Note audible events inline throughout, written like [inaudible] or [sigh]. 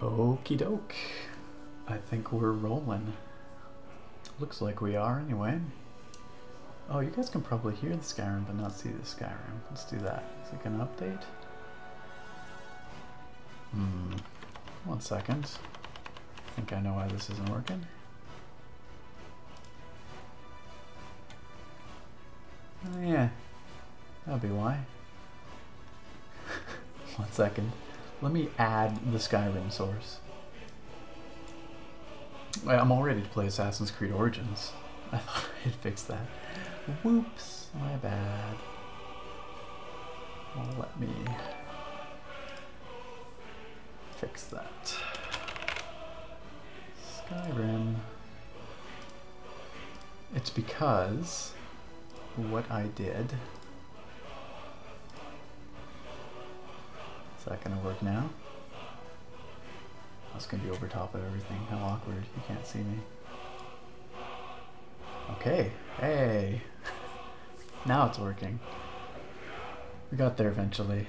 Okie doke. I think we're rolling. Looks like we are anyway. Oh, you guys can probably hear the Skyrim but not see the Skyrim. Let's do that. Is it going to update? Hmm. One second. I think I know why this isn't working. Oh yeah, that would be why. [laughs] One second. Let me add the Skyrim source. I'm all ready to play Assassin's Creed Origins. [laughs] I thought I'd fix that. Whoops, my bad let me fix that. Skyrim. It's because what I did. Is that gonna work now? That's gonna be over top of everything. How awkward. You can't see me. Okay. Hey now it's working. We got there eventually.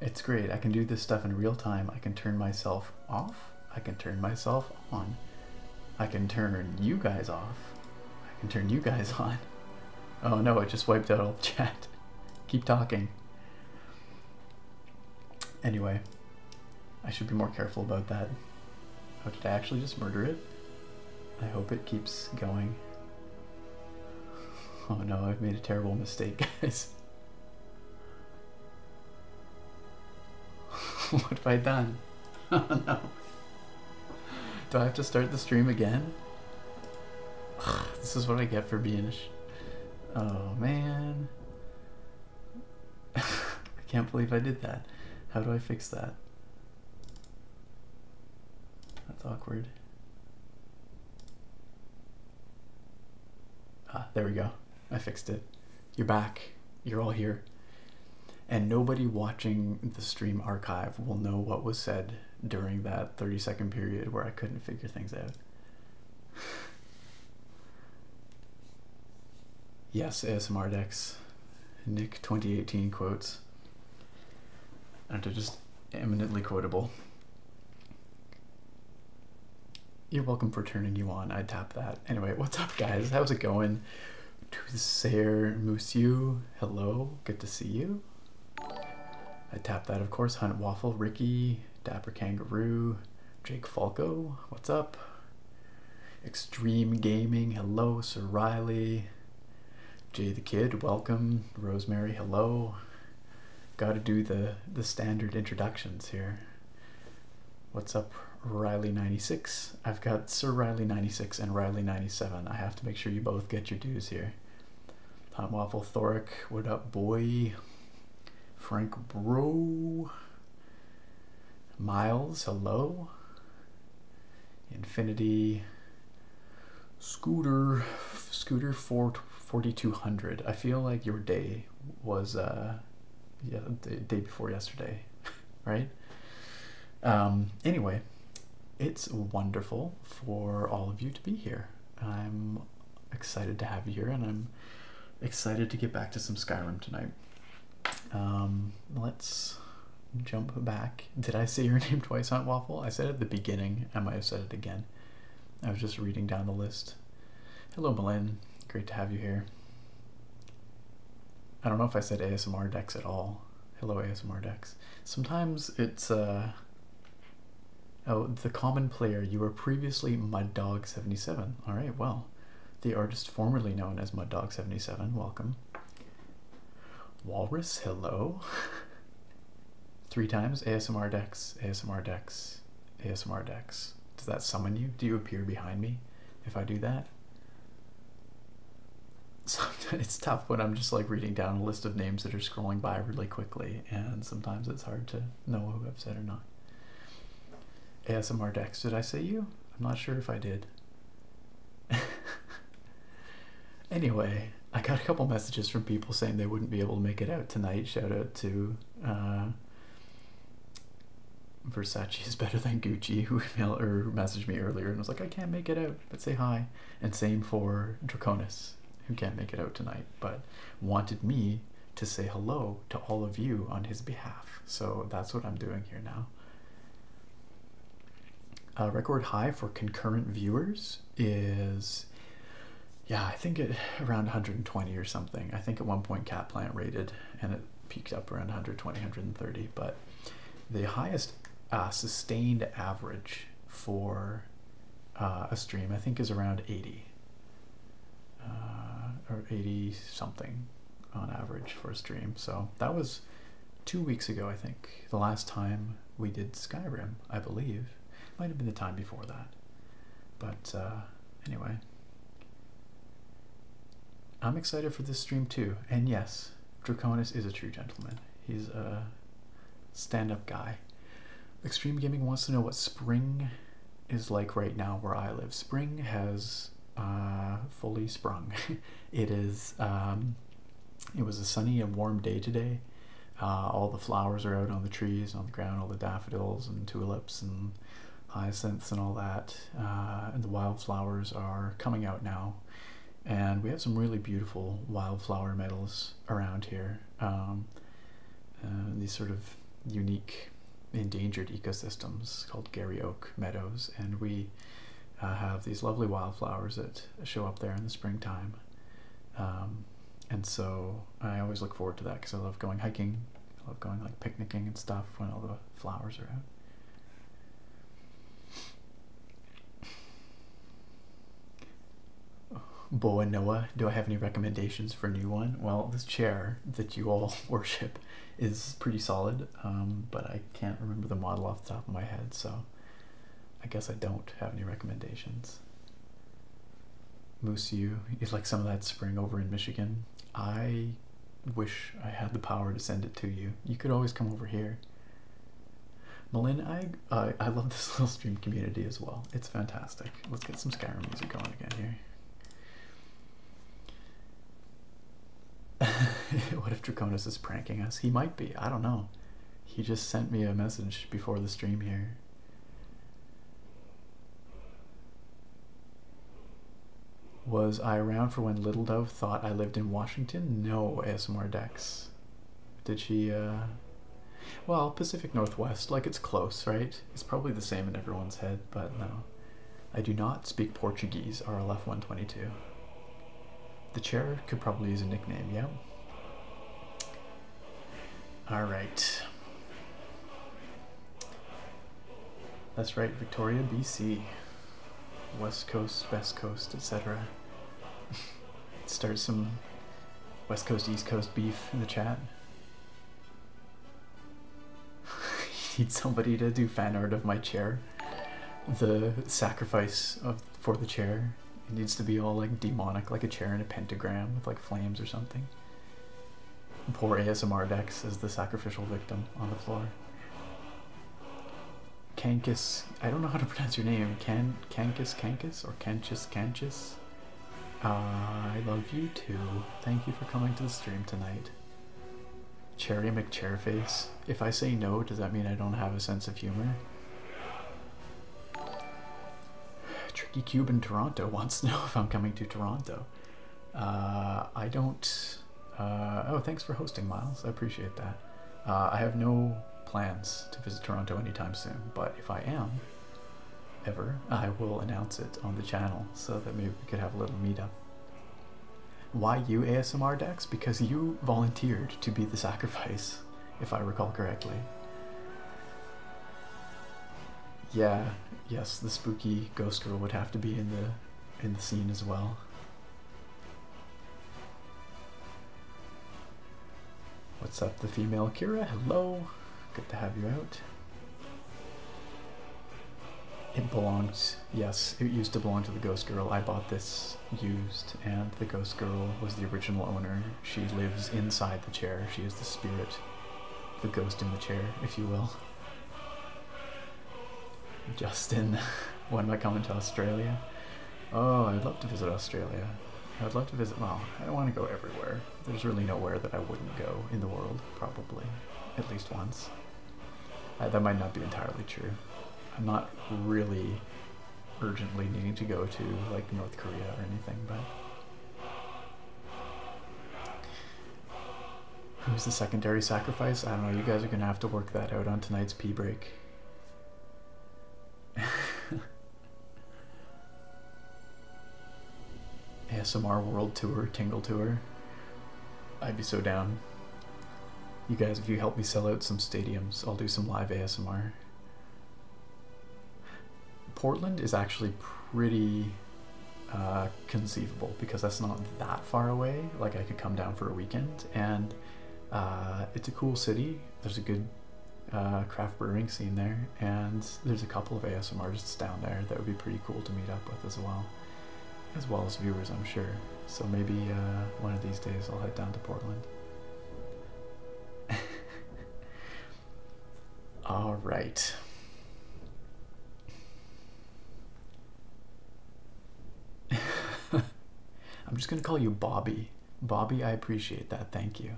It's great. I can do this stuff in real time. I can turn myself off. I can turn myself on. I can turn you guys off. I can turn you guys [laughs] on. Oh no, I just wiped out all chat. [laughs] Keep talking. Anyway, I should be more careful about that. How oh, did I actually just murder it? I hope it keeps going. [laughs] Oh no, I've made a terrible mistake, guys. [laughs] what have I done? [laughs] Oh, no. Do I have to start the stream again? [sighs] this is what I get for being a Oh man. I can't believe I did that. How do I fix that? That's awkward. Ah, there we go. I fixed it. You're back. You're all here. And nobody watching the stream archive will know what was said during that 30 second period where I couldn't figure things out. [sighs] yes, ASMR decks. Nick 2018 quotes. And they're just eminently quotable. You're welcome for turning you on. I tap that. Anyway, what's up, guys? How's it going? To Sayer Musiu, hello. Good to see you. I tap that, of course. Hunt Waffle, Ricky, Dapper Kangaroo, Jake Falco. What's up? Extreme Gaming, hello, Sir Riley. Jay the Kid, welcome. Rosemary, hello. Gotta do the, the standard introductions here. What's up, Riley96? I've got Sir Riley96 and Riley97. I have to make sure you both get your dues here. Hot Waffle Thoric, what up, boy? Frank Bro. Miles, hello. Infinity Scooter, Scooter 4, 4200. I feel like your day was uh, yeah, the day before yesterday, [laughs] right? Um, anyway, it's wonderful for all of you to be here. I'm excited to have you here and I'm excited to get back to some Skyrim tonight. Um, let's jump back. Did I say your [laughs] name twice, on Waffle? I said it at the beginning. I might have said it again. I was just reading down the list. Hello, Malin. Great to have you here. I don't know if I said ASMR decks at all. Hello, ASMR decks. Sometimes it's, uh... Oh, the common player. You were previously Mud Dog 77 Alright, well. The artist formerly known as Mud Dog 77 welcome. Walrus, hello. Three times ASMR decks, ASMR decks, ASMR decks. Does that summon you? Do you appear behind me if I do that? Sometimes [laughs] it's tough when I'm just like reading down a list of names that are scrolling by really quickly, and sometimes it's hard to know who I've said or not. ASMR decks, did I say you? I'm not sure if I did. [laughs] anyway, I got a couple messages from people saying they wouldn't be able to make it out tonight. Shout out to uh, Versace is better than Gucci, who [laughs] emailed or messaged me earlier and was like, I can't make it out, but say hi. And same for Draconis, who can't make it out tonight, but wanted me to say hello to all of you on his behalf. So that's what I'm doing here now. Uh, a record high for concurrent viewers is, yeah, I think it around 120 or something. I think at one point Cat Plant rated and it peaked up around 120, 130. But the highest uh, sustained average for uh, a stream, I think, is around 80 or 80 something on average for a stream. So that was two weeks ago, I think, the last time we did Skyrim, I believe. Might have been the time before that. But uh, anyway, I'm excited for this stream too. And yes, Draconis is a true gentleman. He's a stand-up guy. Extreme Gaming wants to know what spring is like right now where I live. Spring has uh, fully sprung. [laughs] it is. Um, it was a sunny and warm day today. Uh, all the flowers are out on the trees on the ground. All the daffodils and tulips and hyacinths and all that. Uh, and the wildflowers are coming out now. And we have some really beautiful wildflower medals around here. Um, uh, these sort of unique endangered ecosystems called Gary Oak Meadows, and we uh, have these lovely wildflowers that show up there in the springtime. Um, and so I always look forward to that because I love going hiking. I love going like picnicking and stuff when all the flowers are out. Boa Noah, do I have any recommendations for a new one? Well, this chair that you all [laughs] worship is pretty solid. Um, but I can't remember the model off the top of my head, so I guess I don't have any recommendations. Moose U is like some of that spring over in Michigan. I wish I had the power to send it to you. You could always come over here. Malin, I, I love this [laughs] little stream community as well. It's fantastic. Let's get some Skyrim music going again here. [laughs] what if Draconis is pranking us? He might be. I don't know. He just sent me a message before the stream here. Was I around for when Little Dove thought I lived in Washington? No, ASMR Dex. Did she, uh, Well, Pacific Northwest, like it's close, right? It's probably the same in everyone's head, but no. I do not speak Portuguese, RLF 122. The chair could probably use a nickname, yeah? Alright. That's right, Victoria, BC. West Coast, West Coast, etc. [laughs] Start some West Coast, East Coast beef in the chat. [laughs] need somebody to do fan art of my chair the sacrifice of for the chair. It needs to be all like demonic, like a chair in a pentagram with like flames or something. poor ASMR Dex is the sacrificial victim on the floor. Kankus, I don't know how to [laughs] pronounce your name. Can Kankus Kankus or Kanchus Kanchus? I love you too. Thank you for coming to the stream tonight. Cherry McChairface. If I say no, does that mean I don't have a sense of humor? Tricky Cuban Toronto [laughs] wants to know if I'm coming to Toronto. Uh, I don't... Uh, oh, thanks for hosting, Miles. I appreciate that. Uh, I have no plans to visit Toronto anytime soon, but if I am, ever, I will announce it on the channel so that maybe we could have a little meet-up. Why you ASMR Dex? Because you volunteered to be the sacrifice, if I recall correctly. Yeah, yes, the spooky ghost girl would have to be in the in the scene as well. What's up, the female Kira? Hello, good to have you out. It belongs, yes, it used to belong to the ghost girl. I bought this used, and the ghost girl was the original owner. She lives inside the chair. She is the spirit, the ghost in the chair, if you will. Justin, [laughs] when am I coming to Australia? Oh, I'd love to visit Australia. I'd love to visit, well, I don't want to go everywhere. There's really nowhere that I wouldn't go in the world, probably. At least once. Uh, that might not be entirely true. I'm not really urgently needing to go to like North Korea or anything, but. Who's the secondary sacrifice? I don't know. You guys are going to have to work that out on tonight's pee break. ASMR [laughs] World Tour, Tingle Tour. I'd be so down. You guys, if you help me sell out some stadiums, I'll do some live ASMR. Portland is actually pretty uh, conceivable because that's not that far away. Like I could come down for a weekend and uh, it's a cool city. There's a good uh, craft brewing scene there and there's a couple of ASMR artists down there that would be pretty cool to meet up with as well, as well as viewers I'm sure. So maybe uh, one of these days I'll head down to Portland. [laughs] All right. [laughs] I'm just going to call you Bobby. Bobby, I appreciate that. Thank you.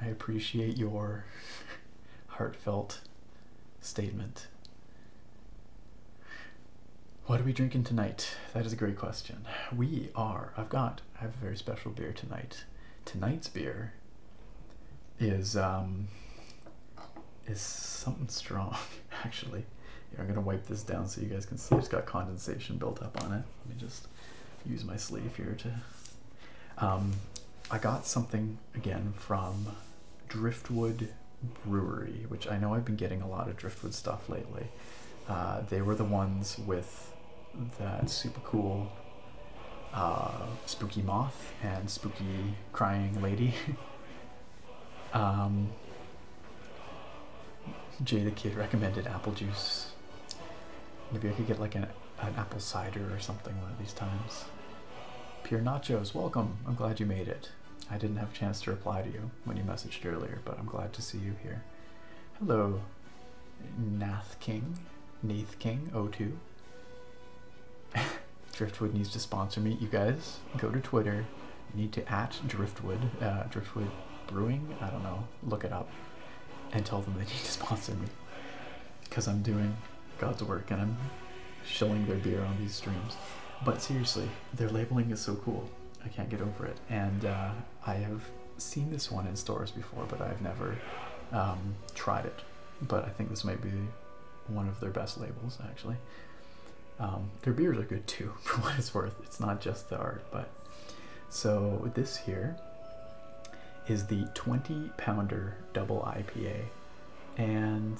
I appreciate your [laughs] heartfelt statement. What are we drinking tonight? That is a great question. We are, I've got, I have a very special beer tonight. Tonight's beer is, um, is something strong, [laughs] actually. I'm gonna wipe this down so you guys can see it's got condensation built up on it. Let me just use my sleeve here to, um, I got something again from Driftwood Brewery, which I know I've been getting a lot of driftwood stuff lately. Uh, they were the ones with that super cool uh, spooky moth and spooky crying lady. [laughs] Um, Jay the Kid recommended apple juice. Maybe I could get like an, an apple cider or something one of these times. Pure Nachos, welcome. I'm glad you made it. I didn't have a chance to reply to you when you messaged earlier, but I'm glad to see you here. Hello, Nath King, Nath King 0 02. [laughs] Driftwood needs to sponsor me. You guys go to Twitter. need to at Driftwood, uh, Driftwood Brewing. I don't know. Look it up and tell them they need to [laughs] sponsor me because I'm doing God's work and I'm shilling their beer on these streams. But seriously, their labeling is so cool. I can't get over it. And uh, I have seen this one in stores before, but I've never um, tried it. But I think this might be one of their best labels, actually. Um, their beers are good too, [laughs] for what it's worth. It's not just the art, but so this here is the 20 pounder double IPA, and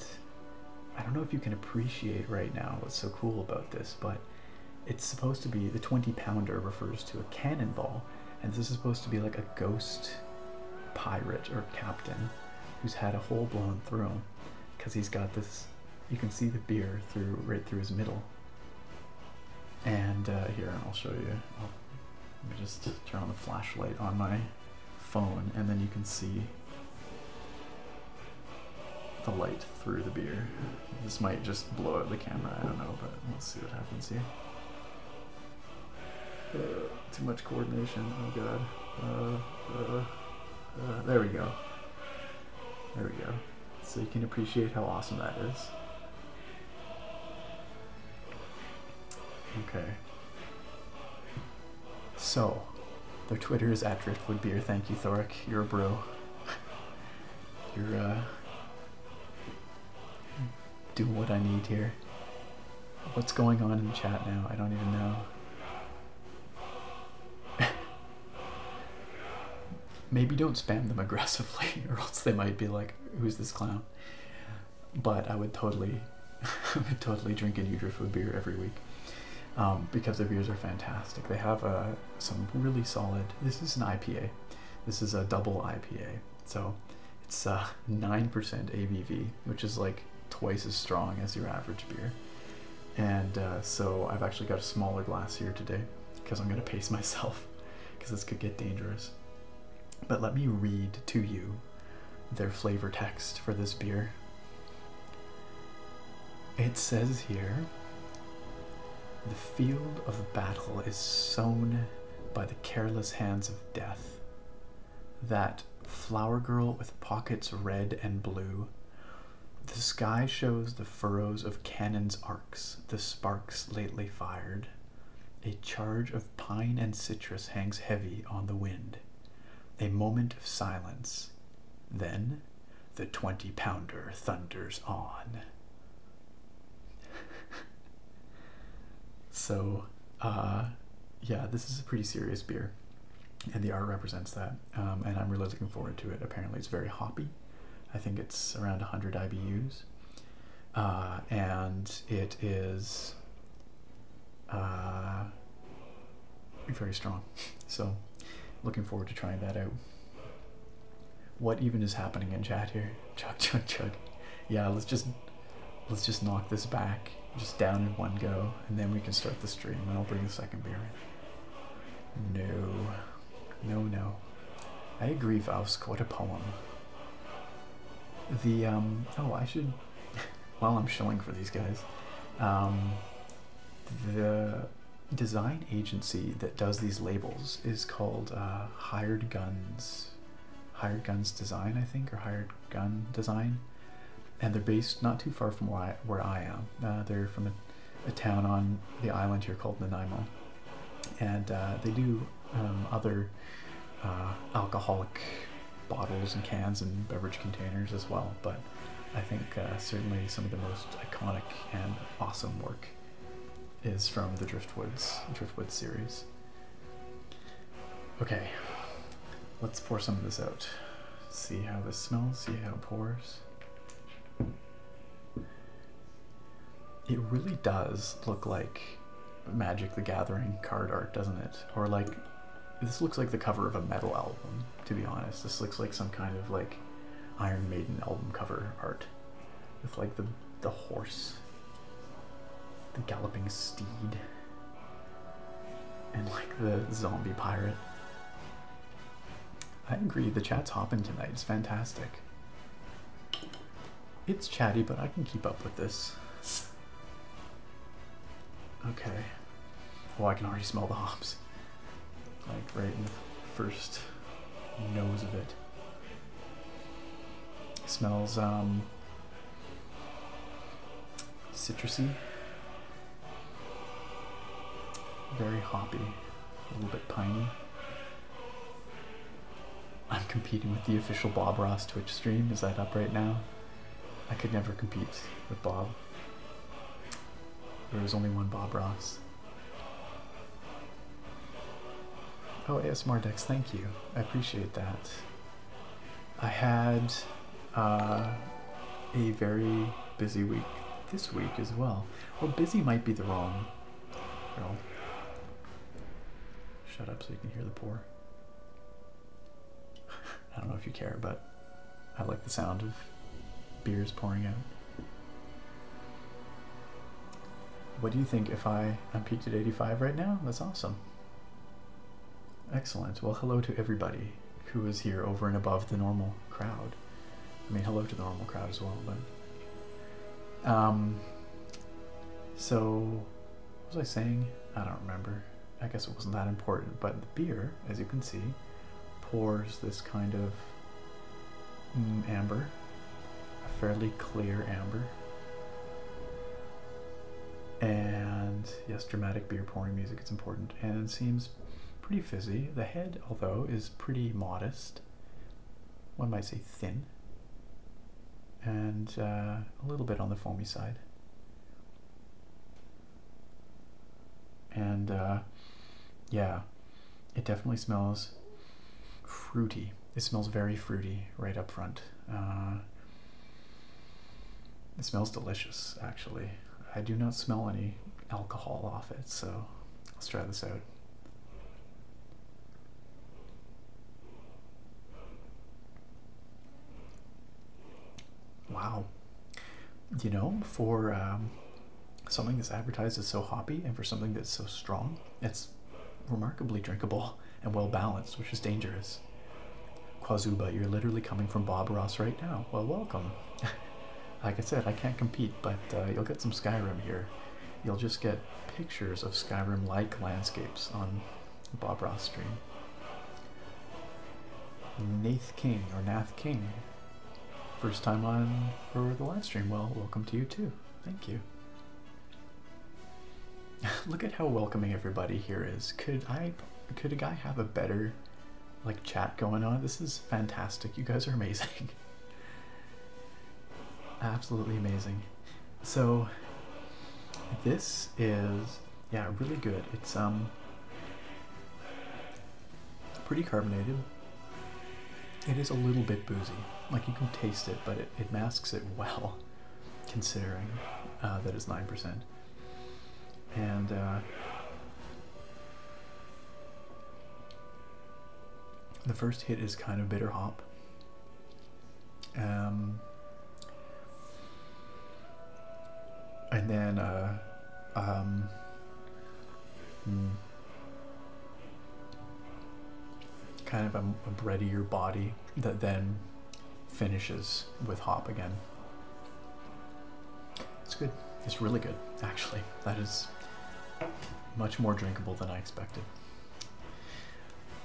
I don't know if you can appreciate right now what's so cool about this, but it's supposed to be the 20 pounder refers to a cannonball, and this is supposed to be like a ghost pirate or captain who's had a hole blown through him because he's got this. You can see the beer through right through his middle. And uh, here, I'll show you. let me just turn on the flashlight on my phone, and then you can see the light through the beer. This might just blow out the camera, I don't know, but let's see what happens here. Uh, too much coordination, oh god. Uh, uh, there we go. There we go. So you can appreciate how awesome that is. Okay. So, their Twitter is at Driftwood Beer. Thank you, Thoric. You're a bro. You're, uh, do what I need here. What's going on in the chat now? I don't even know. [laughs] Maybe don't spam them [laughs] aggressively, or else they might be like, who's this clown? But I would totally, [laughs] totally drink a Nutrafoo beer every week. Um, because the beers are fantastic. They have uh, some really solid. This is an IPA. This is a double IPA. So it's 9% uh, ABV, which is like twice as strong as your average beer. And uh, so I've actually got a smaller glass here today because I'm going to pace [laughs] myself because this could get dangerous. But let me read to you their flavor text for this beer. It says here the field of battle is sown by the careless hands of death. That flower girl with pockets red and blue. The sky shows the furrows of cannon's arcs, the sparks lately fired. A charge of pine and citrus hangs heavy on the wind. A moment of silence. Then the 20 pounder thunders on. [laughs] so, uh, yeah, this is a pretty serious beer, and the R represents that. Um, and I'm really looking forward to it. Apparently, it's very hoppy. I think it's around 100 IBUs, uh, and it is uh, very strong. So, looking forward to trying that out. What even is happening in chat here? [laughs] Chug, chug, chug. Yeah, let's just let's just knock this back, just down in one go, and then we can start the stream. And I'll bring the second beer in. No, no, no. I agree, Vausk. What a poem. The um oh, I should. [laughs] While I'm shilling for these guys, um, the design agency that does these labels is called uh, Hired Guns, Hired Guns Design, I think, or Hired Gun Design, and they're based not too far from where I, am. Uh, they're from a, town on the island here called Nanaimo, and uh, they do um, other alcoholic bottles and cans and beverage containers as well, but I think uh, certainly some of the most iconic and awesome work is from the Driftwoods Driftwood series. Okay, let's pour some of this out. See how this smells, see how it pours. It really does look like Magic the Gathering card art, doesn't it? Or like, this looks like the cover of a metal album to be honest. This looks like some kind of like Iron Maiden album cover art with like the the horse, the galloping steed, and like the zombie pirate. I agree, the chat's hopping tonight. It's fantastic. It's chatty, but I can keep up with this. Okay. Well, oh, I can already smell the hops. Like right in the first nose of it. smells um, citrusy. Very hoppy. A little bit piney. I'm competing with the official Bob Ross Twitch stream. Is that up right now? I could never compete with Bob. There is only one Bob Ross. Oh, ASMR Dex, thank you. I appreciate that. I had uh, a very busy week this week as well. Well, busy might be the wrong. Well, shut up so you can hear the pour. [laughs] I don't know if you care, but I like the sound of beers pouring out. What do you think if I, I'm peaked at 85 right now? That's awesome. Excellent. Well, hello to everybody who is here over and above the normal crowd. I mean, hello to the normal crowd as well, but... Um, so, what was I saying? I don't remember. I guess it wasn't that important, but the beer, as you can see, pours this kind of mm, amber, a fairly clear amber. And yes, dramatic beer pouring music, it's important. And it seems pretty fizzy. The head, although, is pretty modest. One might say thin. And uh, a little bit on the foamy side. And uh, yeah, it definitely smells fruity. It smells very fruity right up front. Uh, it smells delicious, actually. I do not smell any alcohol off it, so let's try this out. Wow. You know, for um, something that's advertised as so hoppy and for something that's so strong, it's remarkably drinkable and well balanced, which is dangerous. Quazuba, you're literally coming from Bob Ross right now. Well, welcome. [laughs] like I said, I can't compete, but uh, you'll get some Skyrim here. You'll just get pictures of Skyrim like landscapes on Bob Ross stream. Nath King or Nath King First time on for the live stream. Well, welcome to you too. Thank you. [laughs] Look at how welcoming everybody here is. Could I could a guy have a better like chat going on? This is fantastic. You guys are amazing. [laughs] Absolutely amazing. So this is yeah, really good. It's um pretty carbonated it is a little bit boozy. Like you can taste it, but it, masks it well, [laughs] considering uh, that it's 9%. And uh, the first hit is kind of bitter hop. Um, and then, uh, um, hmm kind of a, breadier body that then finishes with hop again. It's good. It's really good, actually. That is much more drinkable than I expected.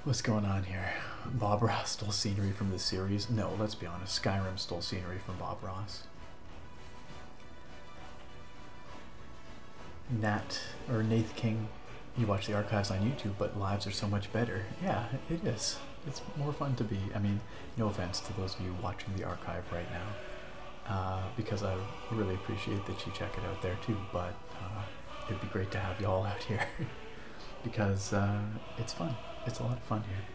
What's going on here? Bob Ross stole scenery from the series? No, let's be honest. Skyrim stole scenery from Bob Ross. Nat or Nath King, you watch the archives on YouTube, but lives are so much better. Yeah, it is. It's more fun to be. I mean, no offense to those of you watching the archive right now, uh, because I really appreciate that you check it out there too. But uh, it'd be great to have you all [laughs] out here because uh, it's fun. It's a lot of fun here.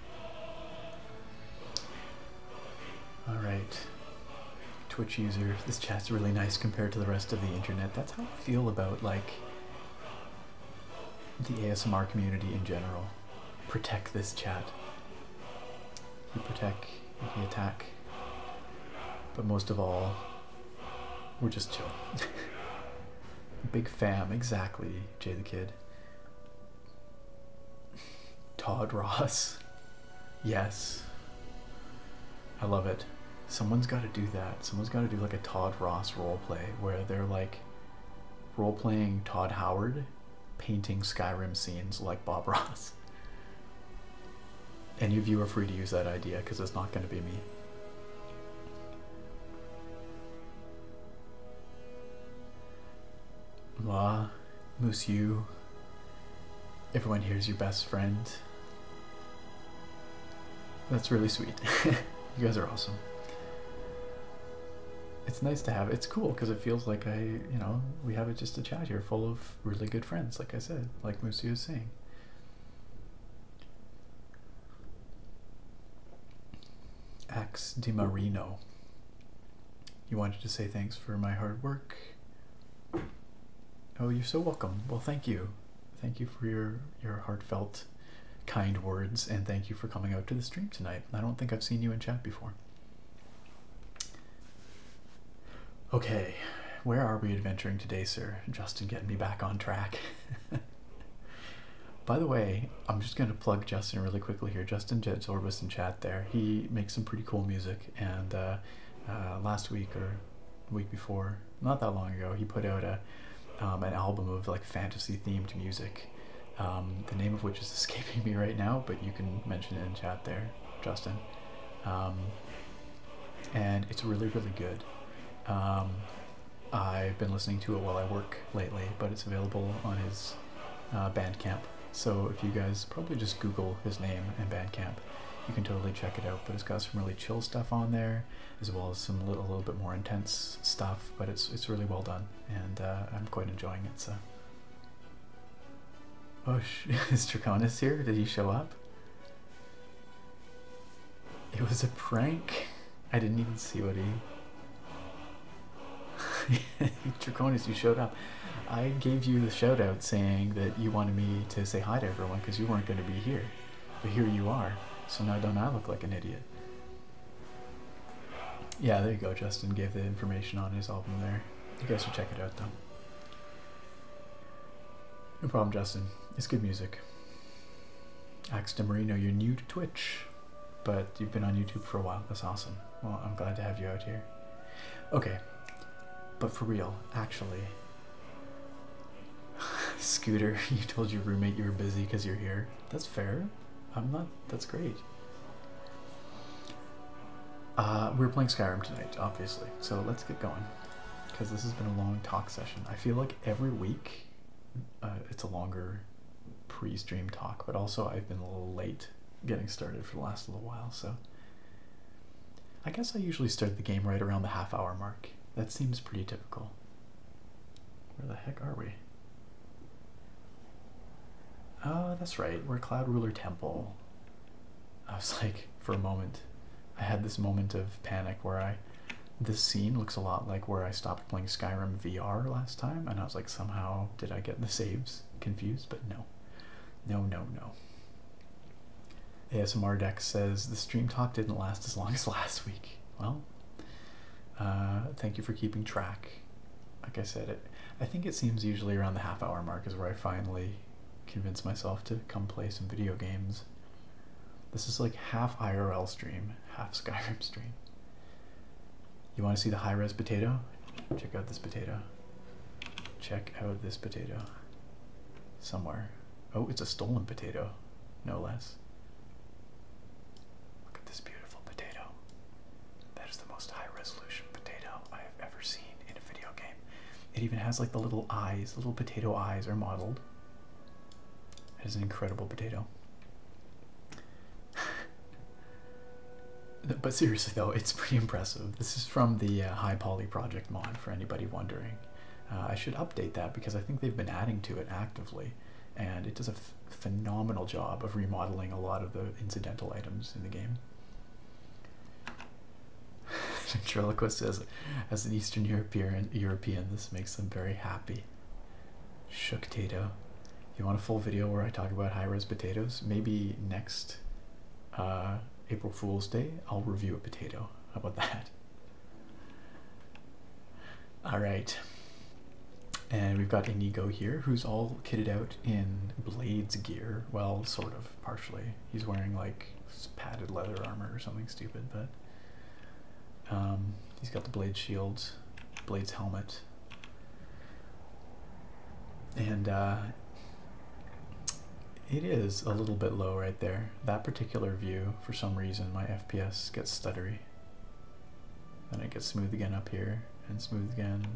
All right. Twitch user, this chat's really nice compared to the rest of the internet. That's how I feel about like the ASMR community in general. Protect this chat. You protect, you attack. But most of all, we're just chill. [laughs] Big fam, exactly, Jay the Kid. Todd Ross. Yes. I love it. Someone's got to do that. Someone's got to do like a Todd Ross role play where they're like role playing Todd Howard painting Skyrim scenes like Bob [laughs] Ross. Any of you are free to use that idea because it's not going to be me. La Mama, you. everyone here is your best friend. That's really sweet. [laughs] you guys are awesome. It's nice to have. It's cool because it feels like I, you know, we have it just a chat here full of really good friends, like I said, like Musu was saying. Axe Di Marino. You wanted to say thanks for my hard work Oh, you're so welcome. Well, thank you. Thank you for your your heartfelt kind words and thank you for coming out to the stream tonight. I don't think I've seen you in chat before. Okay, where are we adventuring today, sir? Justin getting me back on track. [laughs] By the way, I'm just going to plug Justin really quickly here. Justin Jed Orbis in chat there. He makes some pretty cool music and uh, uh, last week or week before, not that long ago, he put out a um, an album of like fantasy themed music. Um, the name of which is [laughs] escaping me right now, but you can mention it in chat there, Justin. Um, and it's really, really good. I've been listening to it while I work lately, but it's available on his uh, Bandcamp so if you guys probably just Google his name and Bandcamp, you can totally check it out. But it's got some really chill stuff on there, as well as some little, little bit more intense stuff. But it's it's really well done, and uh, I'm quite enjoying it. So, oh, [laughs] is Draconis here? Did he show up? It was a prank. I didn't even see what he. [laughs] Draconis, you showed up. I gave you the shout out saying that you wanted me to say hi to everyone because you weren't going to be here. But here you are, so now don't I look like an idiot? Yeah, there you go. Justin gave the information on his album there. You guys should check it out though. No problem, Justin. It's good music. Ax DeMarino, you're new to Twitch, but you've been on YouTube for a while. That's awesome. Well, I'm glad to have you out here. Okay, but for real, actually. [laughs] Scooter, [laughs] you told your roommate you were busy because you're here. That's fair. I'm not. That's great. Uh, we are playing Skyrim tonight, obviously. So let's get going. Because this has been a long talk session. I feel like every week uh, it's a longer pre stream talk, but also I've been a little late getting started for the last little while. So I guess I usually start the game right around the half hour mark. That seems pretty typical. Where the heck are we? Oh, that's right. We're Cloud Ruler Temple. I was [laughs] like, for a moment, I had this moment of panic where I. This scene looks a lot like where I stopped playing Skyrim VR last time, and I was like, somehow did I get the saves confused? But no. No, no, no. ASMR Deck says the stream talk didn't last as long as [laughs] last week. Well, uh, thank you for keeping track. Like I said, it, I think it seems usually around the half hour mark is where I finally convince myself to come play some video games. This is like half IRL stream, half Skyrim stream. You want to see the high res potato? Check out this potato. Check out this potato somewhere. Oh, it's a stolen potato, no less. Look at this beautiful potato. That is the most high resolution potato I have ever seen in a video game. It even has like the little eyes, little potato eyes are modeled. It is an incredible potato. [laughs] but seriously though, it's pretty impressive. This is from the uh, High Poly Project mod for anybody wondering. Uh, I should update that because I think they've been adding to it actively, and it does a phenomenal job of remodeling a lot of the incidental items in the game. [laughs] Ventriloquist says, as an Eastern European, European, this makes them very happy. Shook Tato. You want a full video where I talk about high-res potatoes? Maybe next uh, April Fool's Day, I'll review a potato. How about that? All right. And we've got Inigo here, who's all kitted out in Blades gear. Well, sort of, partially. He's wearing, like, padded leather armor or something stupid, but... Um, he's got the Blade shield, Blade's helmet. And, uh, it is a little bit low right there. That particular view, for some reason, my FPS gets stuttery. Then it gets smooth again up here, and smooth again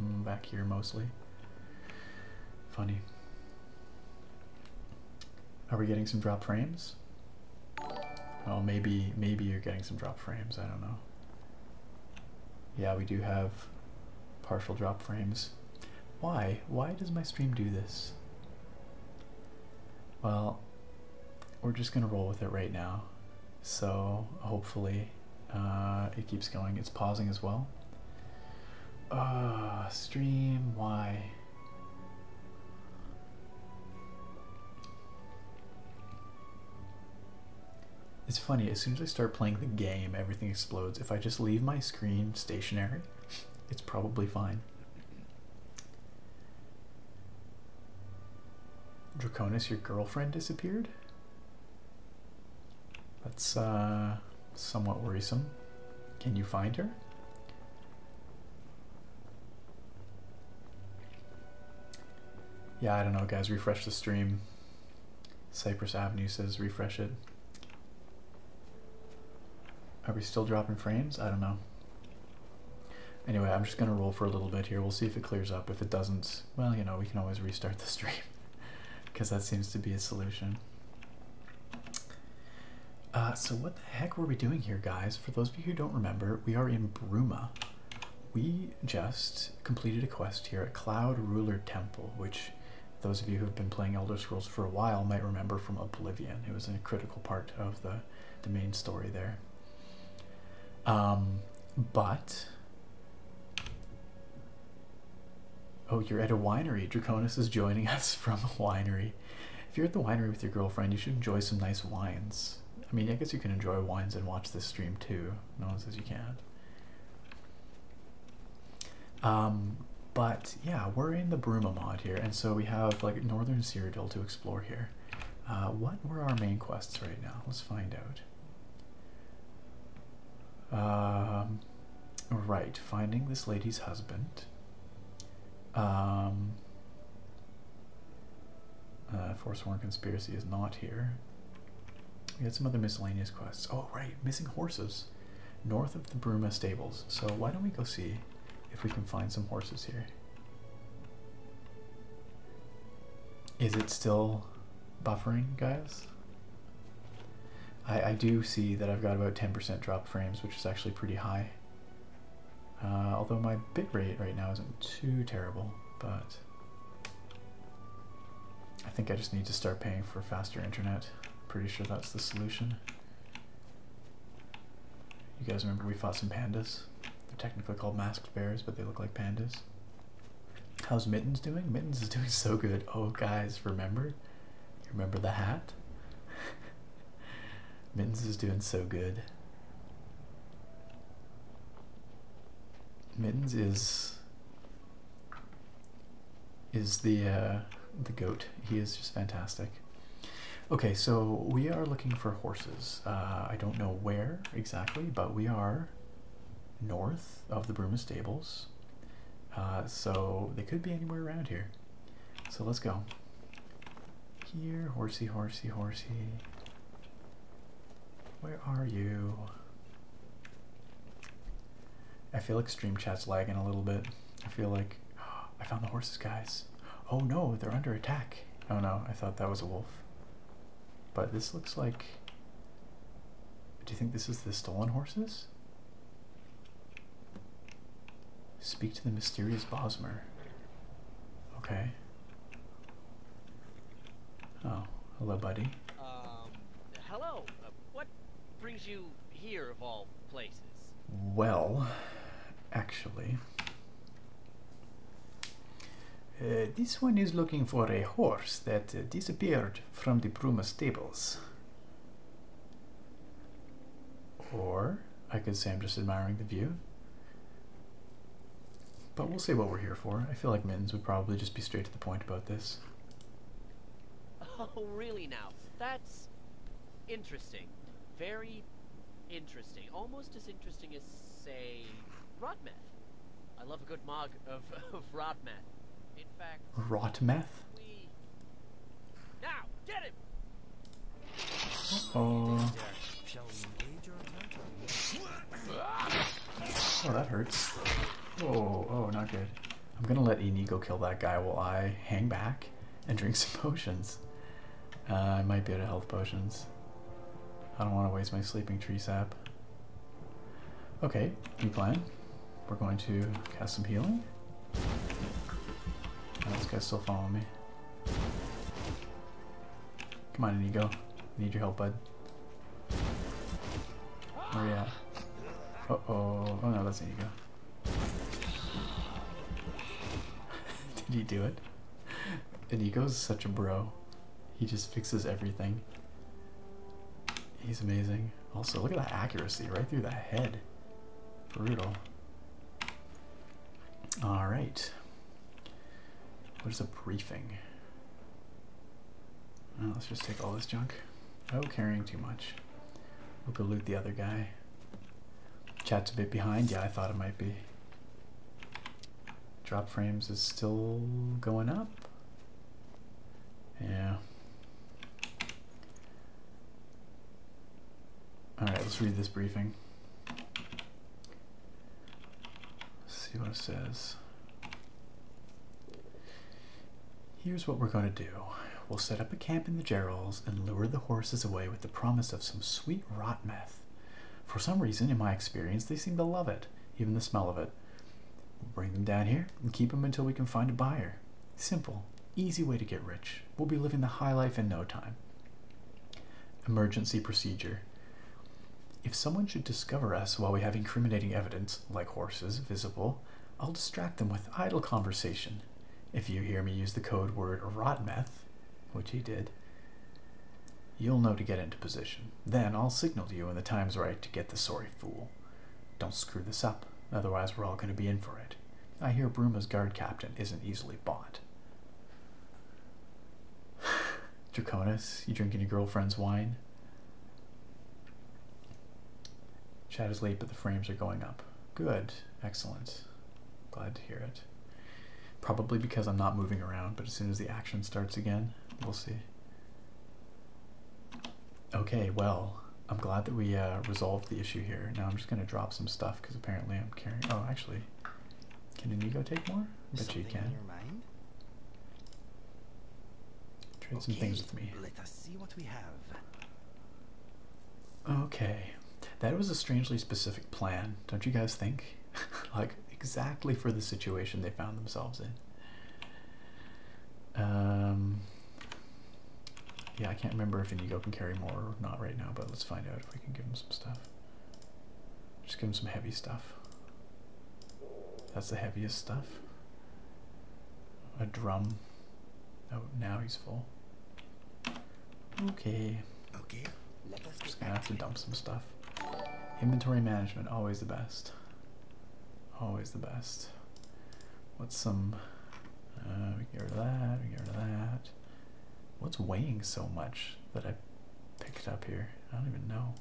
mm, back here mostly. Funny. Are we getting some drop frames? Oh, maybe, maybe you're getting some drop frames, I don't know. Yeah, we do have partial drop frames. Why? Why does my stream do this? Well, we're just gonna roll with it right now. So hopefully uh, it keeps going. It's pausing as well. Uh, stream, why? It's funny, as soon as I start playing the game, everything explodes. If I just leave my screen stationary, it's probably fine. Draconis, your girlfriend disappeared? That's uh, somewhat worrisome. Can you find her? Yeah, I don't know, guys. Refresh the stream. Cypress Avenue says refresh it. Are we still dropping frames? I don't know. Anyway, I'm just going to roll for a little bit here. We'll see if it clears up. If it doesn't, well, you know, we can always restart the stream. Because [laughs] that seems to be a solution. Uh, so what the heck were we doing here, guys? For those of you who don't remember, we are in Bruma. We just completed a quest here at Cloud Ruler Temple, which those of you who have been playing Elder Scrolls for a while might remember from Oblivion. It was a critical part of the, the main story there. Um, but. Oh, you're at a winery. Draconis is joining [laughs] us from a winery. If you're at the winery with your girlfriend, you should enjoy some nice wines. I mean, I guess you can enjoy wines and watch this stream too. No one says you can't. Um, but yeah, we're in the Bruma mod here, and so we have like Northern Cyrodiil to explore here. Uh, what were our main quests right now? Let's find out. Um, right, finding this lady's husband. Um, uh, Forsworn Conspiracy is not here. We had some other miscellaneous quests. Oh, right, missing horses north of the Bruma stables. So why don't we go see if we can find some horses here? Is it still buffering, guys? I, do see that I've got about 10% drop frames, which is actually pretty high. Uh, although my bit rate right now isn't too terrible, but I think I just need to start paying for faster internet. Pretty sure that's the solution. You guys remember we fought some pandas? They're technically called masked bears, but they look like pandas. How's Mittens doing? Mittens is doing so good. Oh, guys, remember? remember the hat? [laughs] Mittens is doing so good. Mittens is is the uh, the goat. He is just fantastic. Okay, so we are looking for horses. Uh, I don't know where exactly, but we are north of the Bruma stables. Uh, so they could be anywhere around here. So let's go. Here, horsey, horsey, horsey. Where are you? I feel like stream chat's lagging a little bit. I feel like [gasps] I found the horses, guys. Oh no, they're under attack. Oh no, I thought that was a wolf. But this looks like. Do you think this is the stolen horses? Speak to the mysterious Bosmer. Okay. Oh, hello, buddy. Um, hello what brings you here, of all places? Well, actually. Uh, this one is looking for a horse that uh, disappeared from the Bruma stables. Or, I could say I'm just admiring the view. But we'll say what we're here for. I feel like Mittens would probably just be straight to the point about this. Oh, really now? That's interesting. Very interesting. Almost as interesting as, say, rot I love a good mug of, [laughs] of rot In fact... Rot Now, get him! oh Oh, that hurts. Oh, oh, not good. I'm gonna let Enigo kill that guy while I hang back and drink [laughs] some potions. Uh, I might be out of health potions. I don't want to waste my sleeping tree sap. Okay, new plan. We're going to cast some healing. Oh, this guy's still following me. Come on, Enigo. need your help, bud. Oh yeah. Uh oh. Oh no, that's Enigo. [laughs] Did he do it? And he goes such a bro. He just fixes everything. He's amazing. Also, look at that accuracy right through the head. Brutal. All right. What is a briefing? Oh, let's just take all this junk. Oh, carrying too much. We'll go loot the other guy. Chat's a bit behind. Yeah, I thought it might be. Drop frames is still going up. Yeah. Alright, let's read this briefing. see what it says. Here's what we're going to do we'll set up a camp in the Gerald's and lure the horses away with the promise of some sweet rotmeth. For some reason, in my experience, they seem to love it, even the smell of it. We'll bring them down here and keep them until we can find a buyer. Simple, easy way to get rich. We'll be living the high life in no time. Emergency procedure. If someone should discover us while we have incriminating evidence, like horses, visible, I'll distract them with idle conversation if you hear me use the code word rot meth, which he did, you'll know to get into position. Then I'll signal to you when the time's right to get the sorry fool. Don't screw this up, otherwise we're all going to be in for it. I hear Bruma's guard captain isn't easily bought. [sighs] Draconis, you drinking your girlfriend's wine? Chat is late, but the frames are going up. Good. Excellent. Glad to hear it. Probably because I'm not moving around, but as soon as the action starts again, we'll see. Okay, well, I'm glad that we uh, resolved the issue here. Now I'm just going to drop some stuff because apparently I'm carrying... Oh, actually, can you go take more? But you can. Trade some things with me see what we have. Okay. That was a strangely specific plan, don't you guys think? [laughs] like, exactly for the situation they found themselves in. Um, yeah, I can't remember if Inigo can carry more or not right now, but let's find out if we can give him some stuff. Just give him some heavy stuff. That's the heaviest stuff. A drum. Oh, now he's full. Okay. Okay. Just gonna have to dump some stuff. Inventory management, always the best. Always the best. What's some... Uh, that, we that. What's weighing so much that I picked up here? I don't even know.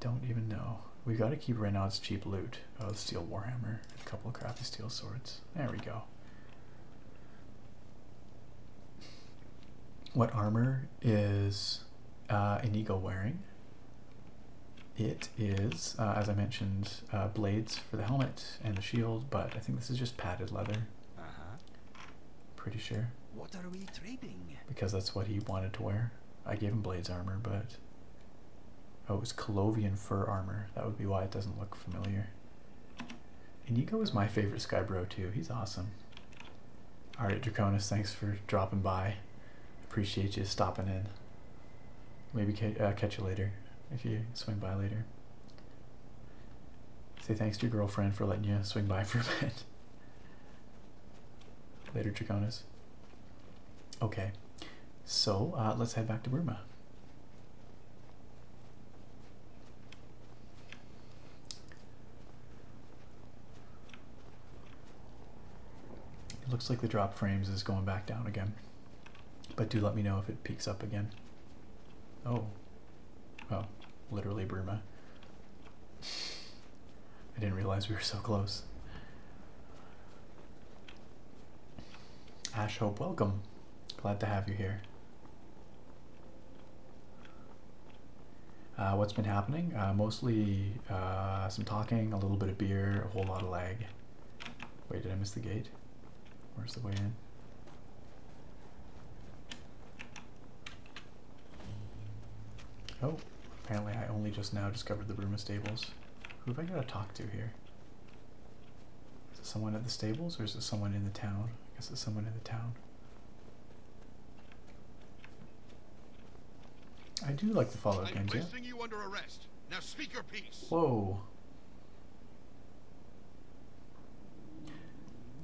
don't even know we got to keep Reynolds cheap loot. A oh, steel warhammer, a couple crappy steel swords. There we go. What armor is uh, Inigo wearing? It is, uh, as I mentioned, uh, blades for the helmet and the shield, but I think this is just padded leather. Uh huh. Pretty sure. What are we trading? Because that's what he wanted to wear. I gave him blades armor, but Oh, it was Colovian fur armor. That would be why it doesn't look familiar. Inigo is my favorite Sky Bro too. He's awesome. Alright, Draconis, thanks for dropping by. Appreciate you stopping in. Maybe uh, catch you later if you swing by later. Say thanks to your girlfriend for letting you swing by [laughs] for a bit. later, Draconis. Okay. So uh, let's head back to Burma. It looks like the drop frames is going back down again. But do let me know if it peaks up again. Oh. Oh, literally Burma. [laughs] I didn't realize we were so close. Ash Hope, welcome. Glad to have you here. Uh, what's been happening? Uh, mostly uh, some talking, a little bit of beer, a whole lot of lag. Wait, did I miss the gate? Where's the way in? Oh, apparently I only just now discovered the Bruma stables. Who have I got to talk to here? Is it someone at the stables or is it someone in the town? I guess it's someone in the town. I do like to follow up. am Genji. Now speak your piece. Whoa.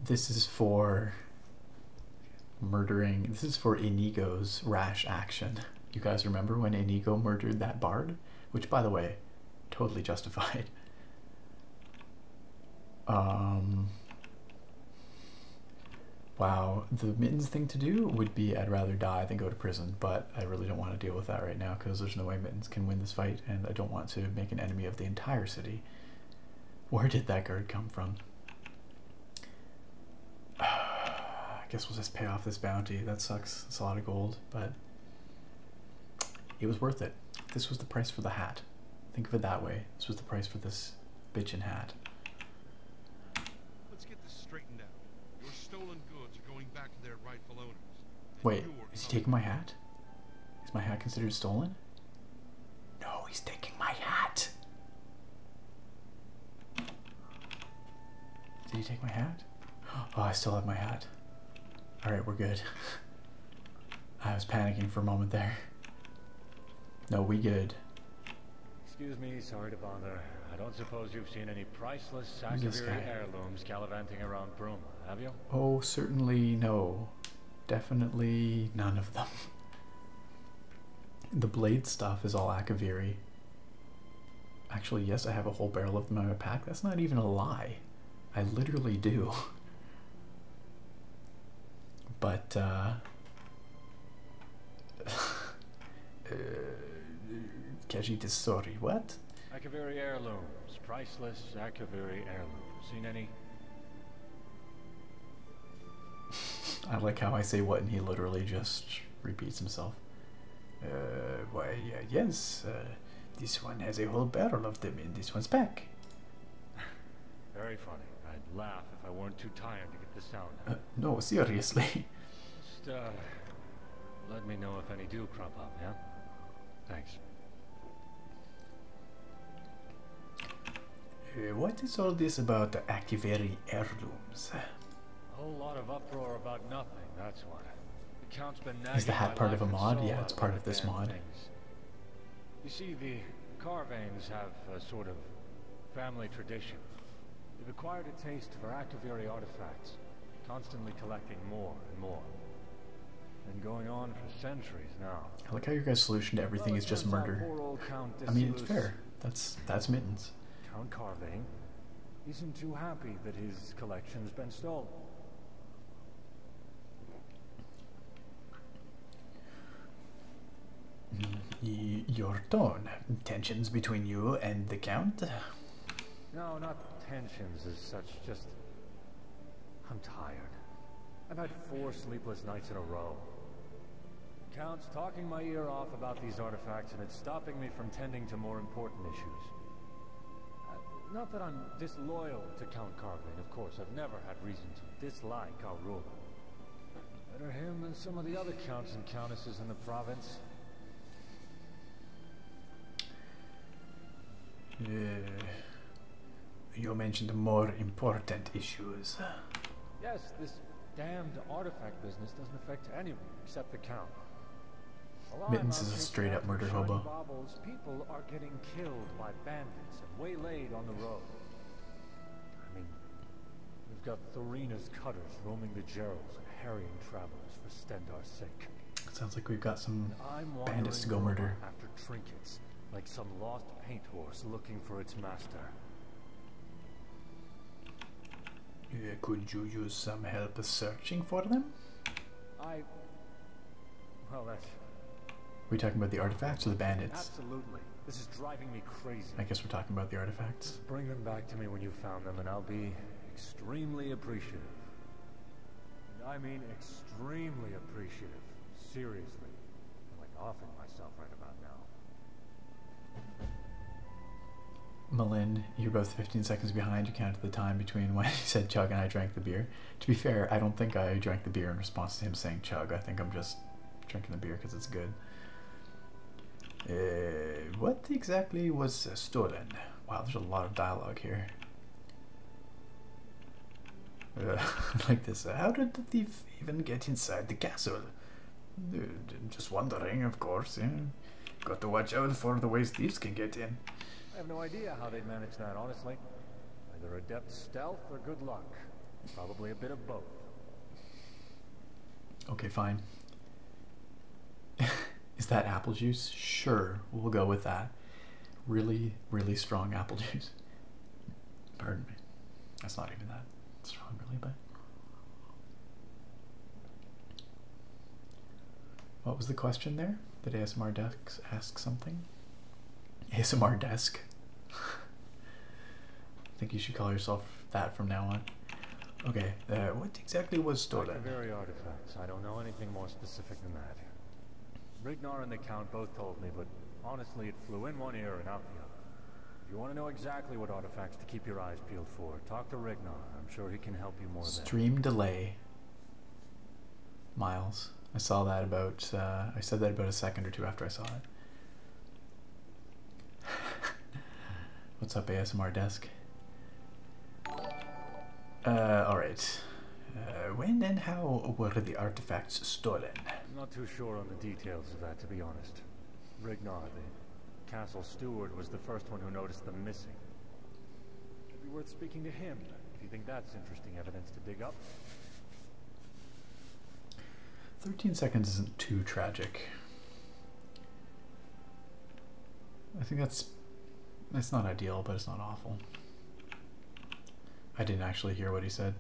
This is for murdering. This is for Inigo's rash action. You guys remember when Inigo murdered that bard? which, by the way, totally justified. [laughs] Um, wow, the Mittens thing to do would be I'd rather die than go to prison, but I really don't want to deal with that right now because there's no way Mittens can win this fight, and I don't want to make an enemy of the entire city. Where did that guard come from? [sighs] I guess we'll just pay off this bounty. That sucks. It's a lot of gold, but it was worth it. This was the price for the hat. Think of it that way. This was the price for this bitchin' hat. Let's get this straightened out. Your stolen goods are going back to their rightful owners. Wait, is he taking my hat? Is my hat considered stolen? No, he's taking my hat. Did he take my hat? Oh, I still have my hat. Alright, we're good. I was panicking for a moment there. No, we good. Excuse me, sorry to bother. I don't suppose you've seen any priceless Sakaviri heirlooms gallivanting around Pruma, have you? Oh, certainly no. Definitely none of them. the blade stuff is all Akaviri. Actually, yes, I have a whole barrel of them in my pack. That's not even a lie. I literally do. [laughs] But, uh, [laughs] uh, Kajita, sorry, what? Akaviri heirlooms, priceless Akaviri heirlooms. Seen any? [laughs] I like how I say what and he literally just repeats himself. Uh, why, yes, uh, this one has a whole barrel of them in this one's back. Very funny. I'd laugh if I weren't too tired to get the sound uh, no, seriously. Just, uh, let me know if any do crop up, yeah? Thanks. Uh, what is all this about the activating heirlooms? A whole lot of uproar about nothing, that's what. The Count's been nagging Is the hat part of a mod? Yeah, it's part of this mod. You see, the Carvanes have a sort of family tradition. They've acquired a taste for Activiri artifacts, constantly collecting more and more. and going on for centuries now. Look how your guys' solution to everything is just murder. I mean, it's fair. That's that's mittens. Count Carvane isn't too happy that his collection's been stolen. your tone. Tensions between you and the Count? No, not tensions as such, just... I'm tired. I've had four sleepless nights in a row. Count's talking my ear off about these artifacts and it's stopping me from tending to more important issues. Uh, not that I'm disloyal to Count Carvin, of course. I've never had reason to dislike our ruler. Better him than some of the other counts and countesses in the province. Uh, you mentioned more important issues. Yes, this damned artifact business doesn't affect anyone except the Count. Mittens is a straight up murder hobo. people are getting killed by bandits waylaid on the road. we've got Thorina's cutters roaming the Geralds and harrying travelers for Stendar's sake. It sounds like we've got some bandits to go murder. After trinkets, like some lost paint horse looking for its master. could you use some help searching for them? I. Well, We talking about the artifacts or the bandits? Absolutely. This is driving me crazy. I guess we're talking about the artifacts. bring them back to me when you found them, and I'll be extremely appreciative. And I mean extremely appreciative. Seriously. I'm like offing myself right about now. Malin you're both 15 seconds behind. You counted the time between when he said chug and I drank the beer. To be fair, I don't think I drank the beer in response to him saying chug. I think I'm just drinking the beer because it's good. Uh, what exactly was stolen? Wow, there's a lot of dialogue here. Uh, [laughs] like this. How did the thief even get inside the castle? Uh, just wondering, of course. Got to watch out for the ways thieves can get in. I have no idea how they'd manage that, honestly. Either adept stealth or good luck. Probably a bit of both. Okay, fine. [laughs] Is that apple juice? Sure, we'll go with that. Really, really strong apple [laughs] juice. Pardon me. That's not even that strong, really, but. What was the question there? Did ASMR Desk ask something. ASMR Desk. [laughs] I think you should call yourself that from now on. Okay, uh, what exactly was stolen? Like very artifacts. I don't know anything more specific than that. Ragnar and the Count both told me, but honestly, it flew in one ear and out the other. If you want to know exactly what artifacts to keep your eyes peeled for, talk to Ragnar. I'm sure he can help you more. Stream then. delay. Miles. I saw that about, uh, I said that about a second or two after I saw it. [laughs] What's up, ASMR desk? Uh, alright. Uh, when and how were the artifacts stolen? I'm Not too sure on the details of that, to be honest. Rignar, the castle steward, was the first one who noticed them missing. It'd be worth speaking to him, if you think that's interesting evidence to dig up. 13 seconds isn't too tragic. I think that's that's not ideal, but it's not awful. I didn't actually hear what he said.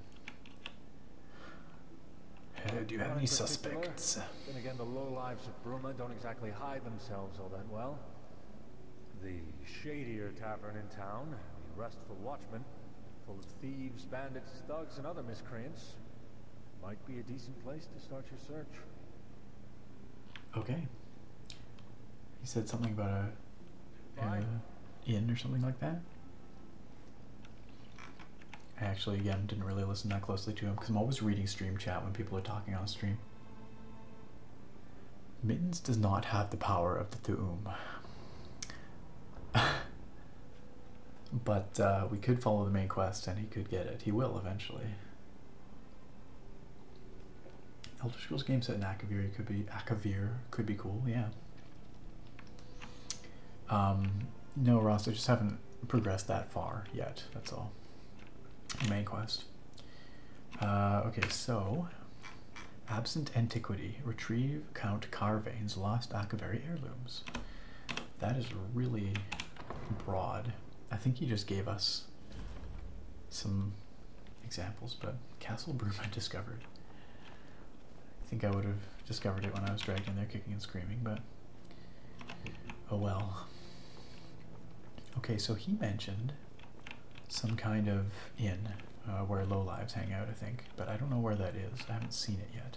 do you have any suspects? types of bruma don't exactly hide themselves all that well. The shadier tavern in town, the restful watchman, full of thieves, bandits, thugs, and other miscreants, might be a decent place to start your search. Okay. He said something about a, a inn or something like that. I actually, again, didn't really listen that closely to him because I'm always reading stream chat when people are talking on stream. Mittens does not have the power of the Thuum. [laughs] but uh, we could follow the main quest and he could get it. He will eventually. Elder Scrolls game set in Akavir could be Akavir could be cool, yeah. Um, no, Ross, I just haven't progressed that far yet. That's all. Main quest. Uh, okay, so absent antiquity, retrieve, count car lost Akaveri heirlooms. That is really broad. I think he just gave us some examples, but Castle broom I [laughs] discovered. I think I would have discovered it when I was dragged in there kicking and screaming, but oh well. Okay, so he mentioned some kind of inn uh, where low lives hang out, I think. But I don't know where that is. I haven't seen it yet.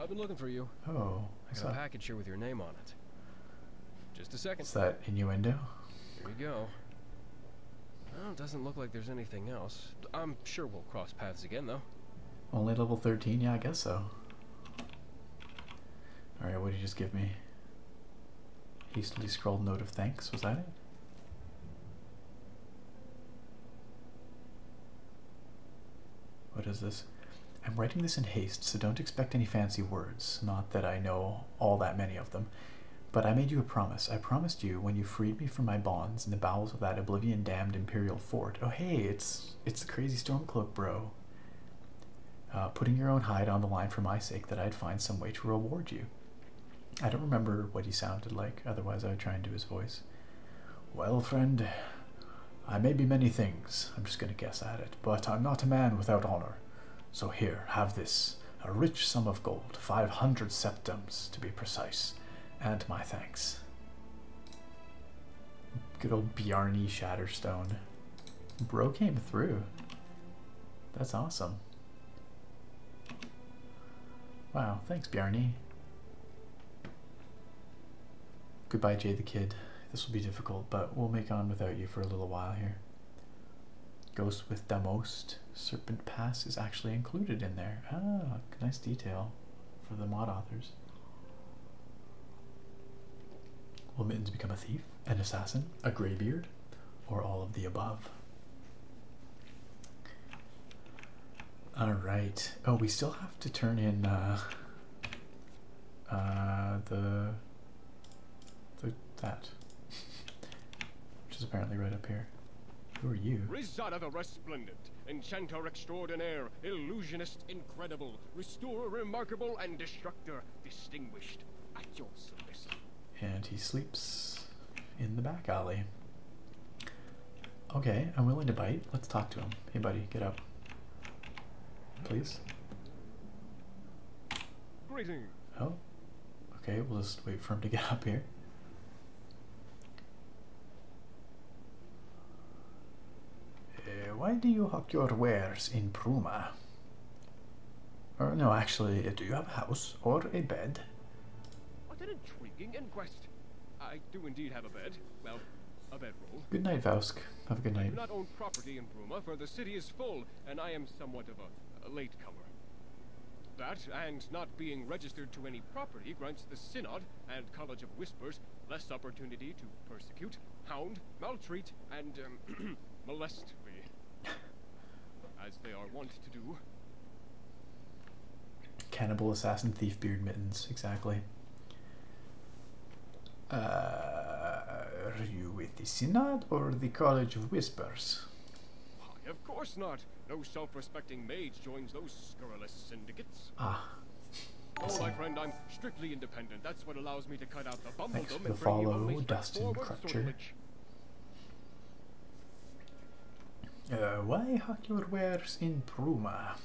I've been looking for you. Oh, I, I saw a package here with your name on it. Just a second. Is that innuendo? Here we go. Well, doesn't look like there's anything else. I'm sure we'll cross paths again, though. Only level 13? Yeah, I guess so. Alright, what did you just give me? Hastily scrawled note of thanks, was that it? What is this? I'm writing this in haste, so don't expect any fancy words. Not that I know all that many of them. But I made you a promise. I promised you when you freed me from my bonds in the bowels of that oblivion-damned Imperial fort. Oh, hey, it's it's the crazy Stormcloak, bro. Uh, putting your own hide on the line for my sake that I'd find some way to reward you. I don't remember what he sounded like, otherwise, I would try and do his voice. Well, friend, I may be many things, I'm just going to guess at it, but I'm not a man without honor. So here, have this a rich sum of gold, 500 septums to be precise, and my thanks. Good old Bjarni Shatterstone. Bro came through. That's awesome. Wow, thanks, Bjarni. Goodbye, Jay the Kid. This will be difficult, but we'll make on without you for a little while here. Ghost with the most Serpent Pass is actually included in there. Ah, nice detail for the mod authors. Will mittens become a thief? an assassin, a graybeard, or all of the above. All right. Oh, we still have to turn in uh, uh, the, the that, which is apparently right up here. Who are you? Rizada the Resplendent, Enchanter Extraordinaire, Illusionist Incredible, Restorer Remarkable, and Destructor Distinguished, at your service and he sleeps in the back alley. Okay, I'm willing to bite. Let's talk to him. Hey, buddy, get up. Please. Greetings. Oh. Okay, we'll just wait for him to get [laughs] up here. Eh, why do you hawk your wares in Pruma? Oh no, actually, uh, do you have a house or a bed? What an intriguing inquest. I do indeed have a bed. Well, a bedroll. Good night, Vausk. Have a good night. do not own property in Bruma, for the city is full, and I am somewhat of a, a latecomer. That, and not being registered to any property, grants the Synod and College of Whispers less opportunity to persecute, hound, maltreat, and um, [clears throat] molest me. [laughs] as they are wont to do. Cannibal, assassin, thief, beard, mittens. Exactly. Uh, are you with the Synod or the College of Whispers? Why, of course not. No self-respecting mage joins those scurrilous syndicates. Ah. Oh, my friend, I'm strictly independent. That's what allows me to cut out the bumbledom Thanks for the and bring follow, Dustin Crutcher. Uh, why Uh, your wares in Pruma?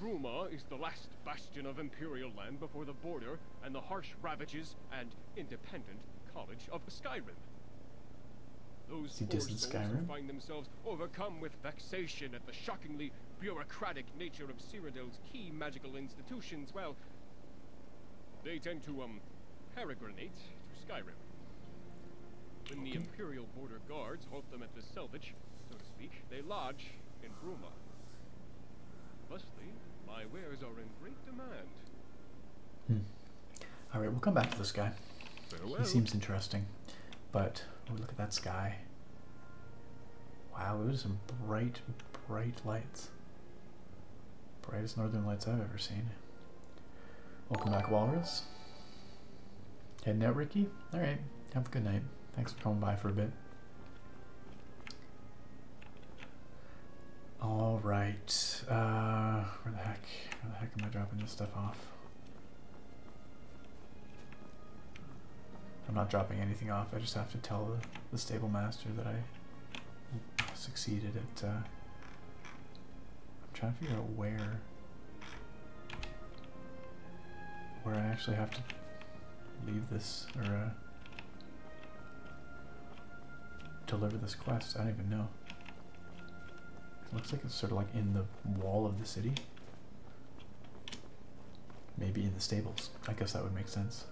Pruma is the last bastion of Imperial land before the border and the harsh ravages and independent college of Skyrim. Those who find themselves overcome with vexation at the shockingly bureaucratic nature of Cyrodiil's key magical institutions, well, they tend to, um, Paragranate to Skyrim. When the Imperial Border Guards halt them at the selvage, so to speak, they lodge in Bruma. Mostly, my wares are in great demand. Hmm. Alright, we'll come back to this guy. He seems interesting. But, oh, look at that sky. Wow, those are some bright, bright lights. Brightest northern lights I've ever seen. Welcome back, Walrus. Heading out, Ricky? Alright, have a good night. Thanks for coming by for a bit. Alright, uh, where the heck, where the heck am I dropping this stuff off? I'm not dropping anything off, I just have to tell the, the stable master that I succeeded at. Uh, I'm trying to figure out where where I actually have to leave this or uh, deliver this quest. I don't even know. looks like it's sort of like in the wall of the city. Maybe in the stables. I guess that would make sense.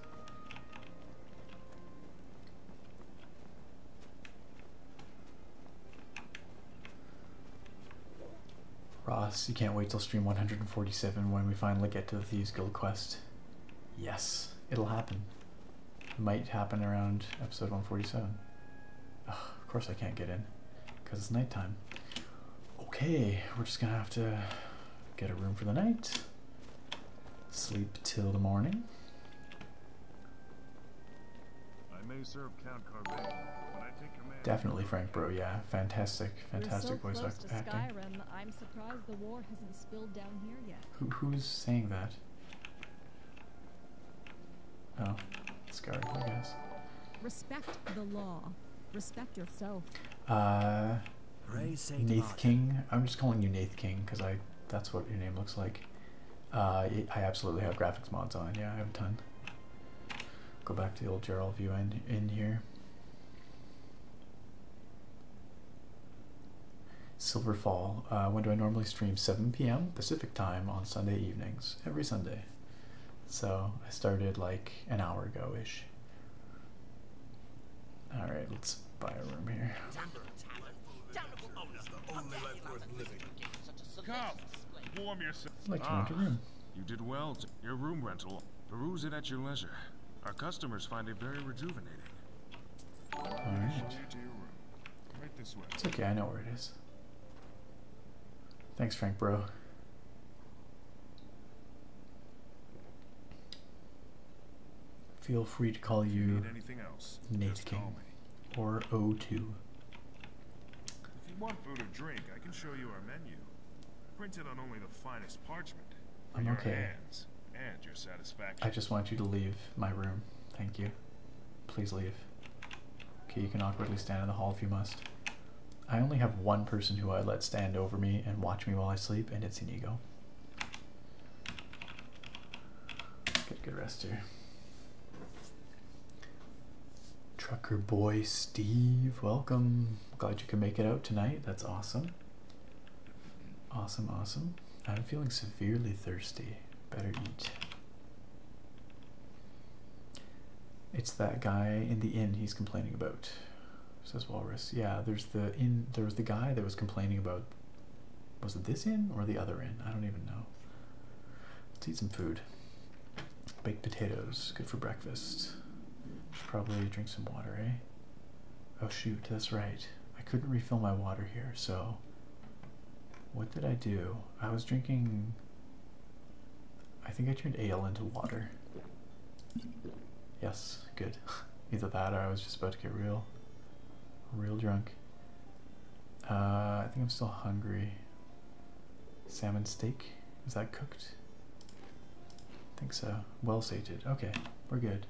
Ross, you can't wait till stream 147 when we finally get to the Thieves Guild quest. Yes, it'll happen. might happen around episode 147. of course I can't get in, because it's nighttime. Okay, we're just gonna have to get a room for the night. Sleep till the morning. Definitely Frank Bro, yeah. Fantastic, fantastic you voice close acting. I'm surprised the war hasn't spilled down here yet. who's saying that? Oh, Skyrim, I guess. Respect the law. Respect yourself. Uh, Nate King. I'm just calling you Nate King because I that's what your name looks like. Uh, I absolutely have graphics mods on. Yeah, I have a ton. Go back to the old Gerald view in, in here. Silverfall. Uh, when do I normally stream? 7 p.m. Pacific time on Sunday evenings. Every Sunday. So I started like an hour ago ish. Alright, let's Let's buy a room here. Come, warm yourself. Like ah, you room. You did well. your room rental. Peruse it at your leisure. Our customers find it very rejuvenating. Alright. It's okay, I know where it is. Thanks, Frank, bro. Feel free to call you. Nate King. Or O2. If you want food or drink, I can show you our menu. Printed on only the finest parchment. I'm okay. I just want you to leave my room. Thank you. Please leave. Okay, you can awkwardly stand in the hall if you must. I only have one person who I let stand over me and watch me while I sleep, and it's Inigo. Get good rest here. Trucker boy Steve, welcome. Glad you can make it out tonight. That's awesome. Awesome, awesome. I'm feeling severely thirsty. Better eat. It's that guy in the inn he's complaining about, says Walrus. Yeah, there's the inn. There was the guy that was complaining about was it this end or the other end? I don't even know. Let's eat some food. Baked potatoes, good for breakfast. Should probably drink some water, eh? Oh shoot, that's right. I couldn't refill my water here, so what did I do? I was drinking I think I turned ale into water. Yes, good. [laughs] Either that or I was just about to get real real drunk. Uh, I think I'm still hungry. Salmon steak? Is that cooked? I think so. Well sated. Okay, we're good.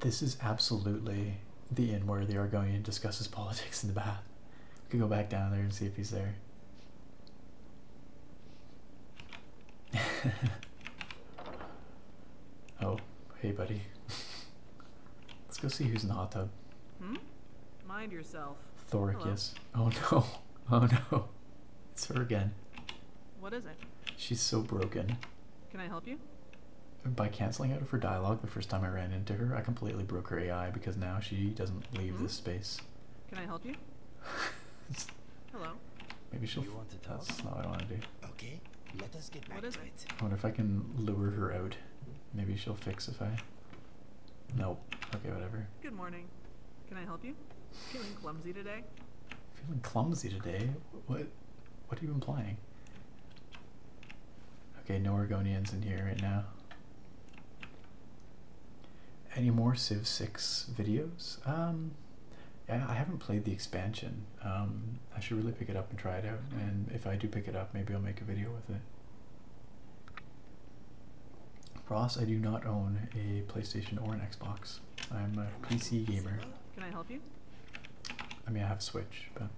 This is absolutely the inn where the Argonian discusses [laughs] politics in the bath. We can go back down there and see if he's there. [laughs] Oh, hey, buddy. [laughs] Let's go see who's in the hot tub. Hmm? Mind yourself. Thoricus. Oh [laughs] no. Oh no. It's her again. What is it? She's so broken. Can I help you? By canceling out of her dialogue the first time I ran into her, I completely broke her AI because now she doesn't leave hmm? this space. Can I help you? [laughs] Hello. Maybe she'll. That's not what I want to do. Okay, let us get back I wonder if I can lure her out. Maybe she'll fix if I. Nope. Okay, whatever. Good morning. Can I help you? Feeling clumsy today? Feeling clumsy today? What? What are you implying? Okay, no Oregonians in here right now. Any more Civ 6 videos? Um, yeah, I haven't played the expansion. Um, I should really pick it up and try it out. And if I do pick it up, maybe I'll make a video with it. Ross, I do not own a PlayStation or an Xbox. I'm a PC gamer. Can I help you? I mean, I have a Switch, but.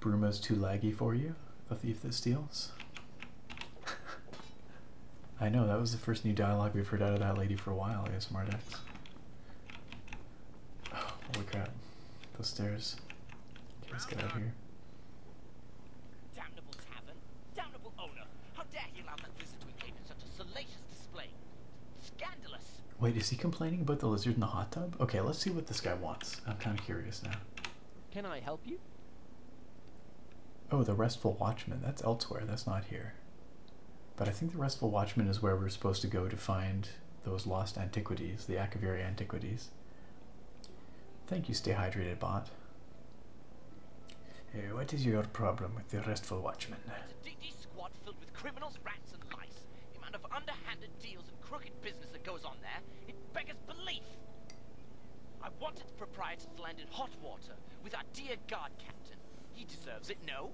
Bruma's too laggy for you, the thief that steals. [laughs] I know, that was the first new dialogue we've heard out of that lady for a while, Yes, Dex. Oh, holy crap. Those stairs. Okay, let's get out of here. Damnable tavern, damnable owner. How dare he allow that visitor to engage in such a salacious display? Scandalous! Wait, is he complaining about the lizard in the hot tub? Okay, let's see what this guy wants. I'm kind of curious now. Can I help you? Oh, the restful watchman. That's elsewhere. That's not here. But I think the Restful Watchman is where we're supposed to go to find those lost antiquities, the Akaviri antiquities. Thank you, Stay Hydrated Bart. what is your problem with the Restful Watchman? It's squad filled with criminals, rats, and The amount of underhanded deals and crooked business that goes on there, it beggars belief. I want its proprietor to land in hot water with our dear guard captain. He deserves it, no?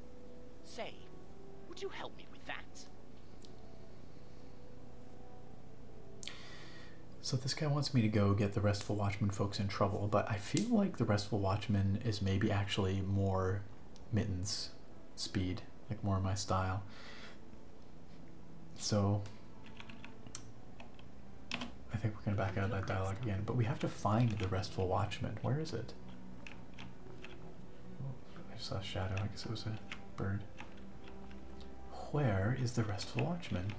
Say, would you help me with that? So this guy wants me to go get the Restful Watchman folks in trouble, but I feel like the Restful Watchman is maybe actually more Mittens speed, like more my style. So I think we're gonna back out that dialogue again, but we have to find the Restful Watchman. Where is it? it? Oh, I saw a shadow. I guess it was a bird. Where is the restful watchman?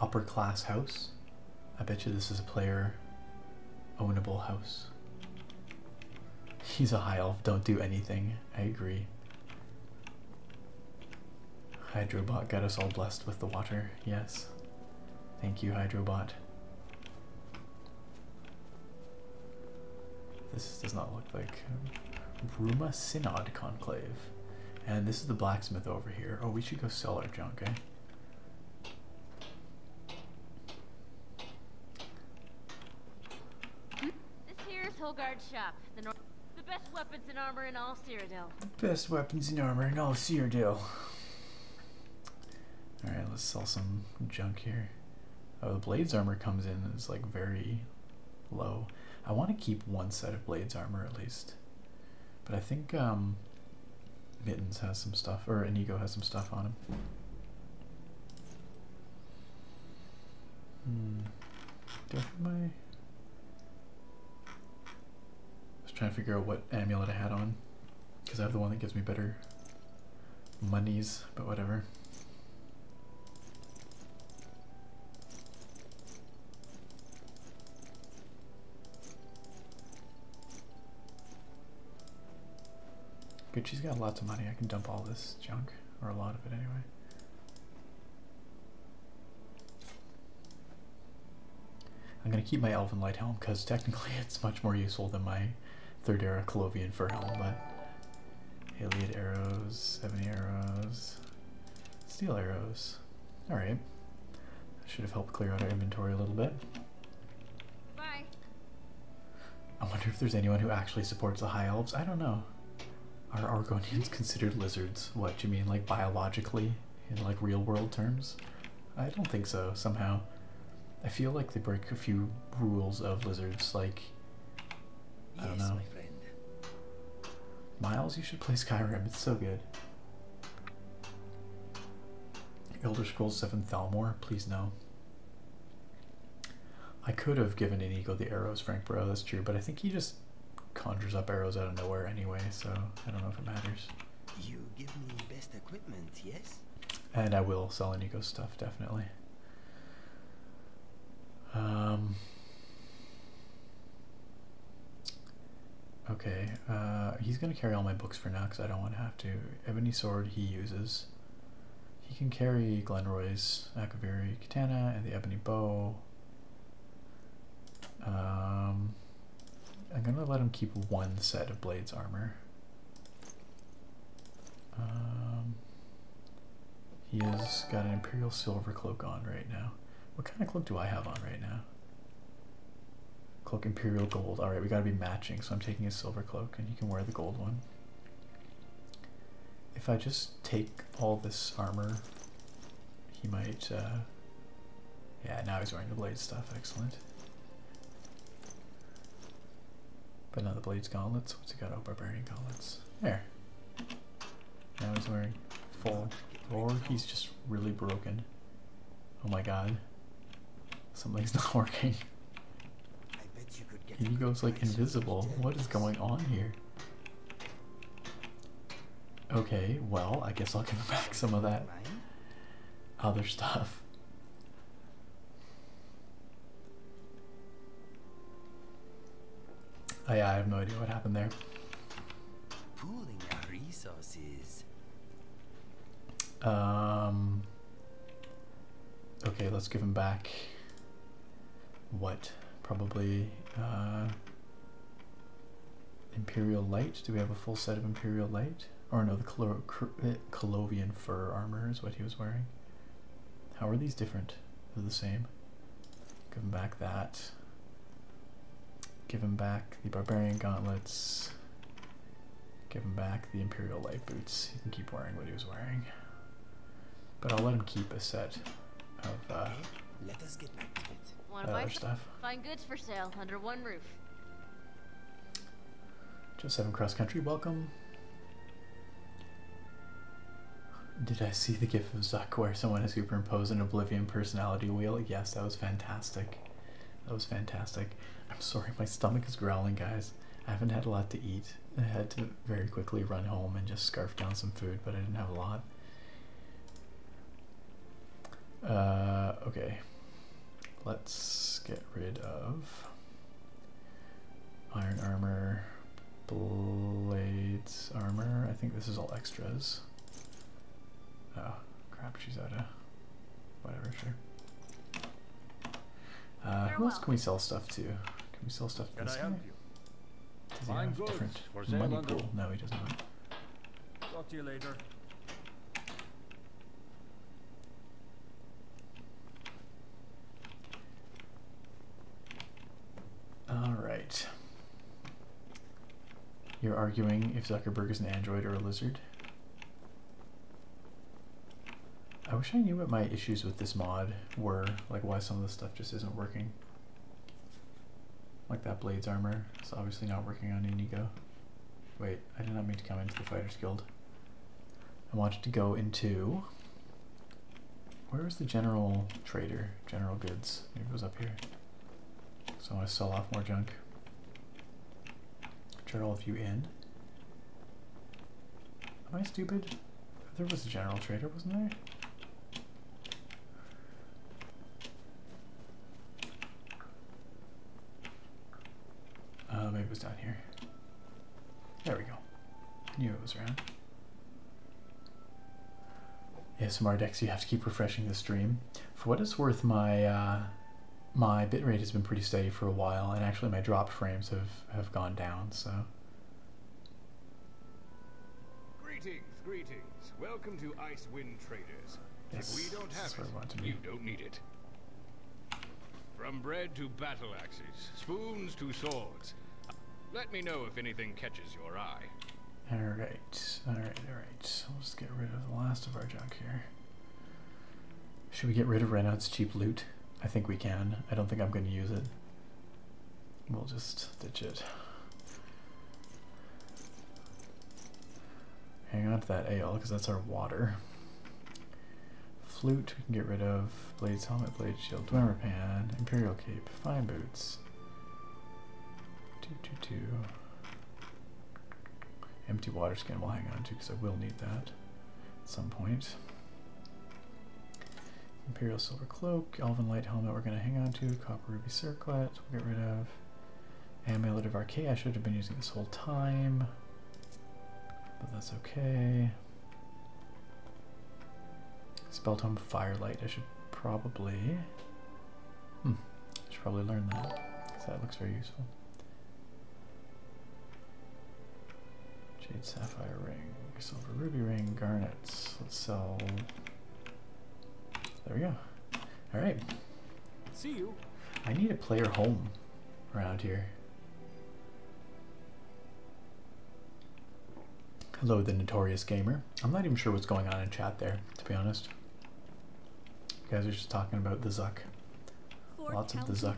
Upper class house. I bet you this is a player ownable house. He's a high elf. Don't do anything. I agree. Hydrobot got us all blessed with the water. Yes. Thank you, Hydrobot. This does not look like Ruma Synod Conclave. And this is the blacksmith over here. Oh, we should go sell our junk, eh? This here is Holgard's shop. The, best weapons and armor in all Cyrodiil. Best weapons and armor in all Cyrodiil. Alright, let's sell some junk here. Oh, the Blades armor comes in is like very low. I want to keep one set of Blades armor at least. But I think um, Mittens has some stuff, or Inigo has some stuff on him. Hmm. Do I I was trying to figure out what amulet I had on. Because I have the one that gives me better monies, but whatever. Good, she's got lots of money. I can dump all this junk, or a lot of it anyway. I'm going to keep my Elven Light Helm because technically [laughs] it's much more useful than my Third Era Colovian Fur Helm, but... Alien arrows, ebony arrows, steel arrows. Alright. Should have helped clear out our inventory a little bit. Bye. I wonder if there's anyone who actually supports the High Elves. I don't know. Are Argonians [laughs] considered lizards? What, do you mean like biologically? in like real world terms? I don't think so, somehow. I feel like they break a few rules of lizards, like I don't know. Miles, you should play Skyrim, it's so good. Elder Scrolls 7 Thalmor, please no. I could have given an eagle the arrows, Frank Bro, that's true, but I think he just conjures up arrows out of nowhere anyway, so I don't know if it matters. You give me best equipment, yes? And I will sell Inigo stuff, definitely. Um, okay, uh, he's going to carry all my books for now because I don't want to have to. Ebony Sword he uses. He can carry Glenroy's Akaviri Katana and the Ebony Bow. Um, I'm gonna let him keep one set of blades armor. Um, he has got an imperial silver cloak on right now. What kind of cloak do I have on right now? Cloak imperial gold. All right, we gotta be matching. So I'm taking his silver cloak, and he can wear the gold one. If I just take all this armor, he might. Uh, yeah, now he's wearing the blade stuff. Excellent. But now the blade's gauntlets. What's he got? Oh, barbarian gauntlets. There. Now he's wearing full or he's just really broken. Oh my god. Something's [laughs] not working. he goes like invisible. What is going on here? Okay, well, I guess I'll give back some of that. [laughs] other stuff. Oh I have no idea what happened there. Pooling our resources. Um. Okay, let's give him back. What? Probably. Uh, Imperial Light. Do we have a full set of Imperial Light? Or no, the Clo eh, Colovian fur armor is what he was wearing. How are these different? They're the same. Give him back that. Give him back the barbarian gauntlets. Give him back the imperial light boots. He can keep wearing what he was wearing. But I'll let him keep a set of uh, let us get back to it. One other stuff. Find goods for sale under one roof. Just seven cross country, welcome. Did I see the gif of Zuck where someone has superimposed an Oblivion personality wheel? Yes, that was fantastic. That was fantastic. I'm sorry, my stomach is growling, guys. I haven't had a lot to eat. I had to very quickly run home and just scarf down some food, but I didn't have a lot. Uh, okay. Let's get rid of iron armor, blades armor. I think this is all extras. Oh, crap, she's out of whatever, sure. Uh, who else can we sell stuff to? Can we sell stuff to this guy? Does he have different money pool? No, he does not. Talk to you later. All right. You're arguing if Zuckerberg is an android or a lizard. I wish I knew what my issues with this mod were, like why some of this stuff just isn't working. Like that Blades armor, is obviously not working on Inigo. Wait, I did not mean to come into the Fighters Guild. I wanted to go into... Where is the general trader? General goods. Maybe it was up here. So I want to sell off more junk. General of you in. Am I stupid? There was a general trader, wasn't there? Uh, maybe it was down here. There we go. I knew it was around. ASMR decks. you have to keep refreshing the stream. For what it's worth, my uh, my bitrate has been pretty steady for a while, and actually my drop frames have, have gone down, so... Greetings, greetings. Welcome to Ice Wind Traders. if we don't have it, you don't need it. From bread to battle axes, spoons to swords. Let me know if anything catches your eye. Alright, alright, alright. So let's get rid of the last of our junk here. Should we get rid of Renaud's cheap loot? I think we can. I don't think I'm going to use it. We'll just ditch it. Hang on to that ale, because that's our water. Flute, We can get rid of. Blade's helmet, Blades. shield, Dwemer pan, imperial cape, fine boots. Two, two, two. Empty water skin we'll hang on to because I will need that at some point. Imperial silver cloak, elven light helmet we're going to hang on to, copper ruby circlet we'll get rid of. Amulet of Archaea, I should have been using this whole time. But that's okay. Spell tome, Firelight, I should probably... Hmm, I should probably learn that, because that looks very useful. Jade Sapphire Ring, Silver Ruby Ring, Garnets. Let's sell... There we go. Alright. See you. I need a player home around here. Hello, the Notorious Gamer. I'm not even sure what's going on in chat there, to be honest. You guys are just talking about the Zuck. Lots of the Zuck.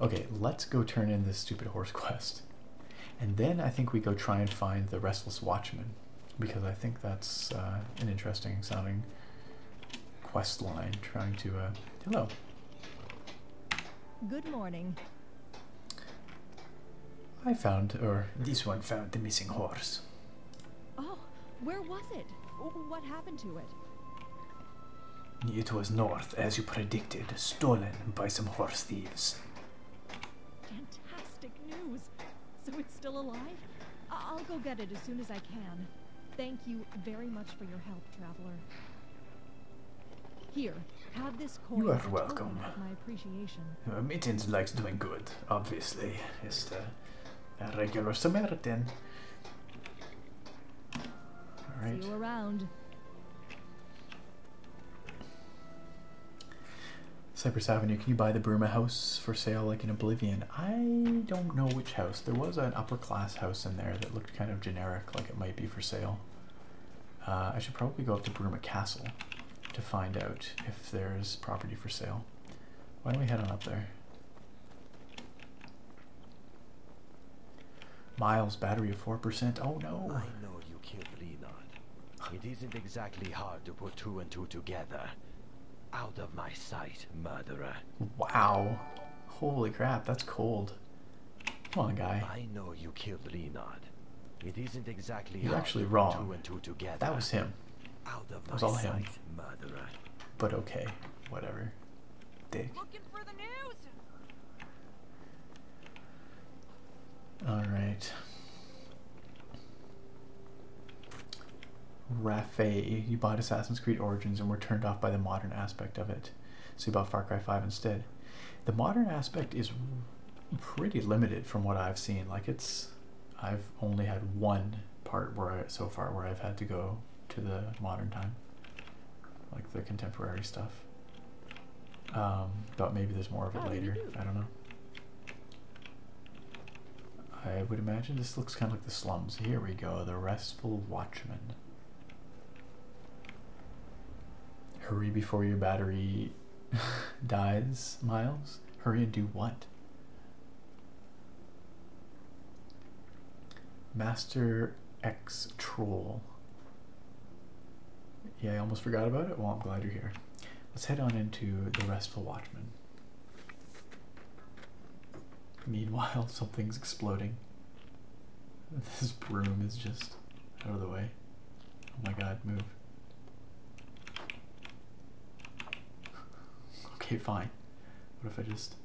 Okay, let's go turn in this stupid horse [laughs] quest. And then I think we go try and find the Restless Watchman, because I think that's uh, an interesting sounding quest line trying to. Uh, hello. Good morning. I found, or this one found, the missing horse. Oh, where was it? What happened to it? It was north, as you predicted, stolen by some horse thieves. Fantastic news! So it's still alive? I will go get it as soon as I can. Thank you very much for your help, traveler. Here, have this coin. You are welcome. My appreciation. Uh, Mittens likes doing good, obviously. it's uh, a regular Samaritan. All right. See you around. Cypress Avenue, can you buy the Burma house for sale like in Oblivion? I don't know which house. There was an upper class house in there that looked kind of generic, like it might be for sale. Uh, I should probably go up to Bruma Castle to find out if there's property for sale. Why don't we head on up there? Miles, battery of 4%. Oh no! I know you killed Renard. It isn't exactly hard to put two and two together. Out of my sight, murderer. Wow. Holy crap, that's cold. Come on, guy. I know you killed Renard. It isn't exactly You're actually wrong. That was him. Out of was all sight, him. But okay, whatever. Dick. Looking for the news? All right. Rafe, you bought Assassin's Creed Origins and were turned off by the modern aspect of it. So you bought Far Cry 5 instead. The modern aspect is pretty limited from what I've seen. Like it's, I've only had one part where so far where I've had to go to the modern time, like the contemporary stuff. Um, but maybe there's more of it later. I don't know. I would imagine this looks kind of like the slums. Here we go, the restful watchman. Hurry before your battery [laughs] dies, Miles. Hurry and do what? Master X Troll. Yeah, I almost forgot about it. Well, I'm glad you're here. Let's head on into the Restful Watchman. Meanwhile, [laughs] something's exploding. This broom is just out of the way. Oh my god, move. [laughs] Okay, fine. What if I just...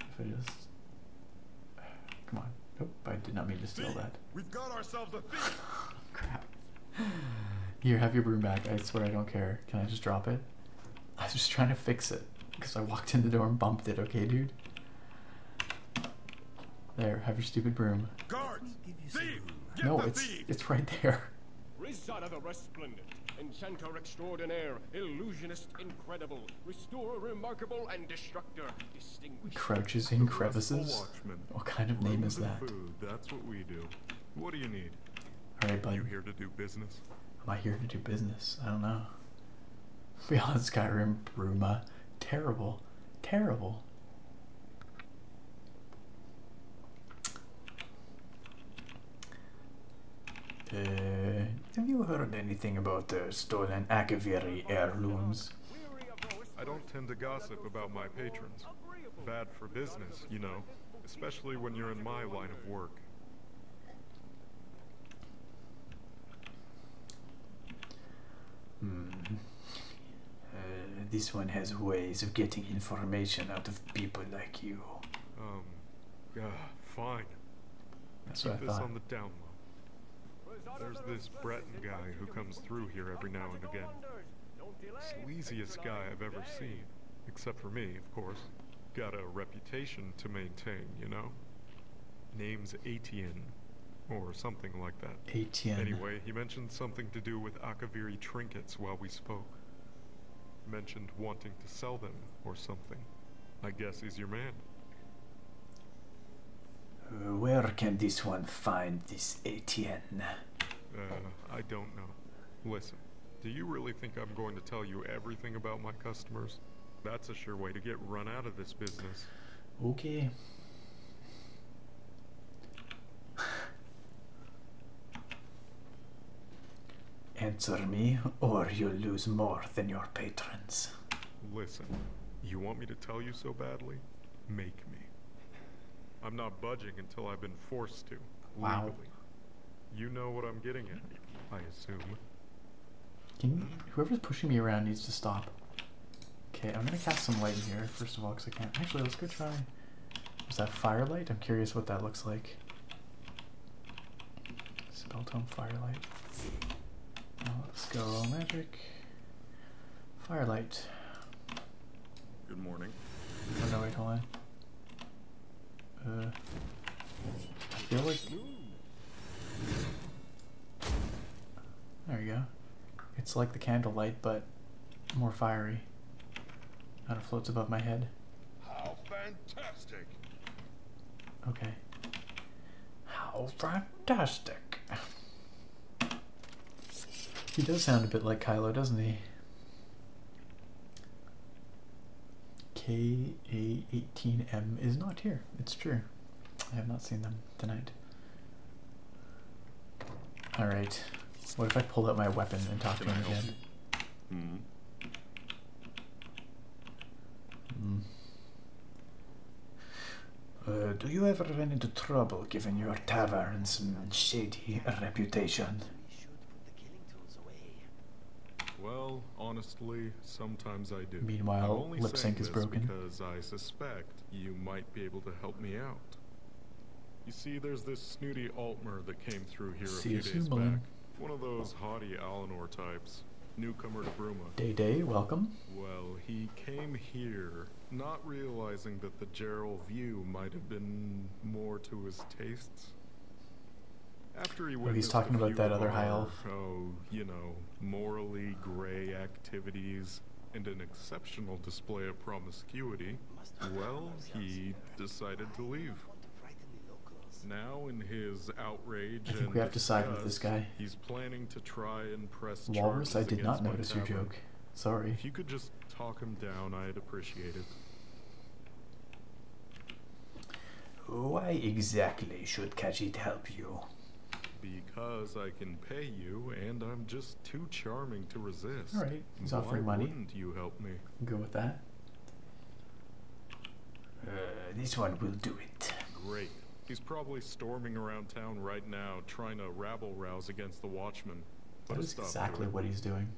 If I just... [sighs] Come on. Nope, I did not mean to steal that. We've got ourselves a thief! [laughs] Crap. Here, have your broom back. I swear I don't care. Can I just drop it? I was just trying to fix it because I walked in the door and bumped it, okay, dude? There, have your stupid broom. Guards! Thief! Get no, it's, it's right there. Crouches in crevices? What kind of name is that? That's what we do. What do you need? All right, bud. You here to do business? Am I here to do business? I don't know. Beyond Skyrim, Bruma, terrible, terrible. Uh, have you heard anything about the stolen Akaviri heirlooms? I don't tend to gossip about my patrons. Bad for business, you know, especially when you're in my line of work. Hmm. Uh, this one has ways of getting information out of people like you. Um, uh, fine. Keep this on the down low. There's this Breton guy who comes through here every now and again. Sleaziest guy I've ever seen. Except for me, of course got a reputation to maintain, you know? Name's Atien, or something like that. Atien. Anyway, he mentioned something to do with Akaviri trinkets while we spoke. Mentioned wanting to sell them, or something. I guess he's your man. Uh, where can this one find this Atien? Uh, I don't know. Listen, do you really think I'm going to tell you everything about my customers? That's a sure way to get run out of this business. Okay. Answer me, or you'll lose more than your patrons. Listen, you want me to tell you so badly? Make me. I'm not budging until I've been forced to, wow. You know what I'm getting at, I assume. Can whoever's pushing me around needs to stop. Okay, I'm gonna cast some light in here, first of all, because I can't. Actually, let's go try. Is that firelight? I'm curious what that looks like. Spell tome, firelight. let's go magic. Firelight. Good morning. Oh no, wait, hold uh, I feel like... There you go. It's like the candlelight, but more fiery. Kind of floats above my head. How fantastic! Okay. How fantastic! He does sound a bit like Kylo, doesn't he? KA18M is not here. It's true. I have not seen them tonight. Alright. What if I pull out my weapon and talk to him again? Mm-hmm. Mm-hmm. Uh, do you ever run into trouble given your tavern's shady reputation? Well, honestly, sometimes I do. Meanwhile, I lip sync is broken. Because I suspect you might be able to help me out. You see, there's this snooty Altmer that came through here a few days back. One of those haughty Alinor types. Newcomer to Bruma. Day Day, welcome. Well, he came here, not realizing that the Gerald view might have been more to his taste after he oh, he's talking about that other high elf. Oh, you know, morally gray activities and an exceptional display of promiscuity, well, he decided to leave. Now, in his outrage, I think we have to side with this guy. He's planning to try and press Walrus, I did not notice your joke. Sorry. If you could just talk him down, I'd appreciate it. Why exactly should Khajiit help you? Because I can pay you, and I'm just too charming to resist. All right, he's offering Why money. Wouldn't you help me? Go with that. Uh, this one will do it. Great. He's probably storming around town right now, trying to rabble rouse against the Watchmen. What exactly what he's doing.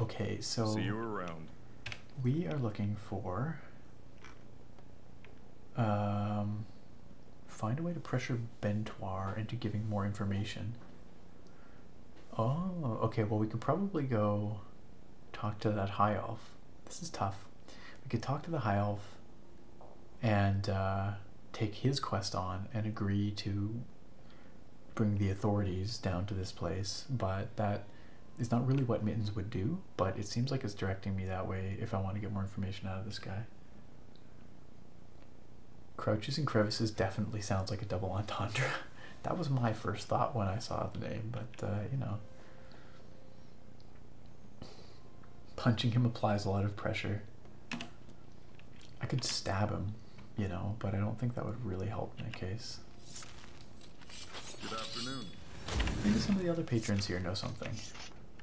Okay, so see you around. We are looking for um, find a way to pressure Bentoir into giving more information. Oh, okay. Well, we could probably go talk to that high elf. This is tough. We could talk to the high elf and uh, take his quest on and agree to bring the authorities down to this place. But that is not really what Mittens would do, but it seems like it's directing me that way if I want to get more information out of this guy. Crouches and crevices definitely sounds like a double [laughs] entendre. that was my first thought when I saw the name, but uh, you know. Punching him applies a lot of pressure. I could stab him, you know, but I don't think that would really help my case. Good afternoon. Maybe some of the other patrons here know something.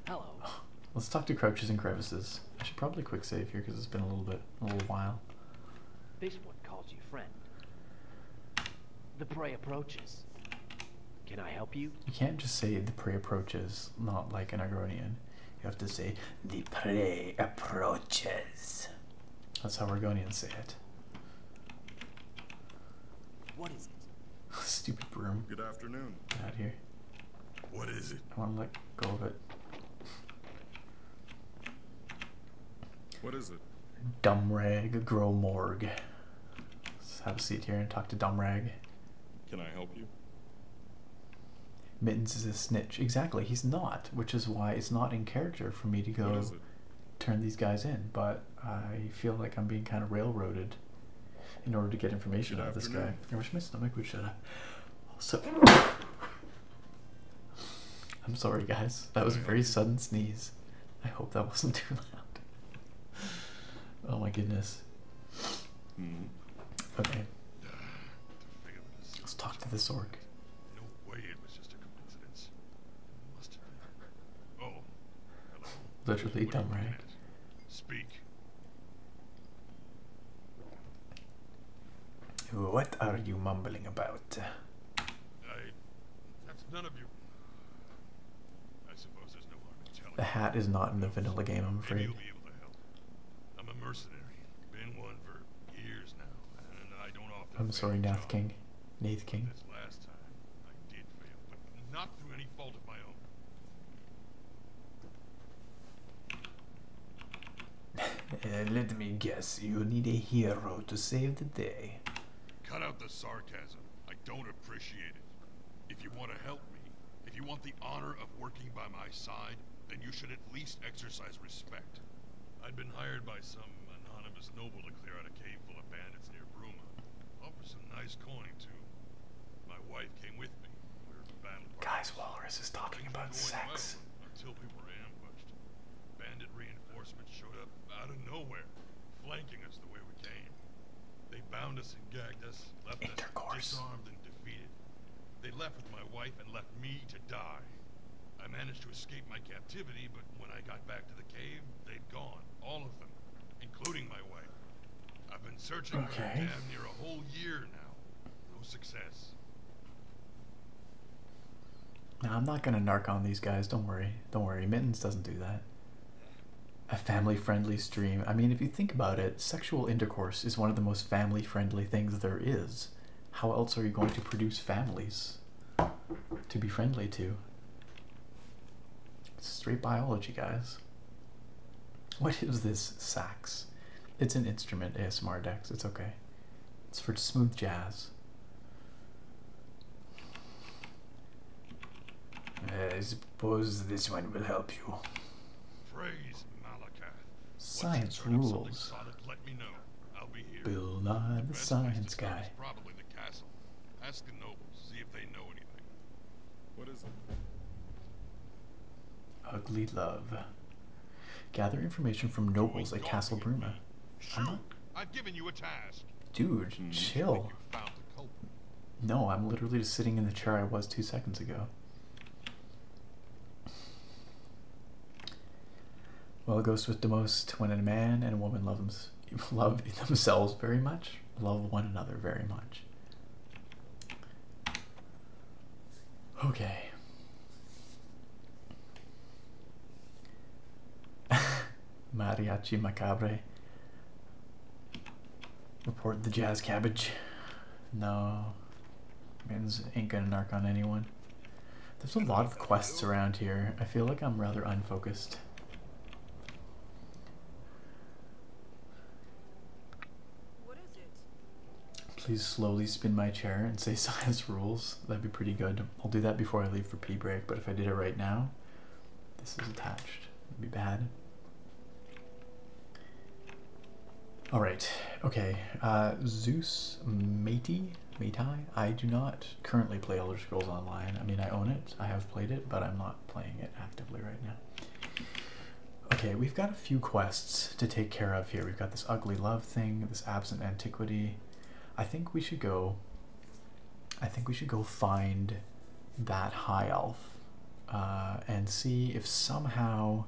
Hello. [sighs] Let's talk to Crouches and Crevices. I should probably quick save here because it's been a little bit, a little while. This one calls you friend. The prey approaches. Can I help you? You can't just say the prey approaches, not like an Agronian. You have to say, the prey approaches. That's how Oregonians say it. What is it? [laughs] Stupid broom. Good afternoon. out here. What is it? I want to let go of it. What is it? Dumbrag, Dumrag Gromorg. Let's have a seat here and talk to Dumbrag. Can I help you? Mittens is a snitch. Exactly, he's not, which is why it's not in character for me to go turn these guys in. But I feel like I'm being kind of railroaded in order to get information out of this guy. I wish my stomach would shut up. Also, [coughs] I'm sorry, guys. That was a very sudden sneeze. I hope that wasn't too loud. Oh my goodness. Mm-hmm. Okay. Let's talk to this orc. Oh, Literally dumb, right? Speak. What are you mumbling about? The hat is not in the vanilla game, I'm afraid. I'm a mercenary. Been one for years now, and I don't often. I'm sorry, Nath King. Nath King. last time not through any fault of my own. [laughs] Uh, let me guess, you need a hero to save the day. Cut out the sarcasm. I don't appreciate it. If you want to help if you want the honor of working by my side, then you should at least exercise respect. I'd been hired by some anonymous noble to clear out a cave full of bandits near Bruma. Offered some nice coin, too. My wife came with me. We were battle Guys, Walrus is talking about sex. until we were ambushed. Bandit reinforcements showed up out of nowhere, flanking us the way we came. They bound us and gagged us, left Intercourse. us defeated. They left with my wife and left me to die. I managed to escape my captivity, but when I got back to the cave, they'd gone, all of them, including my wife. I've been searching okay. for damn near a whole year now. No success. Now, I'm not gonna narc on these guys, don't worry. Don't worry, Mittens doesn't do that. A family-friendly stream. I mean, if you think about it, sexual intercourse is one of the most family friendly things there is, how else are you going to produce families to be friendly to? straight biology, guys. What is this sax? It's an instrument, ASMR Dex. It's okay. It's for smooth jazz. I suppose this one will help you. Science rules. Bill Nye, the, science guy. What is it? Ugly Love. Gather information from nobles at Castle Bruma. Shook, I've given you a task. Dude, hmm, chill. No, I'm literally just sitting in the chair I was two seconds ago. Well, it goes with the most when a man and a woman love, them, [laughs] love themselves very much, love one another very much. Okay. [laughs] Mariachi Macabre. Report the jazz cabbage. No. Man's ain't gonna narc on anyone. There's a lot of quests around here. I feel like I'm rather unfocused. Please slowly spin my chair and say [laughs] science rules. That'd be pretty good. I'll do that before I leave for P break, but if I did it right now, this is attached. It'd be bad. All right, okay. Uh, Zeus Matey, Matai. I do not currently play Elder Scrolls Online. I mean, I own it, I have played it, but I'm not playing it actively right now. Okay, we've got a few quests to take care of here. We've got this ugly love thing, this absent antiquity. I think we should go. I think we should go find that high elf uh, and see if somehow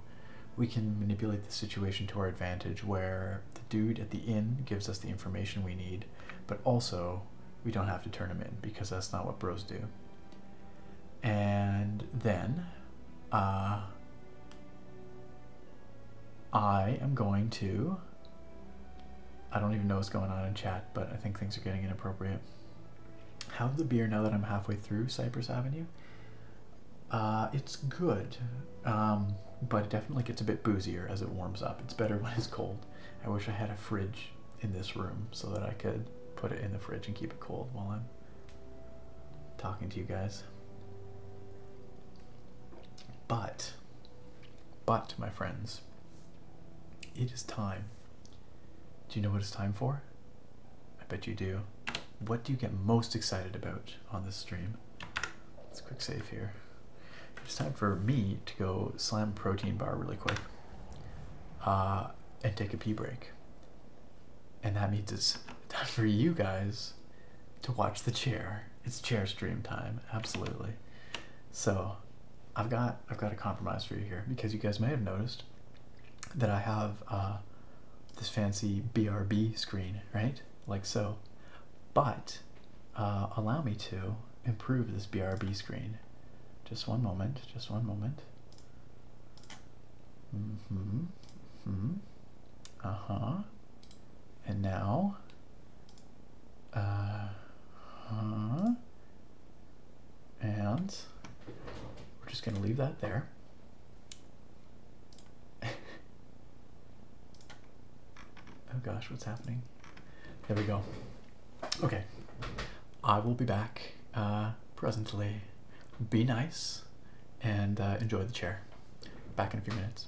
we can manipulate the situation to our advantage where the dude at the inn gives us the information we need, but also we don't have to turn him in because that's not what bros do. And then uh, I am going to. I don't even know what's going on in chat, but I think things are getting inappropriate. Have the beer now that I'm halfway through Cypress Avenue. Uh, it's good, um, but it definitely gets a bit boozier as it warms up. It's better [laughs] when it's cold. I wish I had a fridge in this room so that I could put it in the fridge and keep it cold while I'm talking to you guys. But, but, my friends, it is time. Do you know what it's time for? I bet you do. What do you get most excited about on this stream? Let's quick save here. It's time for me to go slam protein bar really quick uh, and take a pee break. And that means it's time for you guys to watch the chair. It's chair stream time, absolutely. So I've got I've got a compromise for you here because you guys may have noticed that I have uh, this fancy BRB screen, right? Like so. But uh, allow me to improve this BRB screen. Just one moment, just one moment. Mm mm-hmm, hmm. Uh huh. And now. Uh huh. And we're just going to leave that there. [laughs] oh gosh, what's happening? There we go. Okay. I will be back uh, presently. Be nice and uh, enjoy the chair. Back in a few minutes.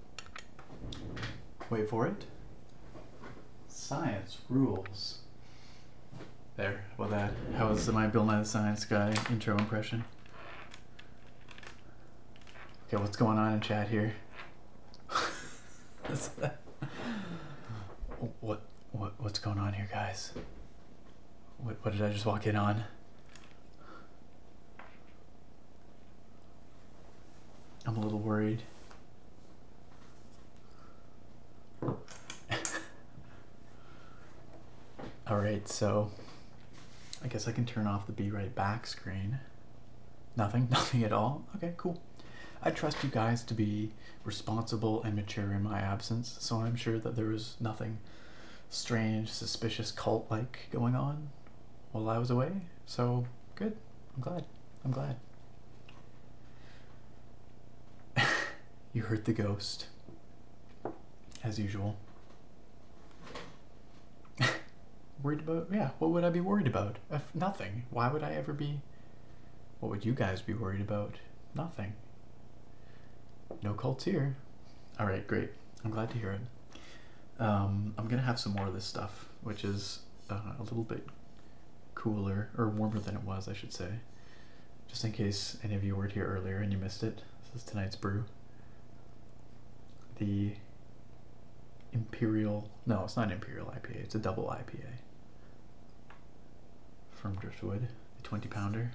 Wait for it. Science rules. There. Well, that. How was my Bill Nye the Science Guy intro impression? Okay, what's going on in chat here? [laughs] what what what's going on here, guys? What what did I just walk in on? I'm a little worried. [laughs] Alright, so I guess I can turn off the Be Right Back screen. Nothing? [laughs] Nothing at all? Okay, cool. I trust you guys to be responsible and mature in my absence, so I'm sure that there was nothing strange, suspicious, cult like going on while I was away, so good. I'm glad. I'm glad. [laughs] you hurt the ghost. As usual. [laughs] worried about? Yeah, what would I be worried about? nothing. Why would I ever be. What would you guys be worried about? Nothing. No cults here. Alright, great. I'm glad to hear it. Um, I'm gonna have some more of this stuff which is uh, a little bit cooler or warmer than it was, I should say. Just in case any of you weren't here earlier and you missed it, this is tonight's brew. The Imperial, no, it's not Imperial IPA, it's a double IPA from Driftwood, a 20 pounder.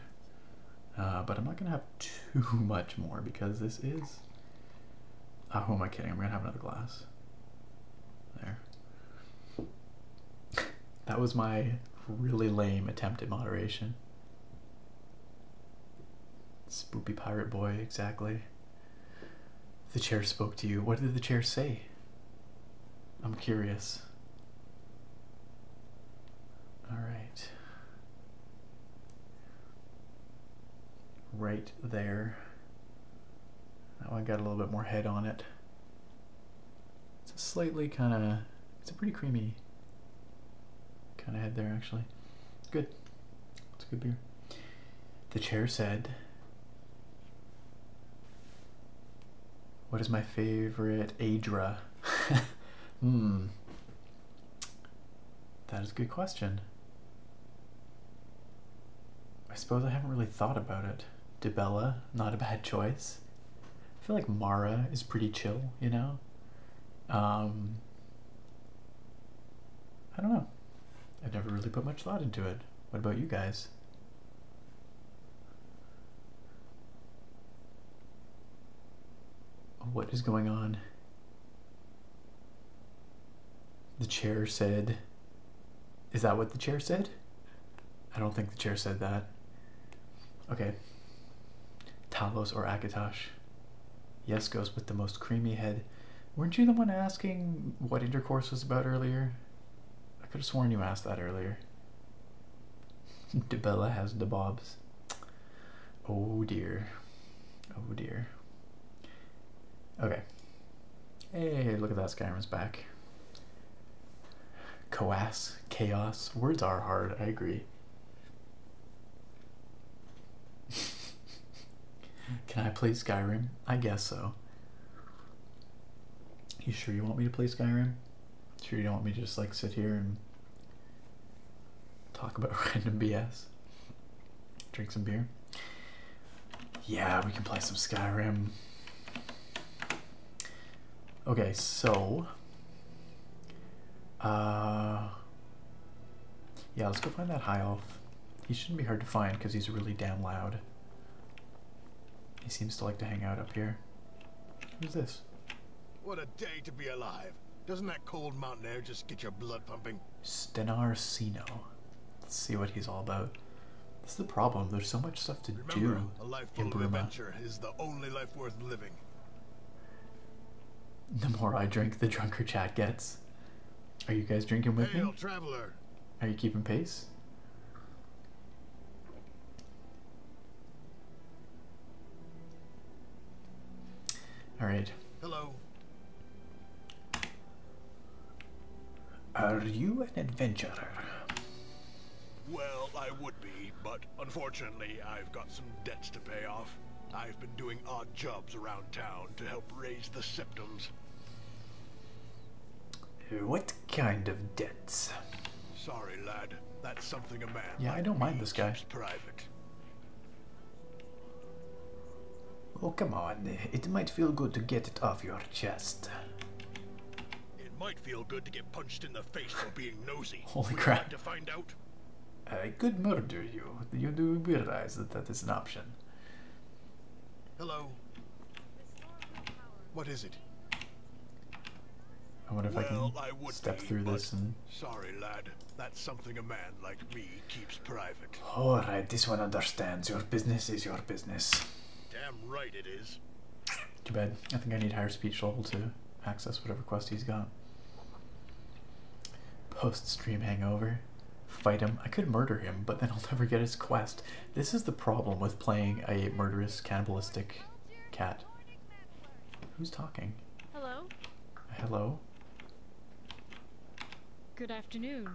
Uh, but I'm not going to have too [laughs] much more because this is Oh, who am I kidding? I'm gonna have another glass. There. That was my really lame attempt at moderation. Spoopy pirate boy, exactly. The chair spoke to you. What did the chair say? I'm curious. All right. Right there. That one got a little bit more head on it. It's a slightly kind of, it's a pretty creamy kind of head there actually. Good. It's a good beer. The chair said, What is my favorite Adra? [laughs] Hmm. That is a good question. I suppose I haven't really thought about it. Debella, not a bad choice. I feel like Mara is pretty chill, you know? Um, I don't know. I've never really put much thought into it. What about you guys? What is going on? The chair said is that what the chair said? I don't think the chair said that. Okay. Talos or Akatosh? Yes goes with the most creamy head. Weren't you the one asking what intercourse was about earlier? I could have sworn you asked that earlier. [laughs] Debella has the bobs. Oh dear. Oh dear. Okay. Hey, look at that, Skyrim's back. Coas, chaos, words are hard, I agree. [laughs] Can I play Skyrim? I guess so. You sure you want me to play Skyrim? Sure you don't want me to just like sit here and talk about [laughs] random BS? Drink some beer? Yeah, we can play some Skyrim. Okay, so... Uh, yeah, let's go find that high elf. He shouldn't be hard to find because he's really damn loud. He seems to like to hang out up here. Who's this? What a day to be alive. Doesn't that cold mountain air just get your blood pumping? Stenar Sino. Let's see what he's all about. That's the problem. There's so much stuff to do a life full in Burma. adventure is the only life worth living. The more I drink, the drunker Chad gets. Are you guys drinking with me? Traveler. Are you keeping pace? All right. Hello. Are you an adventurer? Well, I would be, but unfortunately I've got some debts to pay off. I've been doing odd jobs around town to help raise the symptoms. What kind of debts? Sorry, lad. That's something a man. Yeah, I don't mind this guy. Private. Oh, come on. It might feel good to get it off your chest. It might feel good to get punched in the face for being nosy. [laughs] Holy crap. To find out? I uh, could murder you. You do realize that that is an option. Hello. What is it? I wonder if well, I can step through this and... Sorry, lad. That's something a man like me keeps private. Alright, this one understands. Your business is your business. Damn right it is. Too bad. I think I need higher speech level to access whatever quest he's got. Post stream hangover. Fight him. I could murder him, but then I'll never get his quest. This is the problem with playing a murderous, cannibalistic cat. Who's talking? Hello? Hello? Good afternoon.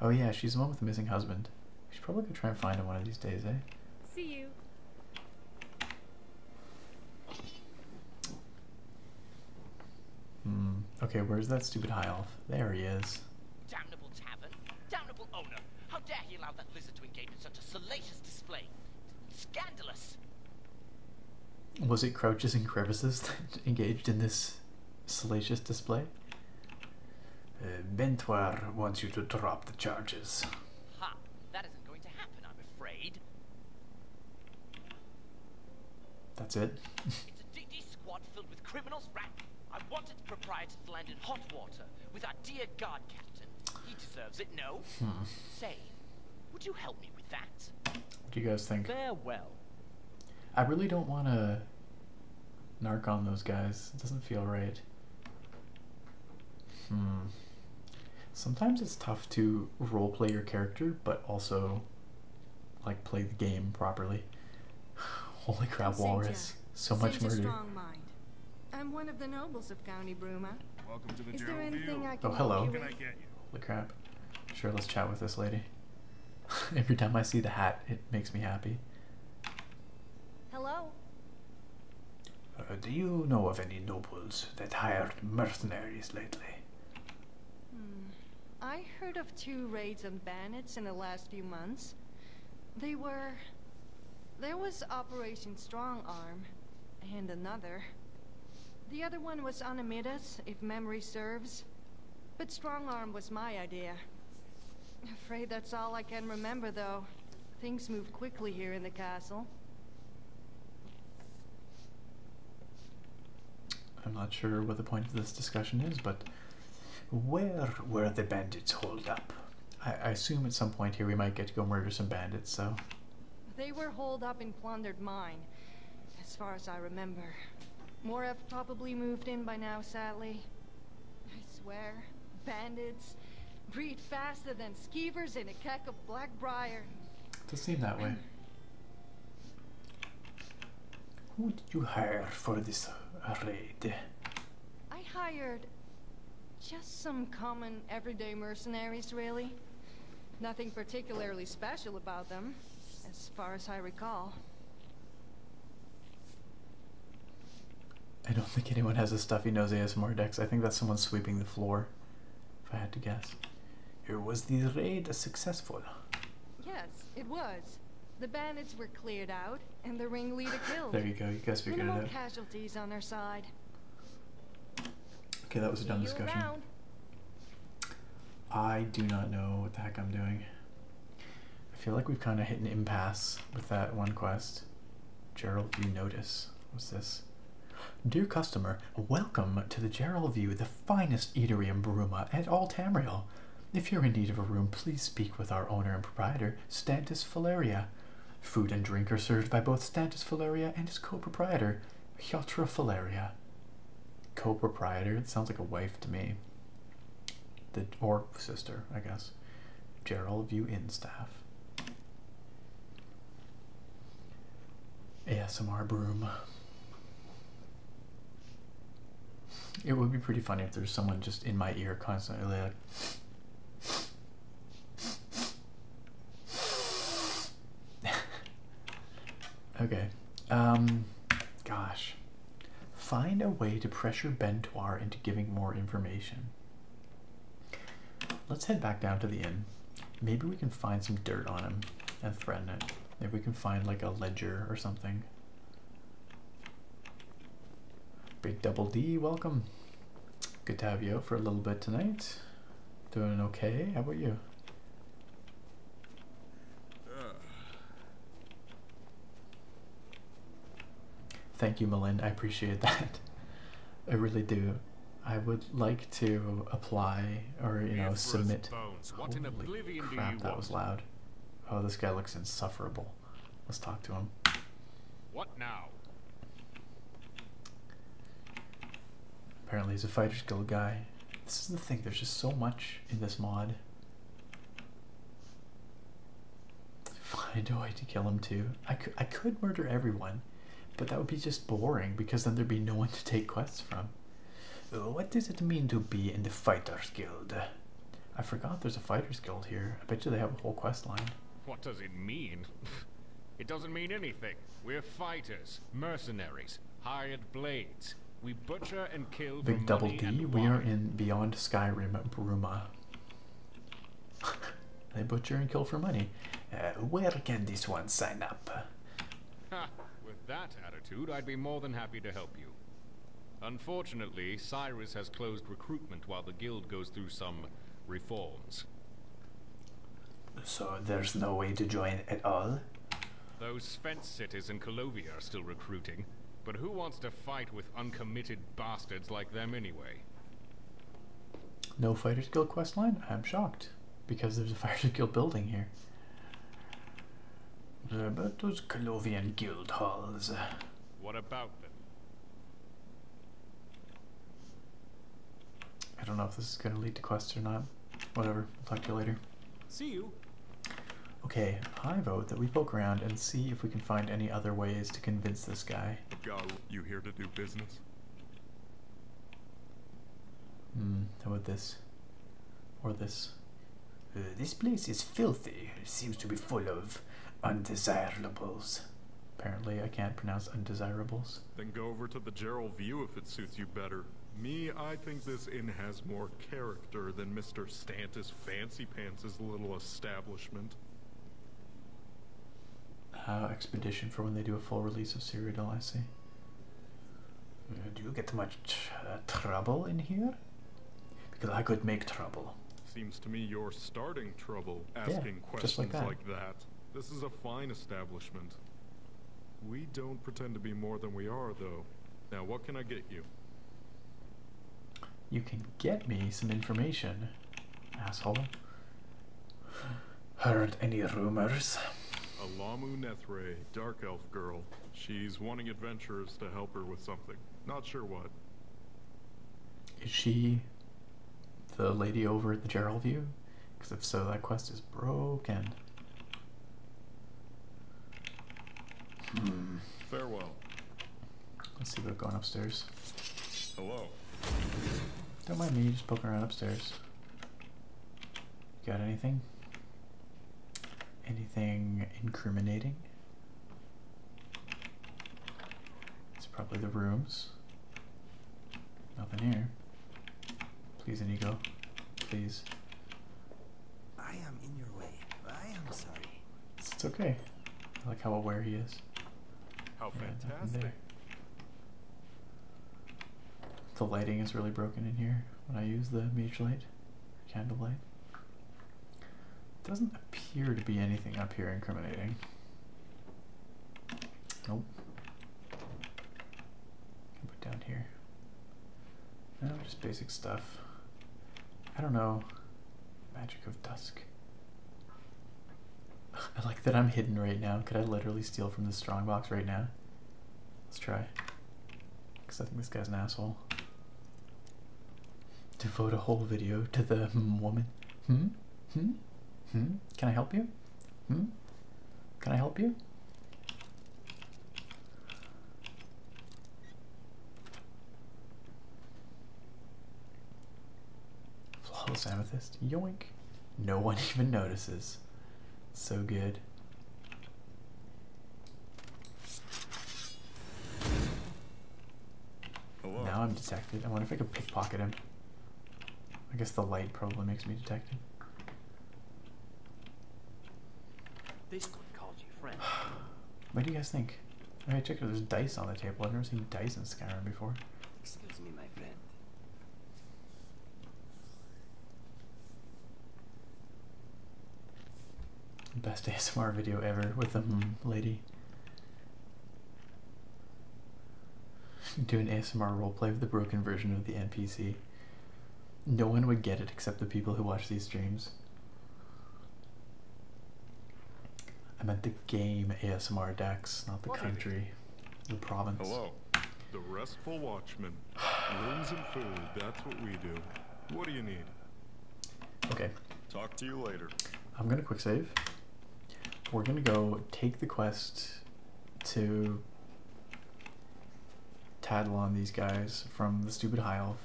Oh yeah, she's the one with the missing husband. We should probably go try and find him one of these days, eh? See you. Hmm. Okay, where's that stupid high elf? There he is. Damnable tavern, damnable owner. How dare he allow that lizard to engage in such a salacious display? Scandalous. Was it crouches and crevices that [laughs] engaged in this salacious display. Uh, Bentoir wants you to drop the charges. Ha! That isn't going to happen, I'm afraid. That's it. it's a DD squad filled with criminals rank. I want its proprietor to land in hot water with our dear guard captain. He deserves it, no? Hmm. Say, would you help me with that? What do you guys think? Farewell. I really don't want to narc on those guys. It doesn't feel right. Hmm. Sometimes it's tough to roleplay your character, but also like play the game properly. [sighs] Holy crap, Walrus. So much murder. I'm one of the nobles of County Bruma. Welcome to the Is there anything I can Oh, hello. Can I get you? Holy crap. Sure, let's chat with this lady. [laughs] Every time I see the hat, it makes me happy. Hello? Uh, do you know of any nobles that hired mercenaries lately? Hmm. I heard of two raids on bandits in the last few months. They were... There was Operation Strong Arm, and another. The other one was on Amidas, if memory serves. But Strong Arm was my idea. Afraid that's all I can remember, though. Things move quickly here in the castle. I'm not sure what the point of this discussion is, but where were the bandits holed up? I, assume at some point here we might get to go murder some bandits, so... They were holed up in Plundered Mine, as far as I remember. Moref probably moved in by now, sadly. I swear, bandits breed faster than skeevers in a keck of blackbriar. Does seem that way. Who did you hire for this raid? I hired just some common everyday mercenaries, really. Nothing particularly special about them, as far as I recall. I don't think anyone has a stuffy nose ASMR dex. I think that's someone sweeping the floor, if I had to guess. Here was the raid successful? Yes, it was. The bandits were cleared out, and the ringleader killed. there you go. You guys figured it out. casualties on our side. Okay, that was a dumb discussion. I do not know what the heck I'm doing. I feel like we've kind of hit an impasse with that one quest. Gerald View Notice. What's this? Dear customer, welcome to the Gerald View, the finest eatery in Baruma and all Tamriel. If you're in need of a room, please speak with our owner and proprietor, Stantis Valeria. Food and drink are served by both Stantis Valeria and his co-proprietor, Hyotra Valeria. Co-proprietor? It sounds like a wife to me the or sister, I guess, Gerald View staff. ASMR broom. It would be pretty funny if there's someone just in my ear constantly like [laughs] okay. Um gosh. Find a way to pressure Bentoir into giving more information. Let's head back down to the inn. Maybe we can find some dirt on him and threaten it. Maybe we can find like a ledger or something. Big Double D, welcome. Good to have you for a little bit tonight. Doing okay? How about you? Thank you, Melinda. I appreciate that. I really do. I would like to apply or you know submit. Holy crap, that was loud. Oh, this guy looks insufferable. Let's talk to him. What now? Apparently he's a fighter skill guy. This is the thing, there's just so much in this mod. God. Find a way to kill him too. I could, I could murder everyone, but that would be just boring because then there'd be no one to take quests from. What does it mean to be in the Fighters Guild? I forgot there's a Fighters Guild here. I bet you they have a whole quest line. What does it mean? [laughs] it doesn't mean anything. We're fighters, mercenaries, hired blades. We butcher and Big double D. We are in Beyond Skyrim Bruma. [laughs] they butcher and kill for money. Uh, where can this one sign up? With that attitude, I'd be more than happy to help you. Unfortunately, Cyrus has closed recruitment while the guild goes through some reforms. So there's no way to join at all? Those fence cities in Colovia are still recruiting. But who wants to fight with uncommitted bastards like them anyway? No Fighters Guild questline? I'm shocked. Because there's a [laughs] Fighters Guild building here. about those Colovian guild halls? What about them? I don't know if this is going to lead to quests or not. Whatever. talk to you later. See you. Okay, I vote that we poke around and see if we can find any other ways to convince this guy. Go. You here to do business? Hmm, how about this? Or this? Uh, this place is filthy. It seems to be full of undesirables. Apparently, I can't pronounce undesirables. Then go over to the Gerald View if it suits you better. Me, I think this inn has more character than Mr. Stantis Fancy Pants' little establishment. Uh, expedition for when they do a full release of Cyrodiil, I see. Uh, do you get much uh, trouble in here? Because I could make trouble. Seems to me you're starting trouble asking questions like that. like that. This is a fine establishment. We don't pretend to be more than we are, though. Now, what can I get you? You can get me some information, asshole. Heard any rumors? A Alamu Nethre, Dark Elf girl. She's wanting adventurers to help her with something. Not sure what. Is she the lady over at the Gerald View? Because if so, that quest is broken. Hmm. Farewell. Let's see about going upstairs. Hello. Don't mind me just poking around upstairs. Got anything? Anything incriminating? It's probably the rooms. Nothing here. Please, Inigo. Please. I am in your way. I am sorry. It's okay. I like how aware he is. The lighting is really broken in here when I use the mage light, candlelight. Doesn't appear to be anything up here incriminating. Nope. Put down here. No, just basic stuff. I don't know. Magic of dusk. I like that I'm hidden right now. Could I literally steal from this strongbox right now? Let's try. Because I think this guy's an asshole. Devote a whole video to the [laughs] woman. Hmm? Hmm? Hmm? Can I help you? Hmm? Can I help you? Flawless amethyst. Yoink. No one [laughs] even notices. So good. Oh, now I'm detected. I wonder if I could pickpocket him. I guess the light probably makes me detected. This one you friend. [sighs] what do you guys think? Hey, check it There's dice on the table. I've never seen dice in Skyrim before. Excuse me, my friend. Best ASMR [laughs] video ever with mm, a lady. Do an ASMR roleplay of the broken version of the NPC. No one would get it except the people who watch these streams things. I meant the game ASMR decks, not the country, the province. Hello, the restful watchman. Rooms and food, that's what we do. What do you need? Okay. Talk to you later. I'm gonna quick save. We're gonna go take the quest to tattle on these guys from the stupid high elf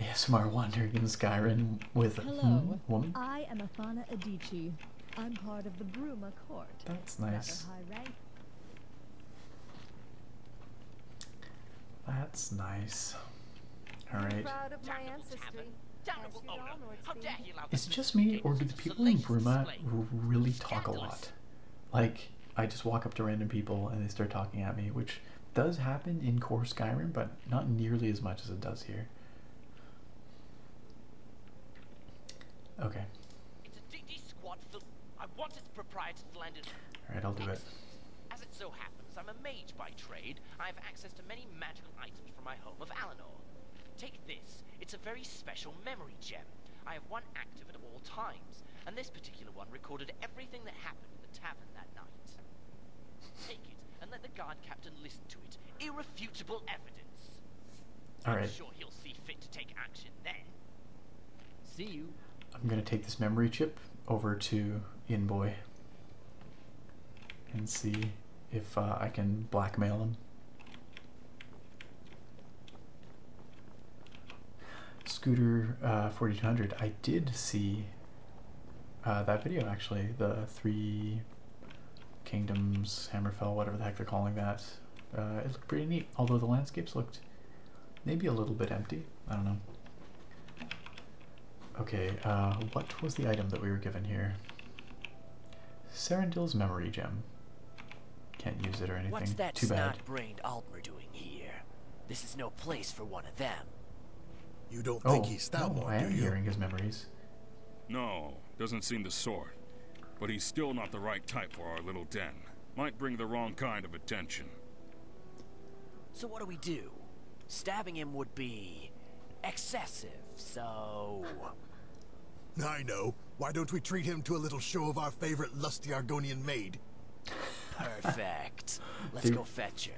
ASMR wandering in Skyrim with a hmm, woman. I am Afana Adichie. I'm part of the Bruma Court. That's nice. That's nice. All right. Is it just me, or do the people in Bruma really talk a lot? Like, I just walk up to random people and they start talking at me, which does happen in core Skyrim, but not nearly as much as it does here. Okay. It's a DD squad I want its proprietor landed. Alright, I'll do it. As it so happens, I'm a mage by trade. I have access to many magical items from my home of Alanor. Take this. It's a very special memory gem. I have one active at all times and this particular one recorded everything that happened in the tavern that night. Take it and let the guard captain listen to it. Irrefutable evidence. All right. I'm sure he'll see fit to take action then. See you. I'm gonna take this memory chip over to Inboy and see if uh, I can blackmail him. Scooter uh, 4200, I did see uh, that video actually, the three kingdoms, Hammerfell, whatever the heck they're calling that. Uh, it looked pretty neat, although the landscapes looked maybe a little bit empty. I don't know. Okay, uh, what was the item that we were given here? Serendil's memory gem. Can't use it or anything. What's that brained Altmer doing here? This is no place for one of them. You don't think oh, he's that no, do you? hearing his memories. No, doesn't seem the sort. But he's still not the right type for our little den. Might bring the wrong kind of attention. So what do we do? Stabbing him would be... excessive, so... I know. Why don't we treat him to a little show of our favorite lusty Argonian maid? Perfect. Let's go fetch her.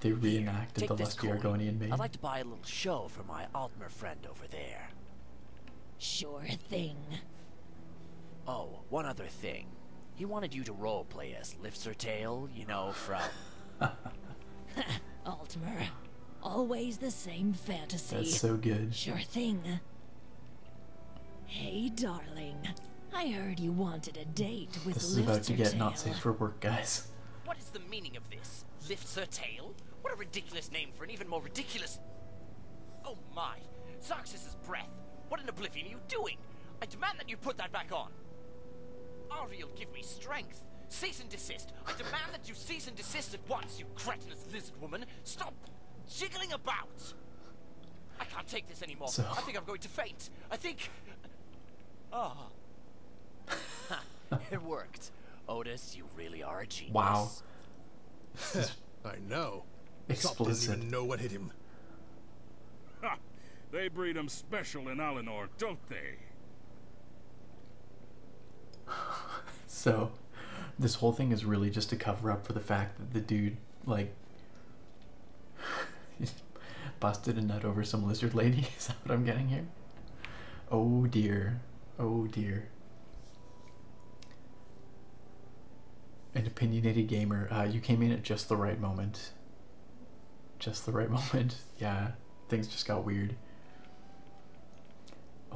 They reenacted the last Argonian maid. I'd like to buy a little show for my Altmer friend over there. Sure thing. Oh, one other thing. He wanted you to roleplay as Lifts Her Tail, you know, from... [laughs] Altmer. Always the same fantasy. That's so good. Sure thing. Hey, darling. I heard you wanted a date with This is about to get Nazis for work, guys. What is the meaning of this? Lifts her tail? What a ridiculous name for an even more ridiculous... Oh my! Zarxxus's breath! What in oblivion are you doing? I demand that you put that back on! Ariel, give me strength! Cease and desist! I demand that you cease and desist at once, you cretinous lizard woman! Stop jiggling about! I can't take this anymore. I think I'm going to faint. I think... Oh. [laughs] it worked. Otis, you really are a genius. Wow. [laughs] I know. Explicit. Didn't even know what hit him. Ha! They breed 'em special in Alinor, don't they? [laughs] so, this whole thing is really just to cover up for the fact that the dude like [laughs] busted a nut over some lizard lady. [laughs] Is that what I'm getting here? Oh dear. Oh dear. An opinionated gamer. Uh, you came in at just the right moment. Just the right [laughs] moment. Yeah, things just got weird.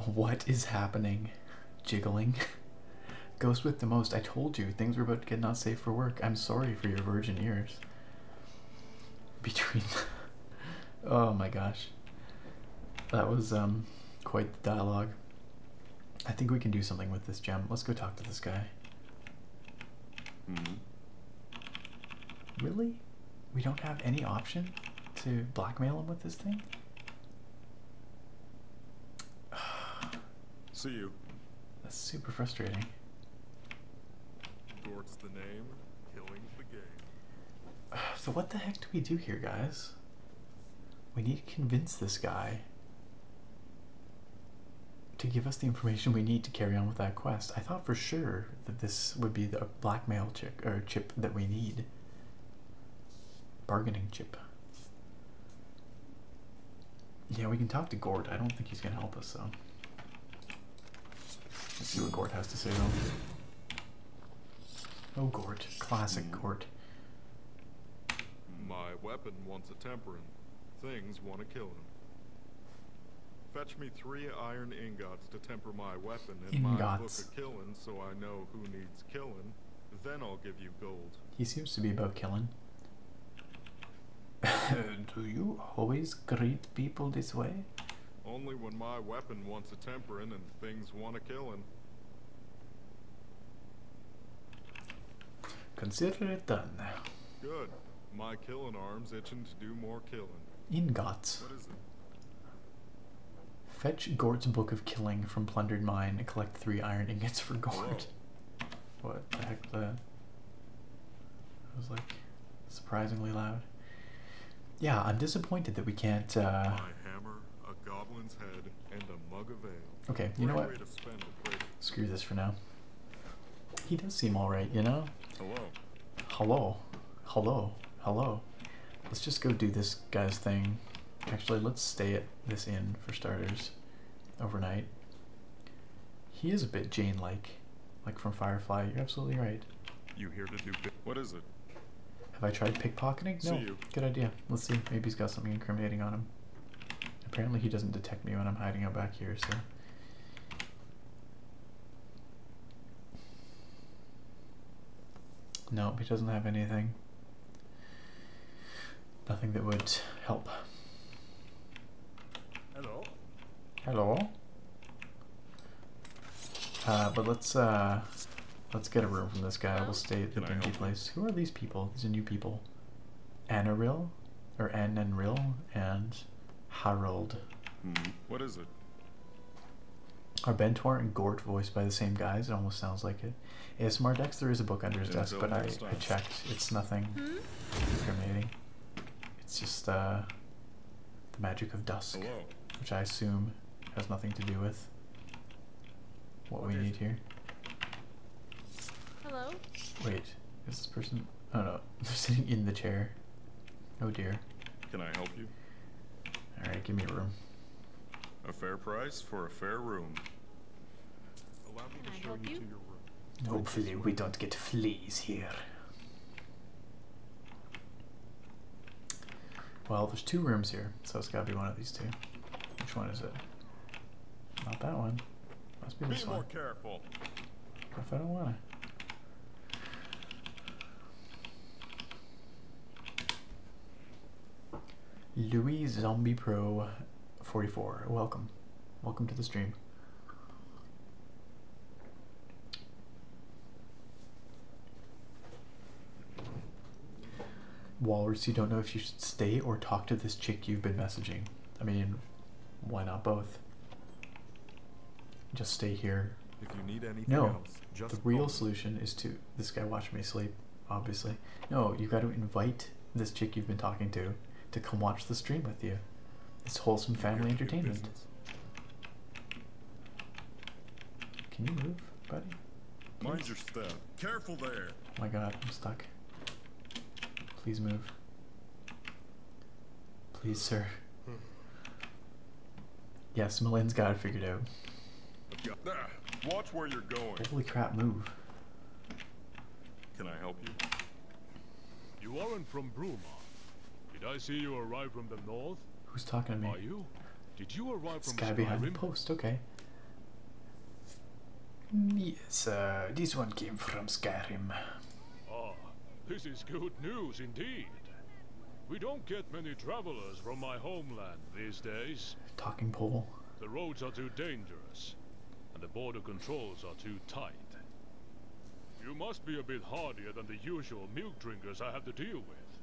What is happening? Jiggling. Ghost with the most. I told you things were about to get not safe for work. I'm sorry for your virgin ears. Between, [laughs] oh my gosh, that was um quite the dialogue. I think we can do something with this gem. Let's go talk to this guy. Mm-hmm. Really? We don't have any option to blackmail him with this thing? [sighs] [sighs] See you. That's super frustrating. [sighs] So what the heck do we do here, guys? We need to convince this guy to give us the information we need to carry on with that quest. I thought for sure that this would be the blackmail chick or chip that we need. Bargaining chip. Yeah, we can talk to Gort. I don't think he's gonna help us though. Let's see what Gort has to say though. Oh Gort, Classic hmm. Gort. My weapon wants a tempering. Things want to kill him. Fetch me three iron ingots to temper my weapon in my book of killing so I know who needs killing. Then I'll give you gold. He seems to be about killing. [laughs] Do you always greet people this way? Only when my weapon wants a tempering and things want a killin'. Consider it done. Good. My killing arm's itching to do more killing. Ingots. What is it? Fetch Gort's Book of Killing from Plundered Mine. Collect three iron ingots for Gort. What the heck the... It was like surprisingly loud. Yeah, I'm disappointed that we can't. Uh... Okay, you know what? Screw this for now. He does seem alright, you know? Hello. Hello. Hello. Hello. Let's just go do this guy's thing. Actually, let's stay at this inn for starters overnight. He is a bit Jane-like, like from Firefly. You're absolutely right. You here to do what is it? Have I tried pickpocketing? No. Good idea. Let's see. Maybe he's got something incriminating on him. Apparently he doesn't detect me when I'm hiding out back here, so... Nope, he doesn't have anything. Nothing that would help. Hello. Hello. Uh, but let's uh, let's get a room from this guy. We'll stay at the Can dingy place. Who are these people? These are new people. Anaril, or Ananril, and and Harold. Hmm, what is it? Are Bentor and Gort voiced by the same guys? It almost sounds like it. ASMR Dex, there is a book under his desk, but I, I checked. It's nothing hmm? incriminating. It's just uh, the magic of dusk, which I assume has nothing to do with what, we need here. Hello? Wait, is this person... Oh no, [laughs] they're sitting in the chair. Oh dear. Can I help you? Alright, give me a room. A fair price for a fair room. Allow me to show you to your room. Hopefully we don't get fleas here. Well, there's two rooms here, so it's gotta be one of these two. Which one is it? Not that one. Must be this be more one. Careful. if I don't wanna? Louis Zombie Pro 44. Welcome. Welcome to the stream. Walrus, you don't know if you should stay or talk to this chick you've been messaging. I mean, why not both? Just stay here. If you need anything no, the real solution is to. This guy watch me sleep, obviously. No, you got to invite this chick you've been talking to to come watch the stream with you. It's wholesome family entertainment. Can you move, buddy? Mind your step. Careful there. Oh my god, I'm stuck. Please move. Please, sir. Hmm. Yes, Malin's got it figured out. Watch where you're going. Holy crap, move. Can I help you? You aren't from Bruma. Did I see you arrive from the north? Who's talking to me? Are you? Did you arrive from guy Skyrim? post? Okay. Yes, uh, this one came from Skyrim. Ah, this is good news indeed. We don't get many travelers from my homeland these days. Talking pole. The roads are too dangerous and the border controls are too tight. You must be a bit harder than the usual milk drinkers I have to deal with.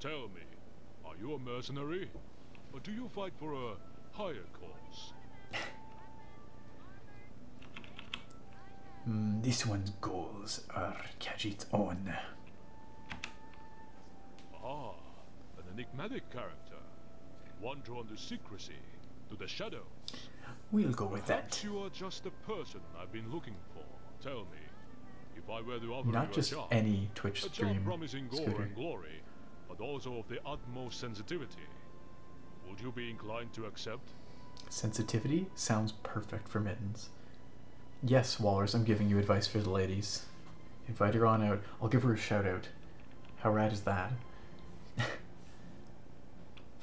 Tell me, are you a mercenary? Or do you fight for a higher cause? Hmm, this one's goals are catch it on. Ah, an enigmatic character. One drawn to secrecy, to the shadows. We'll go with that. Not just any Twitch stream, promising glory, but also of the utmost sensitivity. Would you be inclined to accept? Sensitivity sounds perfect for mittens. Yes, Wallers, I'm giving you advice for the ladies. Invite her on out. I'll give her a shout out. How rad is that? [laughs]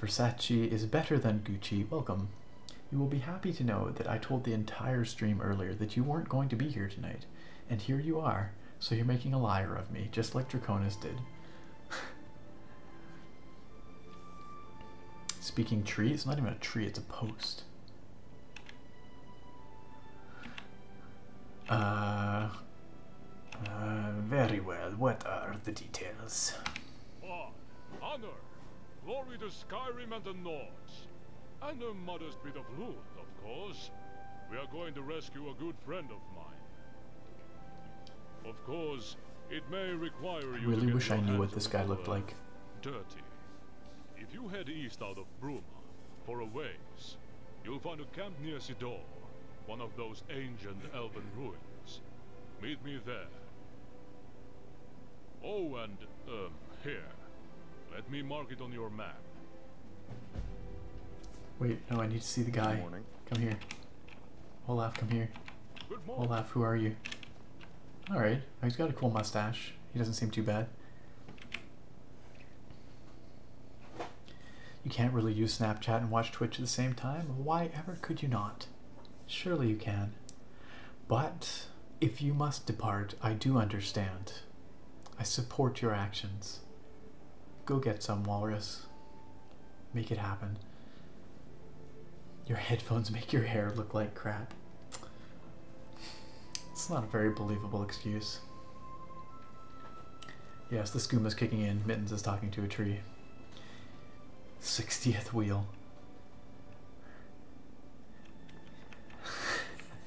Versace is better than Gucci. Welcome. You will be happy to know that I told the entire stream earlier that you weren't going to be here tonight, and here you are, so you're making a liar of me, just like Draconis did. [sighs] Speaking tree, it's not even a tree, it's a post. Uh, uh, very well, what are the details? War, ah, honor, glory to Skyrim and the North, And a modest bit of loot, of course. We are going to rescue a good friend of mine. Of course, it may require you really wish I knew what this guy looked like. Dirty. If you head east out of Bruma, for a ways, you'll find a camp near Sidor one of those ancient elven ruins. Meet me there. Oh, and, um, here. Let me mark it on your map. Wait, no, I need to see the guy. Come here. Olaf, come here. Olaf, who are you? Alright, oh, he's got a cool mustache. He doesn't seem too bad. You can't really use Snapchat and watch Twitch at the same time. Why ever could you not? Surely you can. But if you must depart, I do understand. I support your actions. Go get some, Walrus. Make it happen. Your headphones [laughs] make your hair look like crap. It's not a very believable excuse. Yes, the skooma is kicking in. Mittens is talking to a tree. 60th wheel.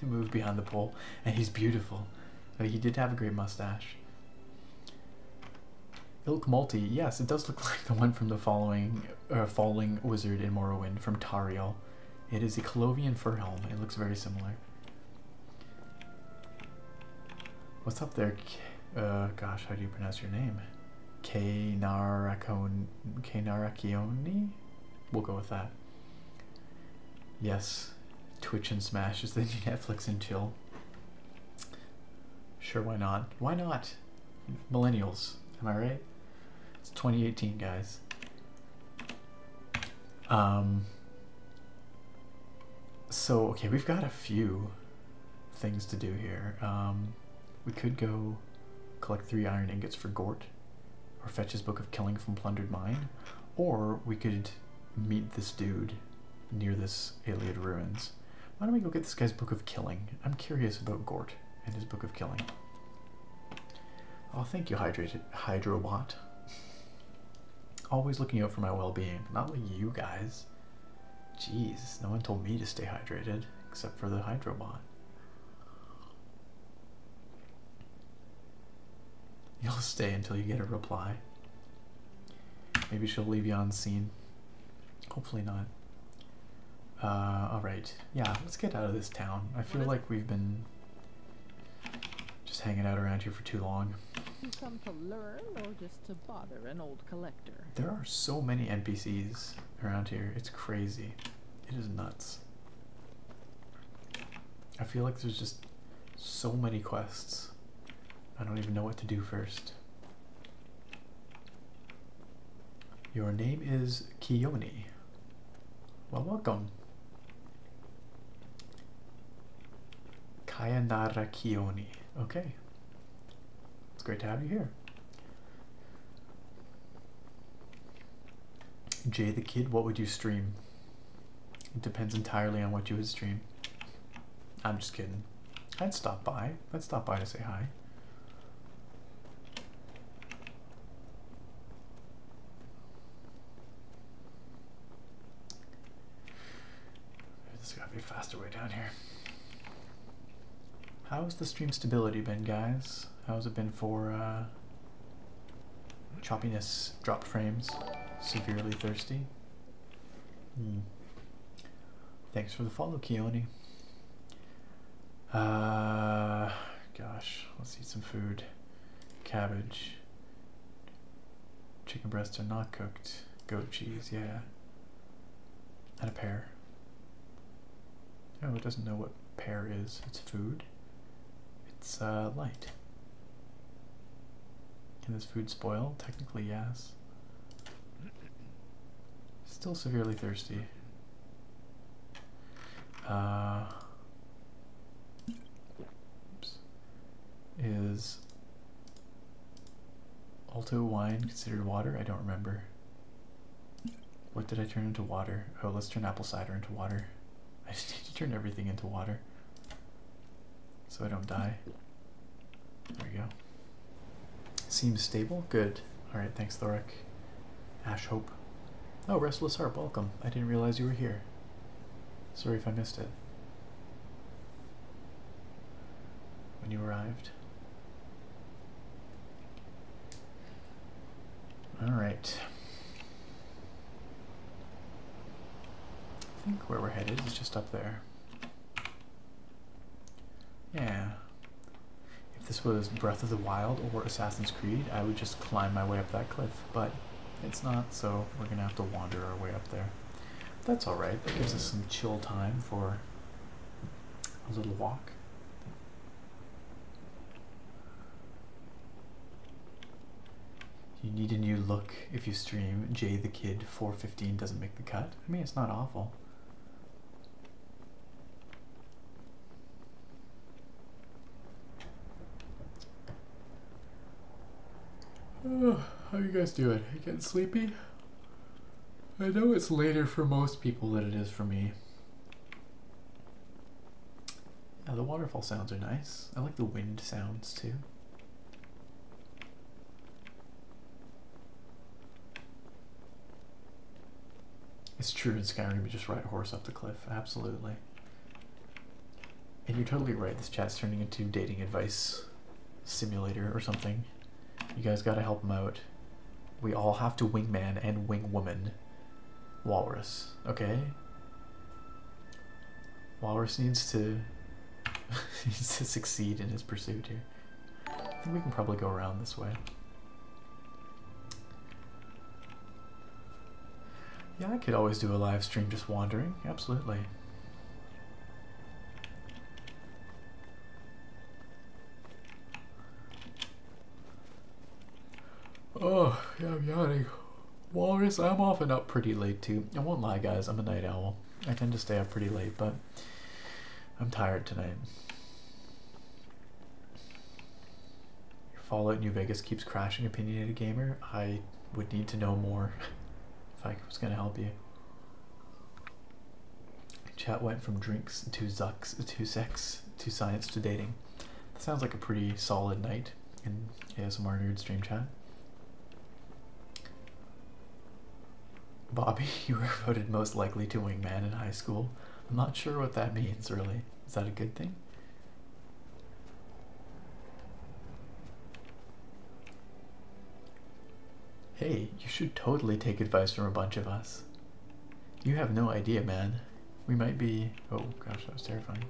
He moved behind the pole. And he's beautiful. But he did have a great mustache. Ilk Malty, yes, it does look [laughs] like the one from the following uh, Falling Wizard in Morrowind from Tariel. It is a Colovian fur helm. It looks very similar. What's up there, uh, gosh, how do you pronounce your name? Kainarakioni? We'll go with that. Yes, Twitch and Smash is the [laughs] Netflix and chill. Sure, why not? Why not? Millennials, am I right? It's 2018, guys. Um, so, okay, we've got a few things to do here. Um, we could go collect three iron ingots for Gort, or fetch his Book of Killing from Plundered Mine, or we could meet this dude near this Iliad Ruins. Why don't we go get this guy's Book of Killing? I'm curious about Gort and his Book of Killing. Oh, thank you, Hydrated Hydrobot. Always looking out for my well-being, not like you guys. Jeez, no one told me to stay hydrated except for the Hydrobot. You'll stay until you get a reply. Maybe she'll leave you on scene. Hopefully not. Uh, alright. Yeah, let's get out of this town. I feel like we've been just hanging out around here for too long to bother an old collector. There are so many NPCs around here. It's crazy. It is nuts. I feel like there's just so many quests. I don't even know what to do first. Your name is Kioni. Well, welcome. Kaya Nara Kioni. Okay. It's great to have you here. Jay the Kid, what would you stream? It depends entirely on what you would stream. I'm just kidding. I'd stop by. I'd stop by to say hi. This gotta be a faster way down here. How's the stream stability been, guys? How's it been for uh, choppiness, drop frames, severely thirsty? Hmm. Thanks for the follow, Keone. Uh, gosh, let's eat some food. Cabbage. Chicken breasts are not cooked. Goat cheese, yeah. And a pear. Oh, it doesn't know what pear is. It's food. It's uh, light. Can this food spoil? Technically, yes. Still severely thirsty. Uh, oops. Is Alto wine considered water? I don't remember. What did I turn into water? Oh, let's turn apple cider into water. [laughs] I just need to turn everything into water so I don't die. There we go. Seems stable? Good. Alright, thanks, Thoric. Ash Hope. Oh, Restless heart. welcome. I didn't realize you were here. Sorry if I missed it. When you arrived. All right. I think where we're headed is just up there. Yeah. If this was Breath of the Wild or Assassin's Creed, I would just climb my way up that cliff, but it's not, so we're gonna have to wander our way up there. That's all right. That gives us some chill time for a little walk. You need a new look if you stream. Jay the Kid 415 doesn't make the cut. I mean, it's not awful. [sighs] How are you guys doing? getting sleepy? I know it's later for most people than it is for me. Yeah, the waterfall sounds are nice. I like the wind sounds too. It's true in Skyrim, you just ride a horse up the cliff. Absolutely. And you're totally right, this chat's turning into dating advice simulator or something. You guys gotta help him out. We all have to wing man and wing woman, Walrus, okay? Walrus needs to [laughs] needs to succeed in his pursuit here. I think we can probably go around this way. Yeah, I could always do a live stream just wandering, absolutely. Oh, yeah, I'm yawning. Walrus, I'm often up pretty late too. I won't lie, guys, I'm a night owl. I tend to stay up pretty late, but I'm tired tonight. Fallout New Vegas keeps crashing, opinionated gamer. I would need to know more [laughs] if I was going to help you. Chat went from drinks to sex to science to dating. sounds like a pretty solid night in ASMR Nerd Stream Chat. Bobby, [laughs] you were voted most likely to wing man in high school. I'm not sure what that means, really. Is that a good thing? Hey, you should totally take advice from a bunch of us. You have no idea, man. We might be. Oh gosh, that was terrifying.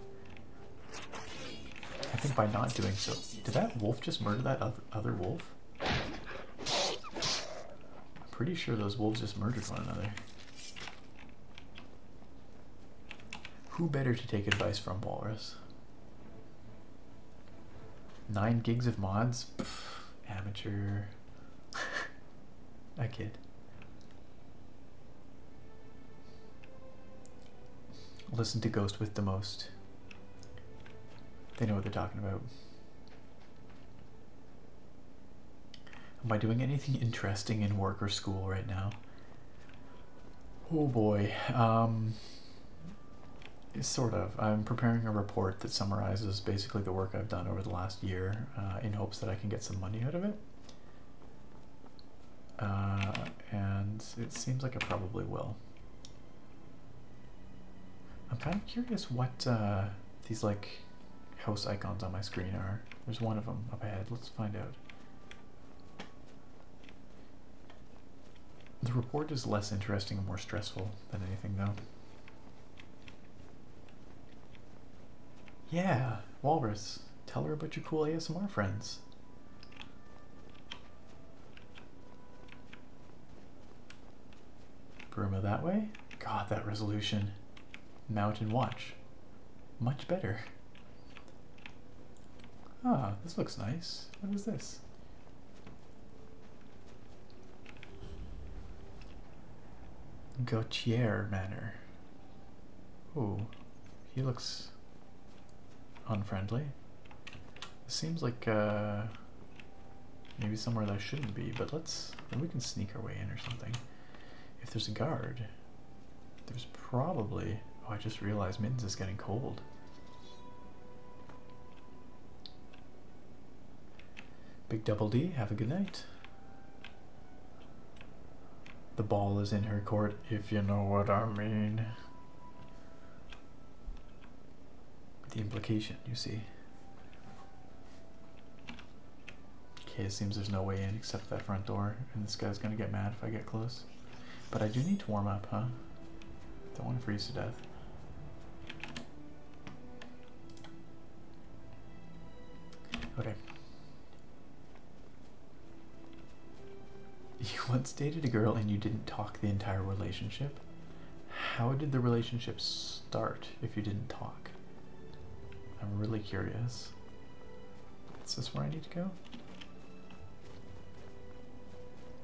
I think by not doing so. Did that wolf just murder that other wolf? I'm pretty sure those wolves just murdered one another. Who better to take advice from, Walrus? Nine gigs of mods amateur. I [laughs] kid. Listen to Ghost with the most. They know what they're talking about. Am I doing anything interesting in work or school right now? Oh boy. Um, Sort of. I'm preparing a report that summarizes basically the work I've done over the last year uh, in hopes that I can get some money out of it. Uh, and it seems like I probably will. I'm kind of curious what uh, these like host icons on my screen are. There's one of them up ahead. Let's find out. The report is less interesting and more stressful than anything, though. Yeah, Walrus. Tell her about your cool ASMR friends. Bruma that way? God, that resolution. Mountain watch. Much better. Ah, this looks nice. What is this? Gautier Manor. Ooh, he looks unfriendly. This seems like uh, maybe somewhere that I shouldn't be, but let's, we can sneak our way in or something. If there's a guard, there's probably, oh, I just realized Mittens is getting cold. Big Double D, have a good night. The ball is in her court, if you know what I mean. The implication, you see. Okay, it seems there's no way in except that front door, and this guy's gonna get mad if I get close. But I do need to warm up, huh? Don't want to freeze to death. Okay. [laughs] You once dated a girl and you didn't talk the entire relationship. How did the relationship start if you didn't talk? I'm really curious. Is this where I need to go?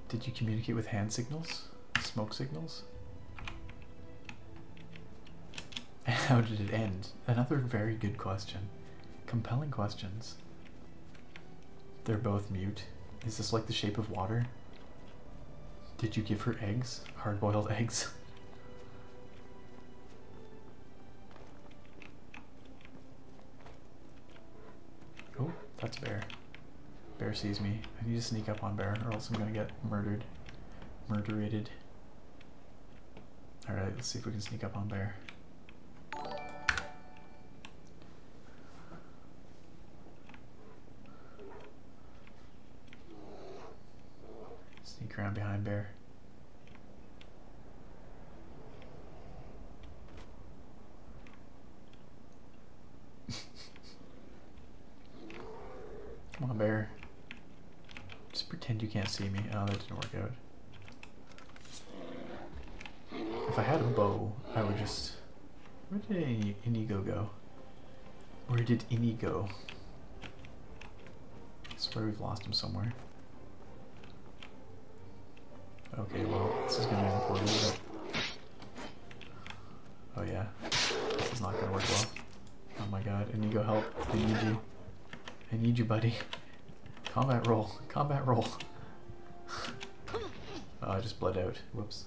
Did you communicate with hand signals? Smoke signals? [laughs] how did it end? Another very good question. Compelling questions. They're both mute. Is this like the shape of water? Did you give her eggs? Hard boiled [laughs] eggs? oh, that's fair. Bear sees me. I need to sneak up on Bear or else I'm gonna get murdered. Murderated. Alright, let's see if we can sneak up on Bear. Sneak around behind Bear. [laughs] Come on, bear. Just pretend you can't see me. Oh, that didn't work out. If I had a bow, I would just... Where did Inigo go? Where did Inigo? I swear we've lost him somewhere. Okay, well, this is gonna be important, Oh yeah, this is not gonna work well. Oh my god, I need go help. I need you. I need you, buddy. Combat roll. Combat roll. [laughs] Oh, I just bled out. Whoops.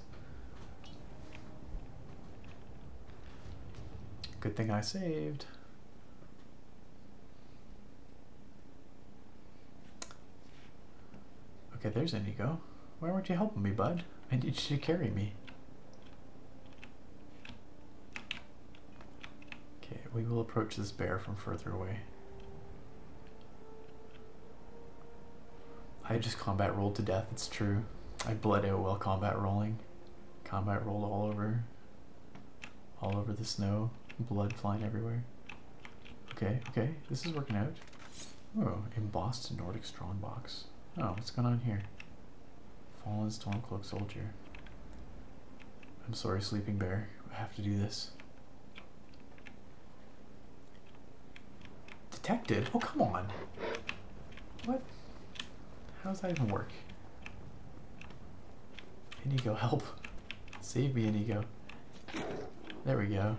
Good thing I saved. Okay, there's Inigo. Why weren't you helping me, bud? I need you to carry me. Okay, we will approach this bear from further away. I just combat rolled to death, it's true. I bled out while combat rolling. Combat rolled all over. All over the snow. Blood flying everywhere. Okay, okay, this is working out. Oh, embossed Nordic strongbox. Oh, what's going on here? Fallen Stormcloak soldier. I'm sorry, Sleeping Bear. I have to do this. Detected? Oh, come on. What? How does that even work? Ego, help. Save me, Ego. There we go.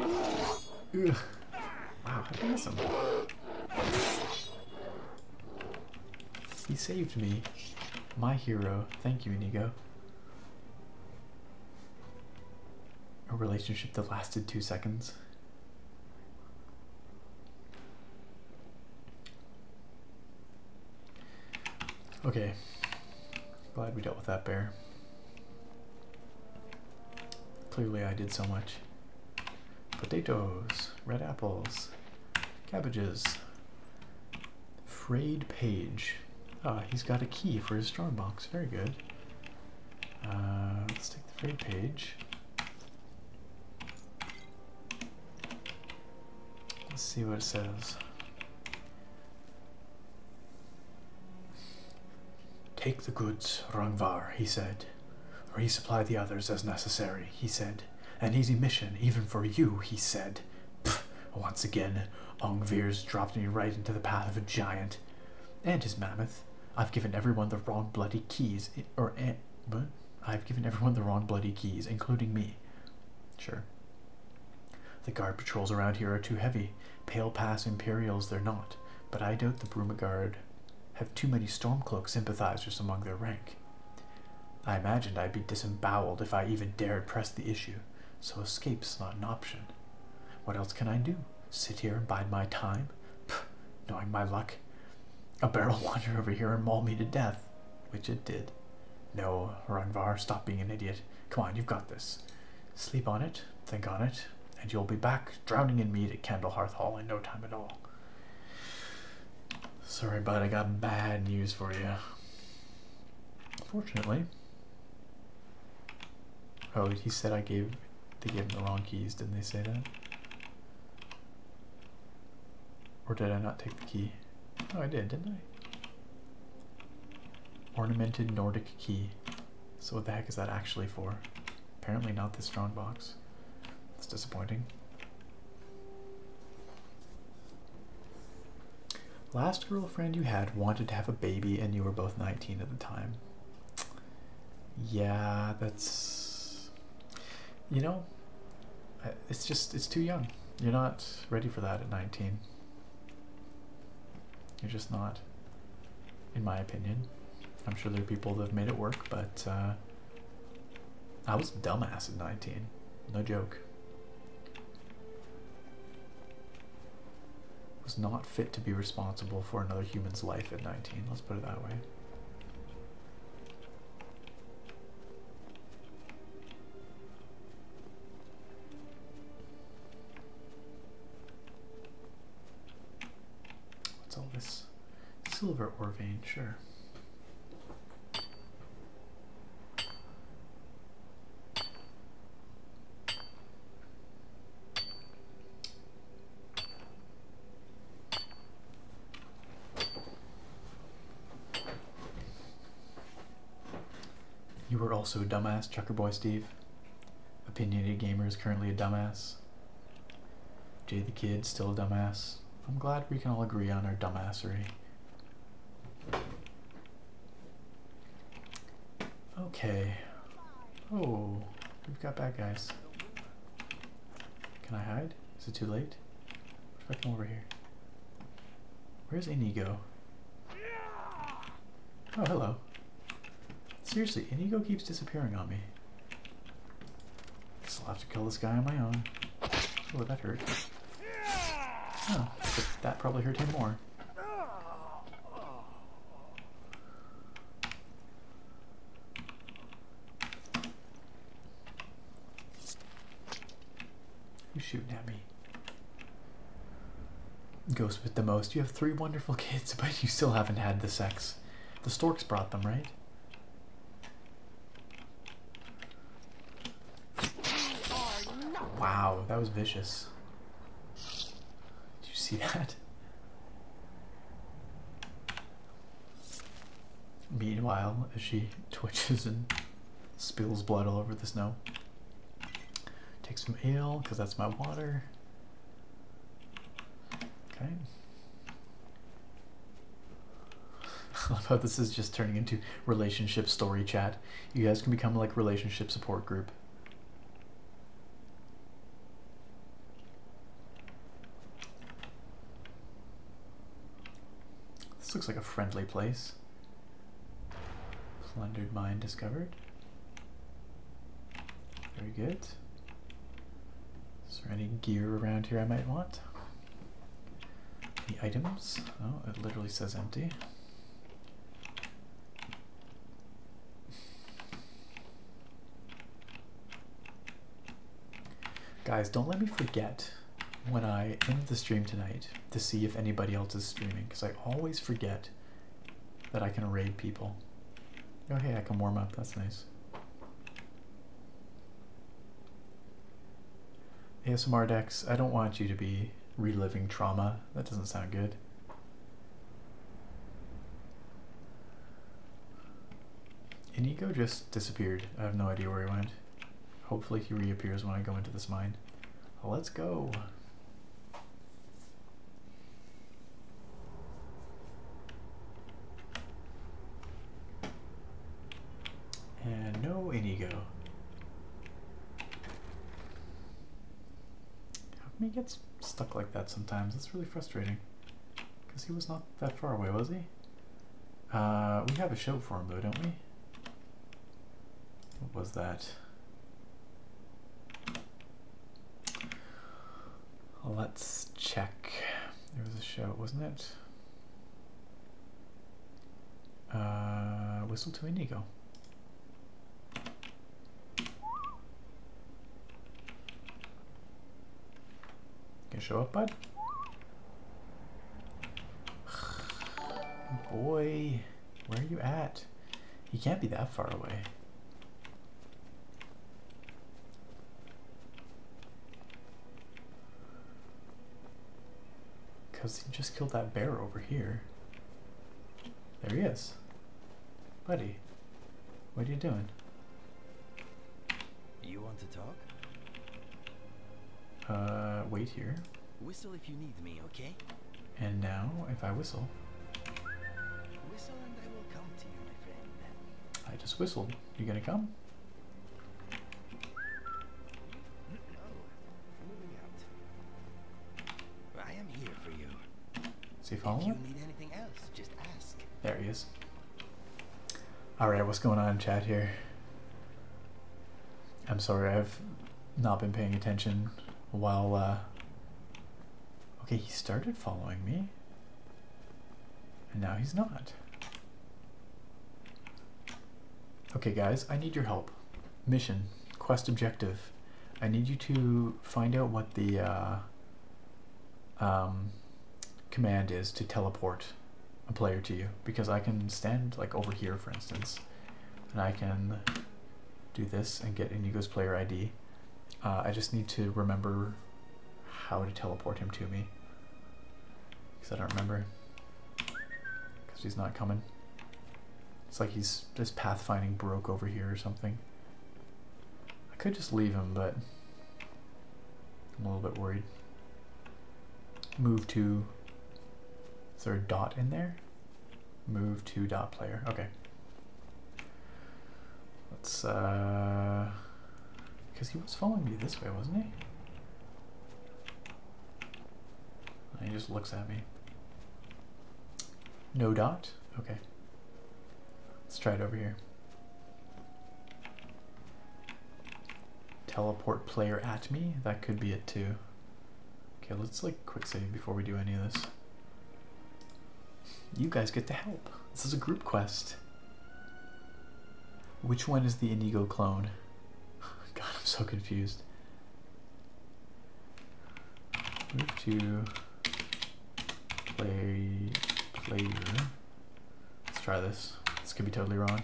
Ugh. Wow, I miss him. He saved me. My hero. Thank you, Enigo. A relationship that lasted two seconds. Okay. Glad we dealt with that bear. Clearly I did so much. Potatoes, red apples, cabbages. Frayed page. Ah, he's got a key for his strong box. Very good. Uh, let's take the frayed page. Let's see what it says. Take the goods, Rangvar, he said. Resupply the others as necessary, he said. An easy mission, even for you, he said. Pfft, once again, Ongvir's dropped me right into the path of a giant. And his mammoth. I've given everyone the wrong bloody keys, or but eh, I've given everyone the wrong bloody keys, including me. Sure. The guard patrols around here are too heavy. Pale Pass Imperials they're not, but I doubt the Brumagard have too many Stormcloak sympathizers among their rank. I imagined I'd be disemboweled if I even dared press the issue, so escape's not an option. What else can I do? Sit here and bide my time? Pff, knowing my luck, a barrel launcher [laughs] over here and maul me to death, which it did. No, Ranvar, stop being an idiot. Come on, you've got this. Sleep on it, think on it, and you'll be back drowning in meat at Candle Hearth Hall in no time at all. Sorry, bud, I got bad news for you. Fortunately. Oh, he said I gave they gave him the wrong keys, didn't they say that? Or did I not take the key? Oh, I did, didn't I? Ornamented Nordic key. So what the heck is that actually for? Apparently not this strong box. That's disappointing. Last girlfriend you had wanted to have a baby and you were both 19 at the time. Yeah, that's... You know, it's just, it's too young. You're not ready for that at 19. You're just not in my opinion. I'm sure there are people that have made it work, but uh, I was dumbass at 19. No joke. Was not fit to be responsible for another human's life at 19, let's put it that way. What's all this? Silver ore vein, sure. You were also a dumbass, Chucker Boy Steve. Opinionated Gamer is currently a dumbass. Jay the Kid, still a dumbass. I'm glad we can all agree on our dumbassery. Okay. Oh, we've got bad guys. Can I hide? Is it too late? if I come over here? Where's Inigo? Oh, hello. Seriously, Inigo keeps disappearing on me. I'll have to kill this guy on my own. Oh, that hurt. that probably hurt him more. You shooting at me? Ghost with the most. You have three wonderful kids, [laughs] but you still haven't had the sex. The storks brought them, right? Wow, that was vicious. Did you see [laughs] that? Meanwhile, as she [laughs] twitches and spills blood all over the snow. Take some ale, because that's my water. Okay. about [laughs] this is just turning into relationship story chat. You guys can become like relationship support group. This looks like a friendly place. Plundered mine discovered. Very good. Is there any gear around here I might want? Any items? Oh, it literally says empty. Guys, don't let me forget when I end the stream tonight to see if anybody else is streaming because I always forget that I can raid people. Oh, hey, I can warm up. That's nice. ASMR Dex, I don't want you to be reliving trauma. That doesn't sound good. Inigo just disappeared. I have no idea where he went. Hopefully he reappears when I go into this mine. Let's go. And no Inigo. How come he gets stuck like that sometimes? That's really frustrating. Because he was not that far away, was he? Uh, we have a show for him though, don't we? What was that? Let's check. It was a show, wasn't it? Uh, Whistle to Indigo. Can show up, bud? [sighs] Boy, where are you at? You can't be that far away. Because he just killed that bear over here. There he is. Buddy, what are you doing? You want to talk? Uh, wait here. Whistle if you need me, okay? And now, if I whistle. Whistle and I will come to you, my friend. I just whistled. You gonna come? I am here for you. See following? If you need anything else, just ask. There he is. Alright, what's going on Chad? here? I'm sorry, I've not been paying attention while, uh, Okay, he started following me. And now he's not. Okay, guys, I need your help. Mission, quest objective. I need you to find out what the uh, um, command is to teleport a player to you because I can stand like over here for instance and I can do this and get Inigo's player ID uh, I just need to remember how to teleport him to me. Because I don't remember. Because he's not coming. It's like he's this pathfinding broke over here or something. I could just leave him, but I'm a little bit worried. Move to... Is there dot in there? Move to dot player. Okay. Let's, uh... Because he was following me this way, wasn't he? He just looks at me. No dot? Okay. Let's try it over here. Teleport player at me? That could be it too. Okay, let's like quick save before we do any of this. You guys get to help. This is a group quest. Which one is the Indigo clone? [laughs] God, I'm so confused. to play player. Let's try this. This could be totally wrong.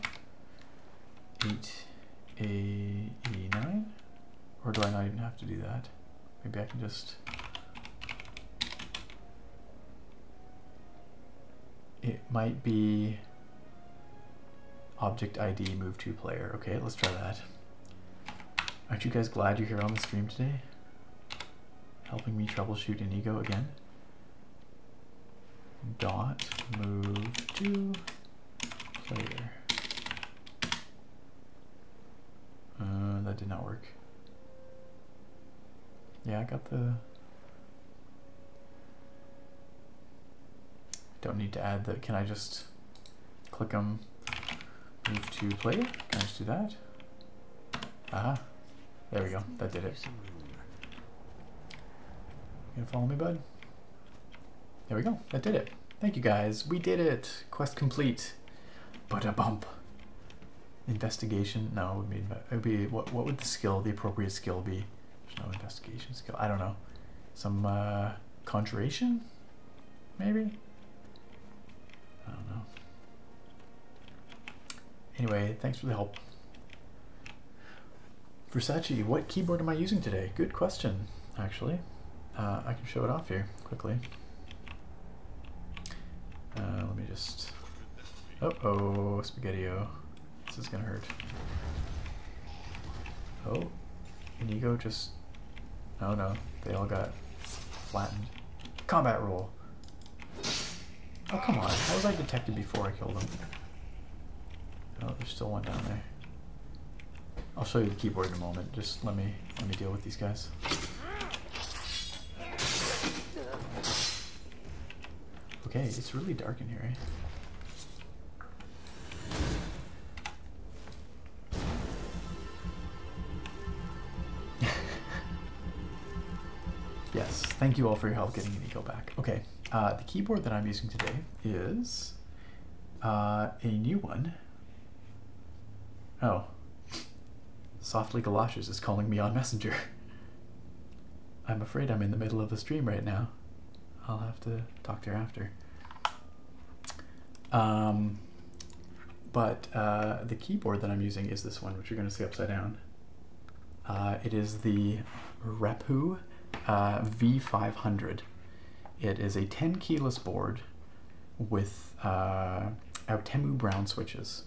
8 a e9 or do I not even have to do that? Maybe I can just it might be object ID move to player. Okay, let's try that. Aren't you guys glad you're here on the stream today? Helping me troubleshoot Inigo again. Dot move to player. Uh, that did not work. Yeah, I got the... Don't need to add the... Can I just click them, move to play. Can I just do that? Ah, there we go. That did it. You gonna follow me, bud? There we go. That did it. Thank you, guys. We did it. Quest complete. But a bump. Investigation? No, would be, it would be what, what would the skill, the appropriate skill be? There's no investigation skill. I don't know. Some uh, conjuration? Maybe? I don't know. Anyway, thanks for the help. Versace, what keyboard am I using today? Good question, actually. Uh, I can show it off here quickly. Uh, let me just... Oh, oh, Spaghetti-O. This is gonna hurt. Oh, Inigo just... Oh no, they all got flattened. Combat rule! Oh, come on. How was I detected before I killed them? Oh, there's still one down there. I'll show you the keyboard in a moment. Just let me let me deal with these guys. Okay, it's really dark in here, eh? [laughs] yes, thank you all for your help getting the go back. Okay, uh, the keyboard that I'm using today is uh, a new one. Oh, Softly Galoshes is calling me on Messenger. I'm afraid I'm in the middle of the stream right now. I'll have to talk to her after. Um, but uh, the keyboard that I'm using is this one, which you're going to see upside down. Uh, it is the Repu uh, V500. It is a 10 keyless board with our Temu Brown switches.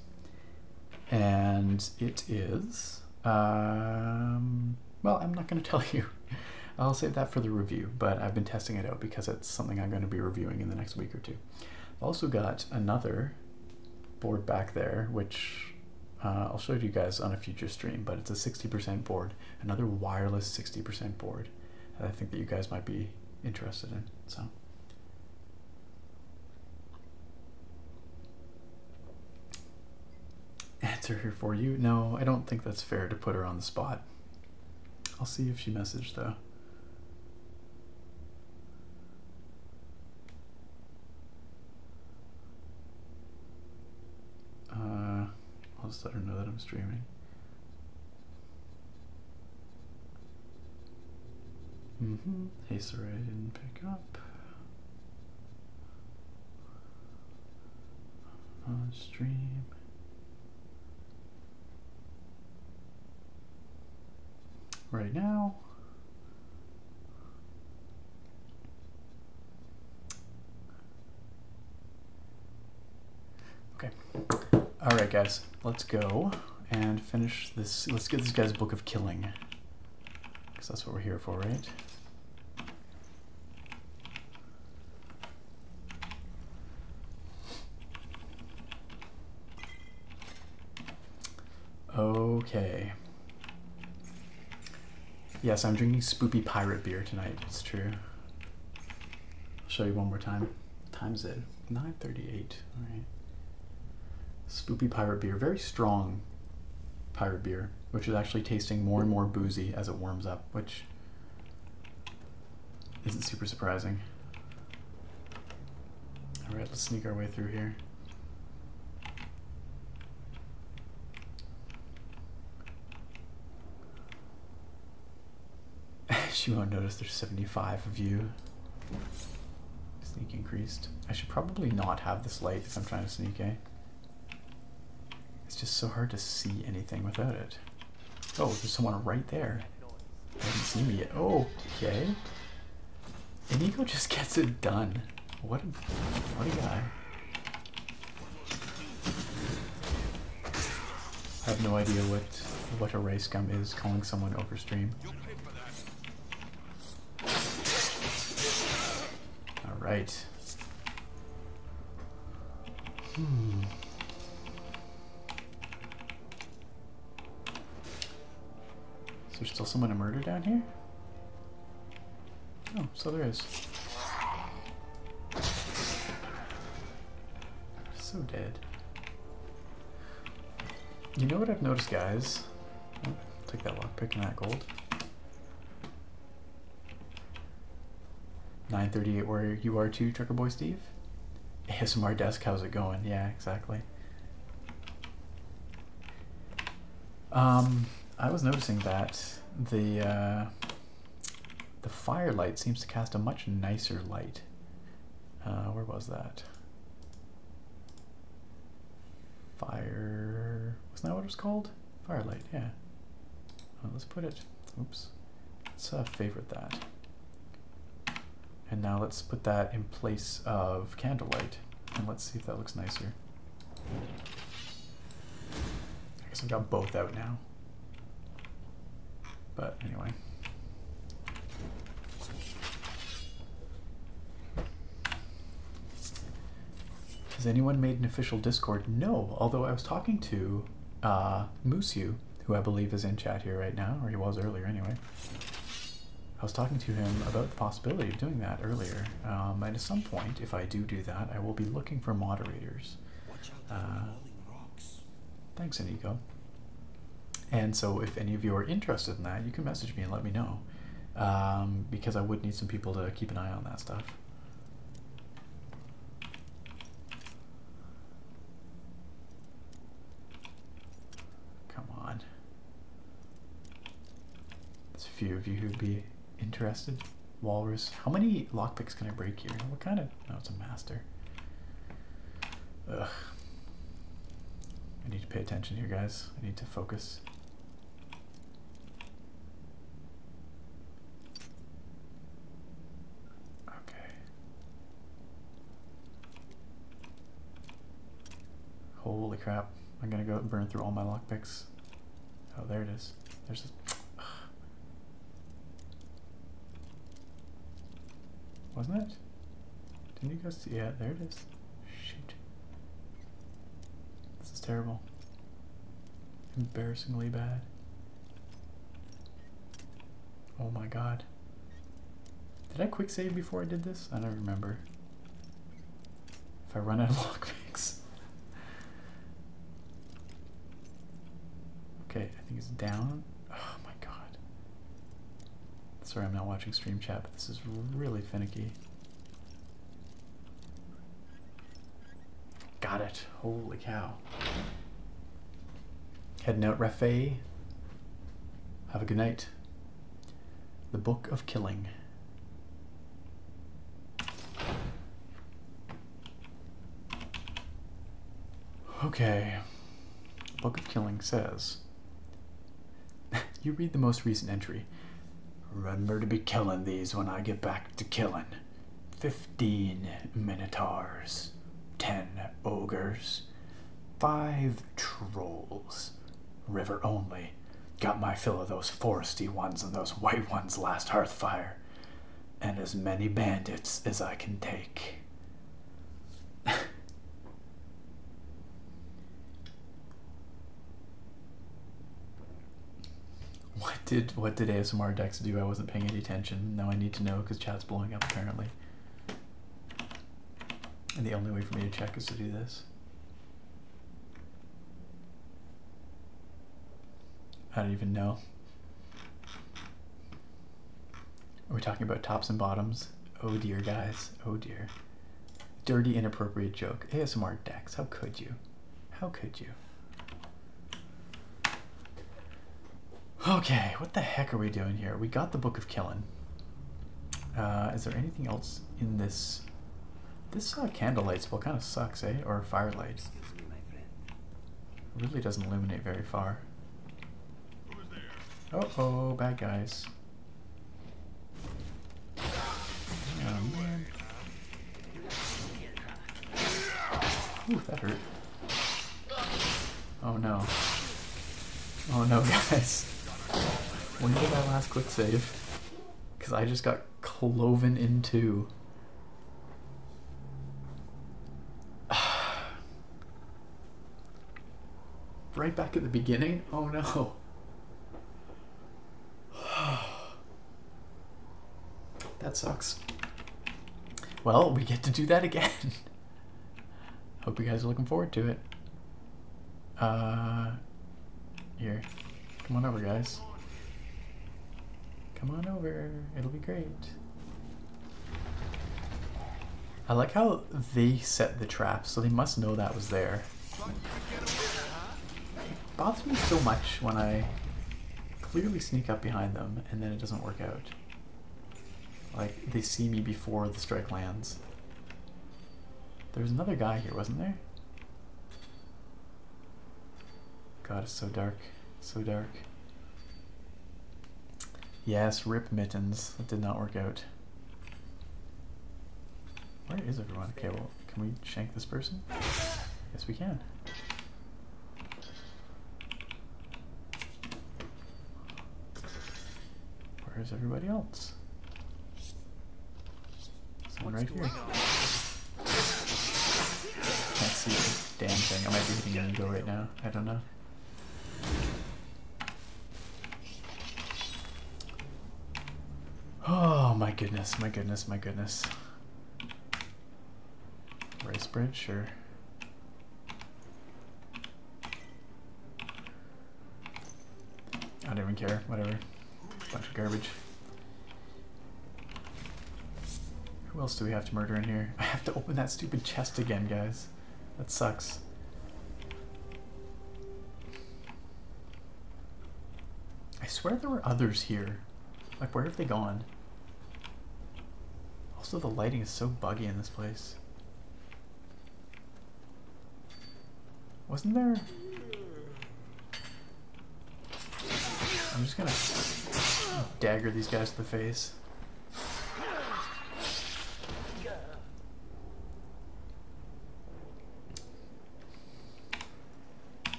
And it is, um, well, I'm not going [laughs] to tell you. I'll save that for the review, but I've been testing it out because it's something I'm going to be reviewing in the next week or two. I've also got another board back there, which uh, I'll show you guys on a future stream, but it's a 60% board, another wireless 60% board. and I think that you guys might be interested in. So answer here for you. No, I don't think that's fair to put her on the spot. I'll see if she messaged though. Uh, I'll just let her know that I'm streaming. Mm-hmm. Hey, sorry I didn't pick up. stream. Right now. Okay. All right, guys let's go and finish this. Let's get this guy's Book of Killing. Because that's what we're here for, right? Okay. Yes, I'm drinking spoopy pirate beer tonight, it's true. I'll show you one more time. Time's it? nine thirty eight. All right. Spoopy pirate beer, very strong pirate beer, which is actually tasting more and more boozy as it warms up, which isn't super surprising. All right, let's sneak our way through here. [laughs] she won't notice there's 75 of you. Sneak increased. I should probably not have this light if I'm trying to sneak, eh? It's just so hard to see anything without it. Oh, there's someone right there. I not seen me yet. Oh, okay. Inigo just [laughs] gets it done. What a, what a guy. I have no idea what what a race gum is calling someone over stream. All right. Hmm. Is there still someone to murder down here? Oh, so there is. So dead. You know what I've noticed, guys? take that lockpick and that gold. 938 where you are too, Trucker Boy Steve. ASMR desk, how's it going? Yeah, exactly. Um, I was noticing that the uh, the firelight seems to cast a much nicer light. Uh, where was that? Fire, wasn't that what it was called? Firelight, yeah. Uh, let's put it, oops. Let's uh, favorite that. And now let's put that in place of candlelight. And let's see if that looks nicer. I guess I've got both out now. But anyway. Has anyone made an official Discord? No, although I was talking to uh, Musu, who I believe is in chat here right now, or he was earlier anyway. I was talking to him about the possibility of doing that earlier, um, and at some point, if I do do that, I will be looking for moderators. Uh, thanks, Inigo. And so, if any of you are interested in that, you can message me and let me know, um, because I would need some people to keep an eye on that stuff. Come on. There's a few of you who'd be interested. Walrus. How many lockpicks can I break here? What kind of... No, it's a master. Ugh. I need to pay attention here, guys. I need to focus. Okay. Holy crap. I'm gonna go burn through all my lockpicks. Oh, there it is. There's this. Wasn't it? Didn't you guys see? Yeah, there it is. Shit. This is terrible. Embarrassingly bad. Oh my god. Did I quick save before I did this? I don't remember. If I run out of [laughs] lockpicks. okay, I think it's down. Oh my god. Sorry, I'm not watching stream chat, this is really finicky. Got it. Holy cow. Heading out, Rafe. Have a good night. The Book of Killing. Okay. Book of Killing says [laughs] you read the most recent entry. Remember to be killing these when I get back to killing. Fifteen minotaurs, ten ogres, five trolls. River only. Got my fill of those foresty ones and those white ones last hearthfire. And as many bandits as I can take. [laughs] What did what did ASMR Dex do? I wasn't paying any attention. Now I need to know because chat's blowing up apparently. And the only way for me to check is to do this. I don't even know. Are we talking about tops and bottoms? Oh dear, guys. Oh dear. Dirty inappropriate joke. ASMR decks. How could you? How could you? Okay, what the heck are we doing here? We got the Book of Killing. Uh, is there anything else in this? This uh, candlelight spell kind of sucks, eh? Or firelight. It really doesn't illuminate very far. Oh, oh, bad guys. Ooh, that hurt. Oh no. Oh no, [laughs] guys. When did I last quick save? Because I just got cloven in two. [sighs] right back at the beginning? Oh no. [sighs] that sucks. Well, we get to do that again. [laughs] Hope you guys are looking forward to it. Uh, here. Come on over, guys. Come on over. It'll be great. I like how they set the trap, so they must know that was there bothers me so much when I clearly sneak up behind them and then it doesn't work out. Like, they see me before the strike lands. There's another guy here, wasn't there? God, it's so dark. So dark. Yes, rip mittens. That did not work out. Where is everyone? Okay, well, can we shank this person? Yes, we can. Where's everybody else? Someone right here. Can't see a damn thing. I might be hitting an ego right now. I don't know. Oh, my goodness, my goodness, my goodness. Rice bread, sure. I don't even care, whatever. Bunch of garbage. Who else do we have to murder in here? [laughs] I have to open that stupid chest again, guys. That sucks. I swear there were others here. Like, where have they gone? Also, the lighting is so buggy in this place. Wasn't there... I'm just gonna dagger these guys to the face.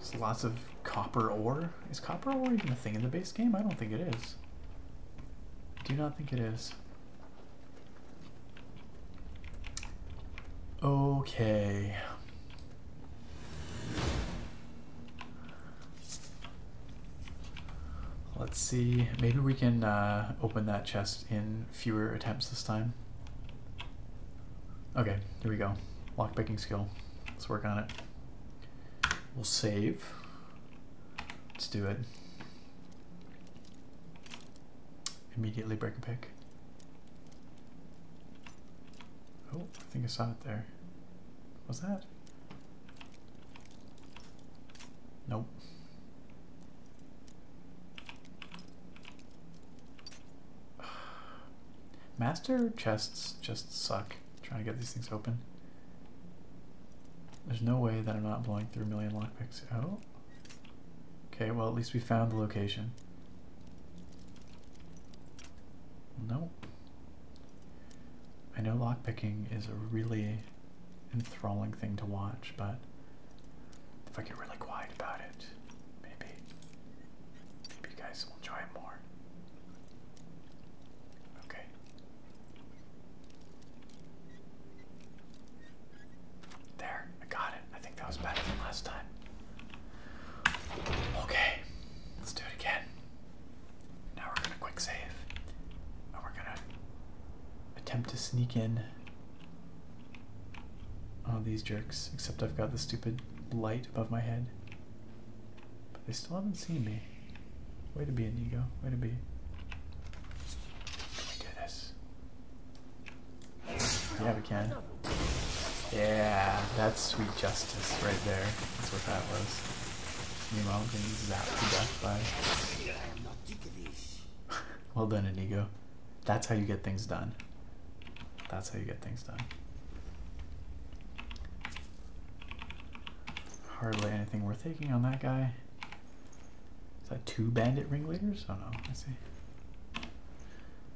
There's lots of copper ore. Is copper ore even a thing in the base game? I don't think it is. Do not think it is. Okay. Let's see, maybe we can uh, open that chest in fewer attempts this time. Okay, here we go. Lock picking skill. Let's work on it. We'll save. Let's do it. Immediately break a pick. Oh, I think I saw it there. Was that? Nope. Master chests just suck. trying to get these things open. There's no way that I'm not blowing through a million lockpicks. Oh. Okay, well at least we found the location. Nope. I know lockpicking is a really enthralling thing to watch, but if I get really quiet about it, maybe maybe you guys will enjoy it more. Okay. There, I got it. I think that was better than last time. Okay, let's do it again. Now we're gonna quick save. And we're gonna attempt to sneak in. All these jerks. Except I've got the stupid light above my head. But they still haven't seen me. Way to be, Inigo. Way to be. Can we do this? Yeah, we can. Yeah, that's sweet justice right there. That's what that was. Meanwhile, I'm getting zapped to death by [laughs] well done, Inigo. That's how you get things done. That's how you get things done. Hardly anything worth taking on that guy. Is that two bandit ringleaders? Oh no, I see.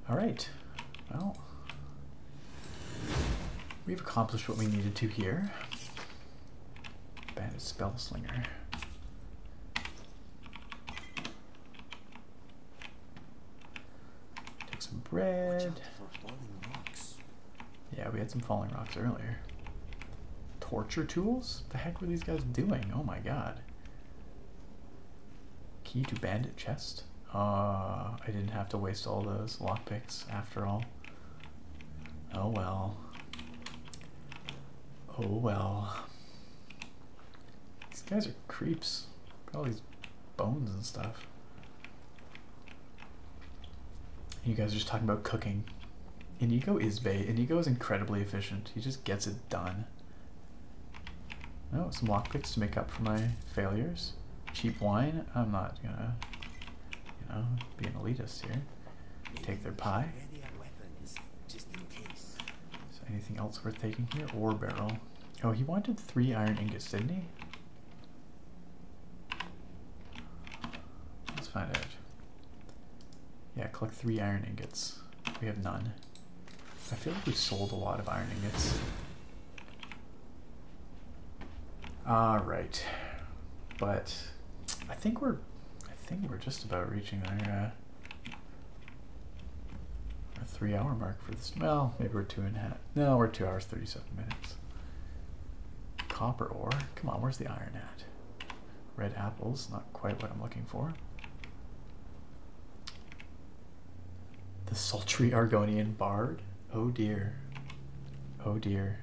Alright, well, we've accomplished what we needed to here. Bandit Spellslinger. Take some bread. Yeah, we had some falling rocks earlier. Torture tools? What the heck were these guys doing? Oh my god. Key to bandit chest? Uh, I didn't have to waste all those lockpicks after all. Oh well. Oh well. These guys are creeps. all these bones and stuff. You guys are just talking about cooking. And Inigo is Bay. Inigo is incredibly efficient. He just gets it done. Oh, some lockpicks to make up for my failures. Cheap wine. I'm not gonna, you know, be an elitist here. Take their pie. So anything else worth taking here? Or barrel. Oh, he wanted three iron ingots, didn't he? Let's find out. Yeah, collect three iron ingots. We have none. I feel like we sold a lot of iron ingots. Alright. But I think we're I think we're just about reaching our, uh, three hour mark for this. Well, maybe we're two and a half. No, we're two hours, 37 minutes. Copper ore. Come on, where's the iron at? Red apples, not quite what I'm looking for. The sultry Argonian bard? Oh dear. Oh dear.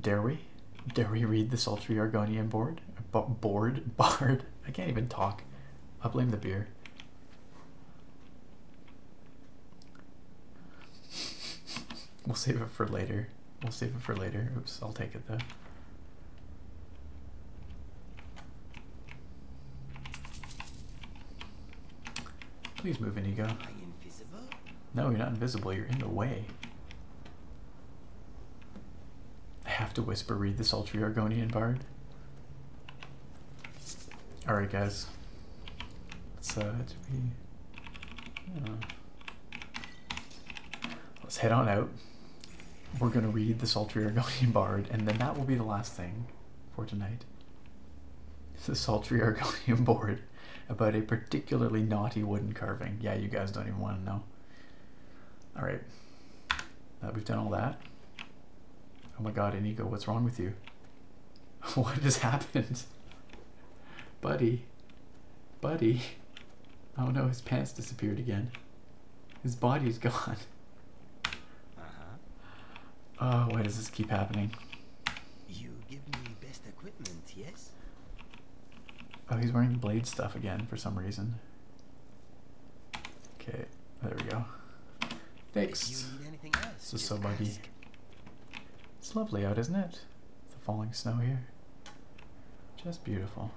Dare we? Dare we read the sultry Argonian board? board? [laughs] Bard? I can't even talk. I blame the beer. We'll save it for later. We'll save it for later. Oops, I'll take it though. Please move in, Ego. No, you're not invisible. You're in the way. I have to whisper read the sultry Argonian bard. Alright, guys. Let's, uh, uh, let's head on out. We're going to read the sultry Argonian bard, and then that will be the last thing for tonight. [laughs] The sultry Argonian bard about a particularly naughty wooden carving. Yeah, you guys don't even want to know. All right, we've done all that. Oh my God, Inigo, what's wrong with you? [laughs] what has happened? [laughs] Buddy, buddy. Oh no, his pants disappeared again. His body's [laughs] gone. Uh -huh. Oh, why does this keep happening? You give me best equipment, yes? Oh, he's wearing blade stuff again for some reason. Okay, there we go. Thanks. Else, so buggy. It's lovely out, isn't it? The falling snow here. Just beautiful.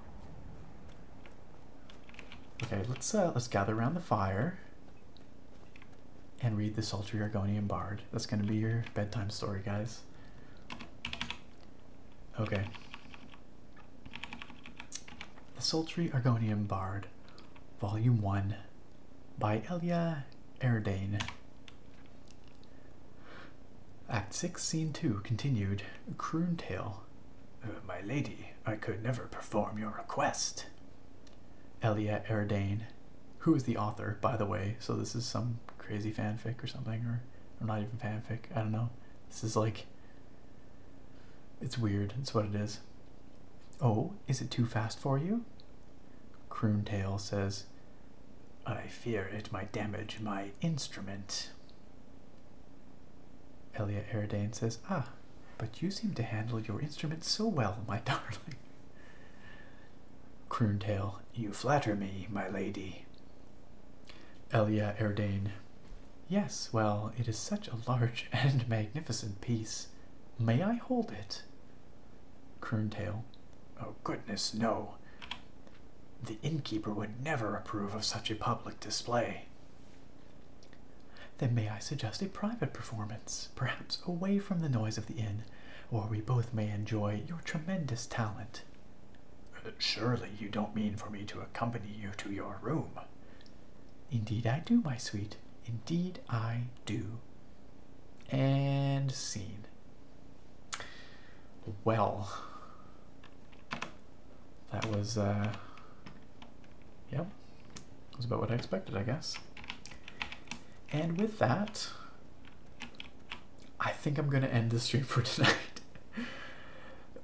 Okay, let's uh, let's gather around the fire and read the Sultry Argonian Bard. That's gonna be your bedtime story, guys. Okay. The Sultry Argonian Bard, Volume 1 by Elia Erdane. Act 6, Scene 2 continued. Croon Tale. Uh, my lady, I could never perform your request. Elia Erdane who is the author, by the way. So this is some crazy fanfic or something, or, not even fanfic. I don't know. This is like, it's weird. It's what it is. Oh, is it too fast for you? Croontail says, I fear it might damage my instrument. Elia Aridane says, Ah, but you seem to handle your instrument so well, my darling. Tail, you flatter me, my lady. Elia Erdane, yes, well, it is such a large [laughs] and magnificent piece. May I hold it? Tail, oh goodness, no. The innkeeper would never approve of such a public display. Then may I suggest a private performance, perhaps away from the noise of the inn, or we both may enjoy your tremendous talent. Uh, surely you don't mean for me to accompany you to your room. Indeed I do, my sweet. Indeed I do. And scene. Well, that was, uh, yep, was about what I expected, I guess. And with that, I think I'm going to end the stream for [laughs] tonight.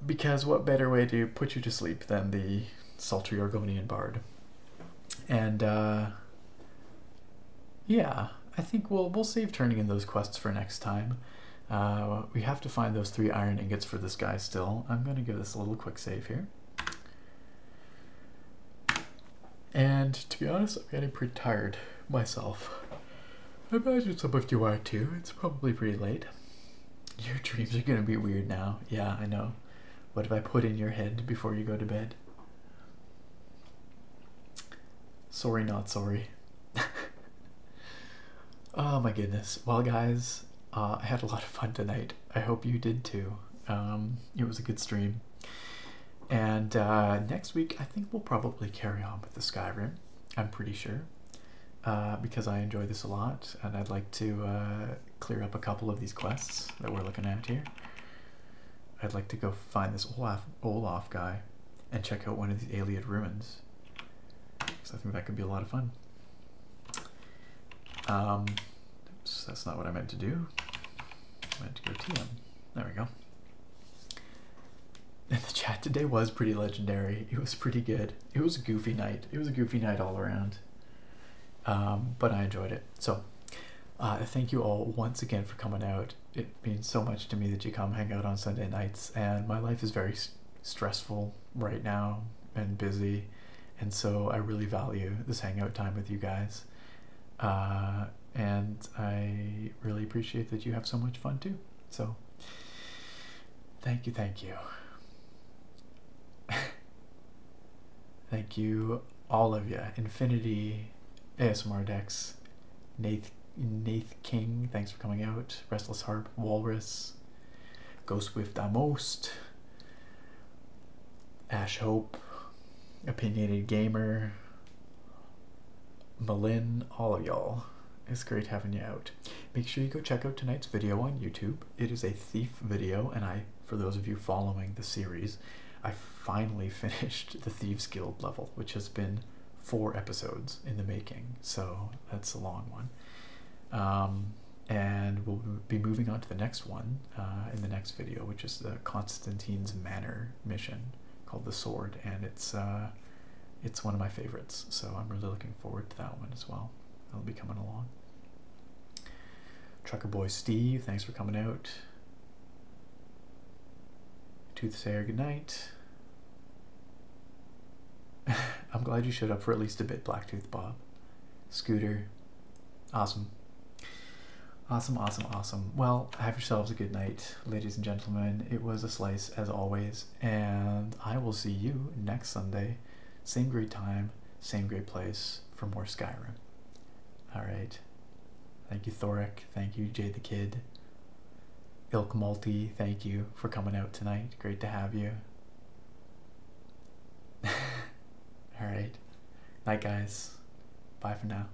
because what better way to put you to sleep than the sultry Argonian bard? And, uh, yeah, I think we'll, we'll save turning in those quests for next time. Uh, we have to find those three iron ingots for this guy still. I'm going to give this a little quick save here. And to be honest, I'm getting pretty tired myself. I imagine some of you are too. It's probably pretty late. Your dreams are gonna be weird now. Yeah, I know. What have I put in your head before you go to bed? Sorry, not sorry. [laughs] oh my goodness. Well, guys, uh, I had a lot of fun tonight. I hope you did too. Um, it was a good stream. And uh, next week, I think we'll probably carry on with the Skyrim. I'm pretty sure, uh, because I enjoy this a lot, and I'd like to uh, clear up a couple of these quests that we're looking at here. I'd like to go find this Olaf Olaf guy, and check out one of these Aliad ruins. Because I think that could be a lot of fun. Um, that's not what I meant to do. I meant to go to TM. There we go. And the chat today was pretty legendary. It was pretty good. It was a goofy night. It was a goofy night all around. Um, but I enjoyed it. So uh, thank you all once again for coming out. It means so much to me that you come hang out on Sunday nights. And my life is very stressful right now and busy. And so I really value this hangout time with you guys. Uh, and I really appreciate that you have so much fun too. So, thank you, thank you. [laughs] thank you, all of you. Infinity, ASMR Dex, Nath, Nath King, thanks for coming out. Restless Harp, Walrus, Go Swift Amost, Ash Hope, Opinionated Gamer, Malin, all of y'all. It's great having you out. Make sure you go check out tonight's video on YouTube. It is a thief video, and I, for those of you following the series, I finally [laughs] finished the Thieves Guild level, which has been four episodes in the making, so that's a long one. Um, and we'll be moving on to the next one uh, in the next video, which is the Constantine's Manor mission called the Sword, and it's uh, it's one of my favorites. So I'm really looking forward to that one as well. That'll be coming along. Trucker Boy Steve, thanks for coming out. Toothsayer, good night. [laughs] I'm glad you showed up for at least a bit, Blacktooth Bob. Scooter, awesome. Awesome, awesome, awesome. Well, have yourselves a good night ladies and gentlemen, it was a slice as always, and I will see you next Sunday. Same great time, same great place for more Skyrim. All right. Thank you, Thoric. Thank you, Jay the Kid. Ilk Multi, thank you for coming out tonight. Great to have you. [laughs] All right. Night, guys. Bye for now.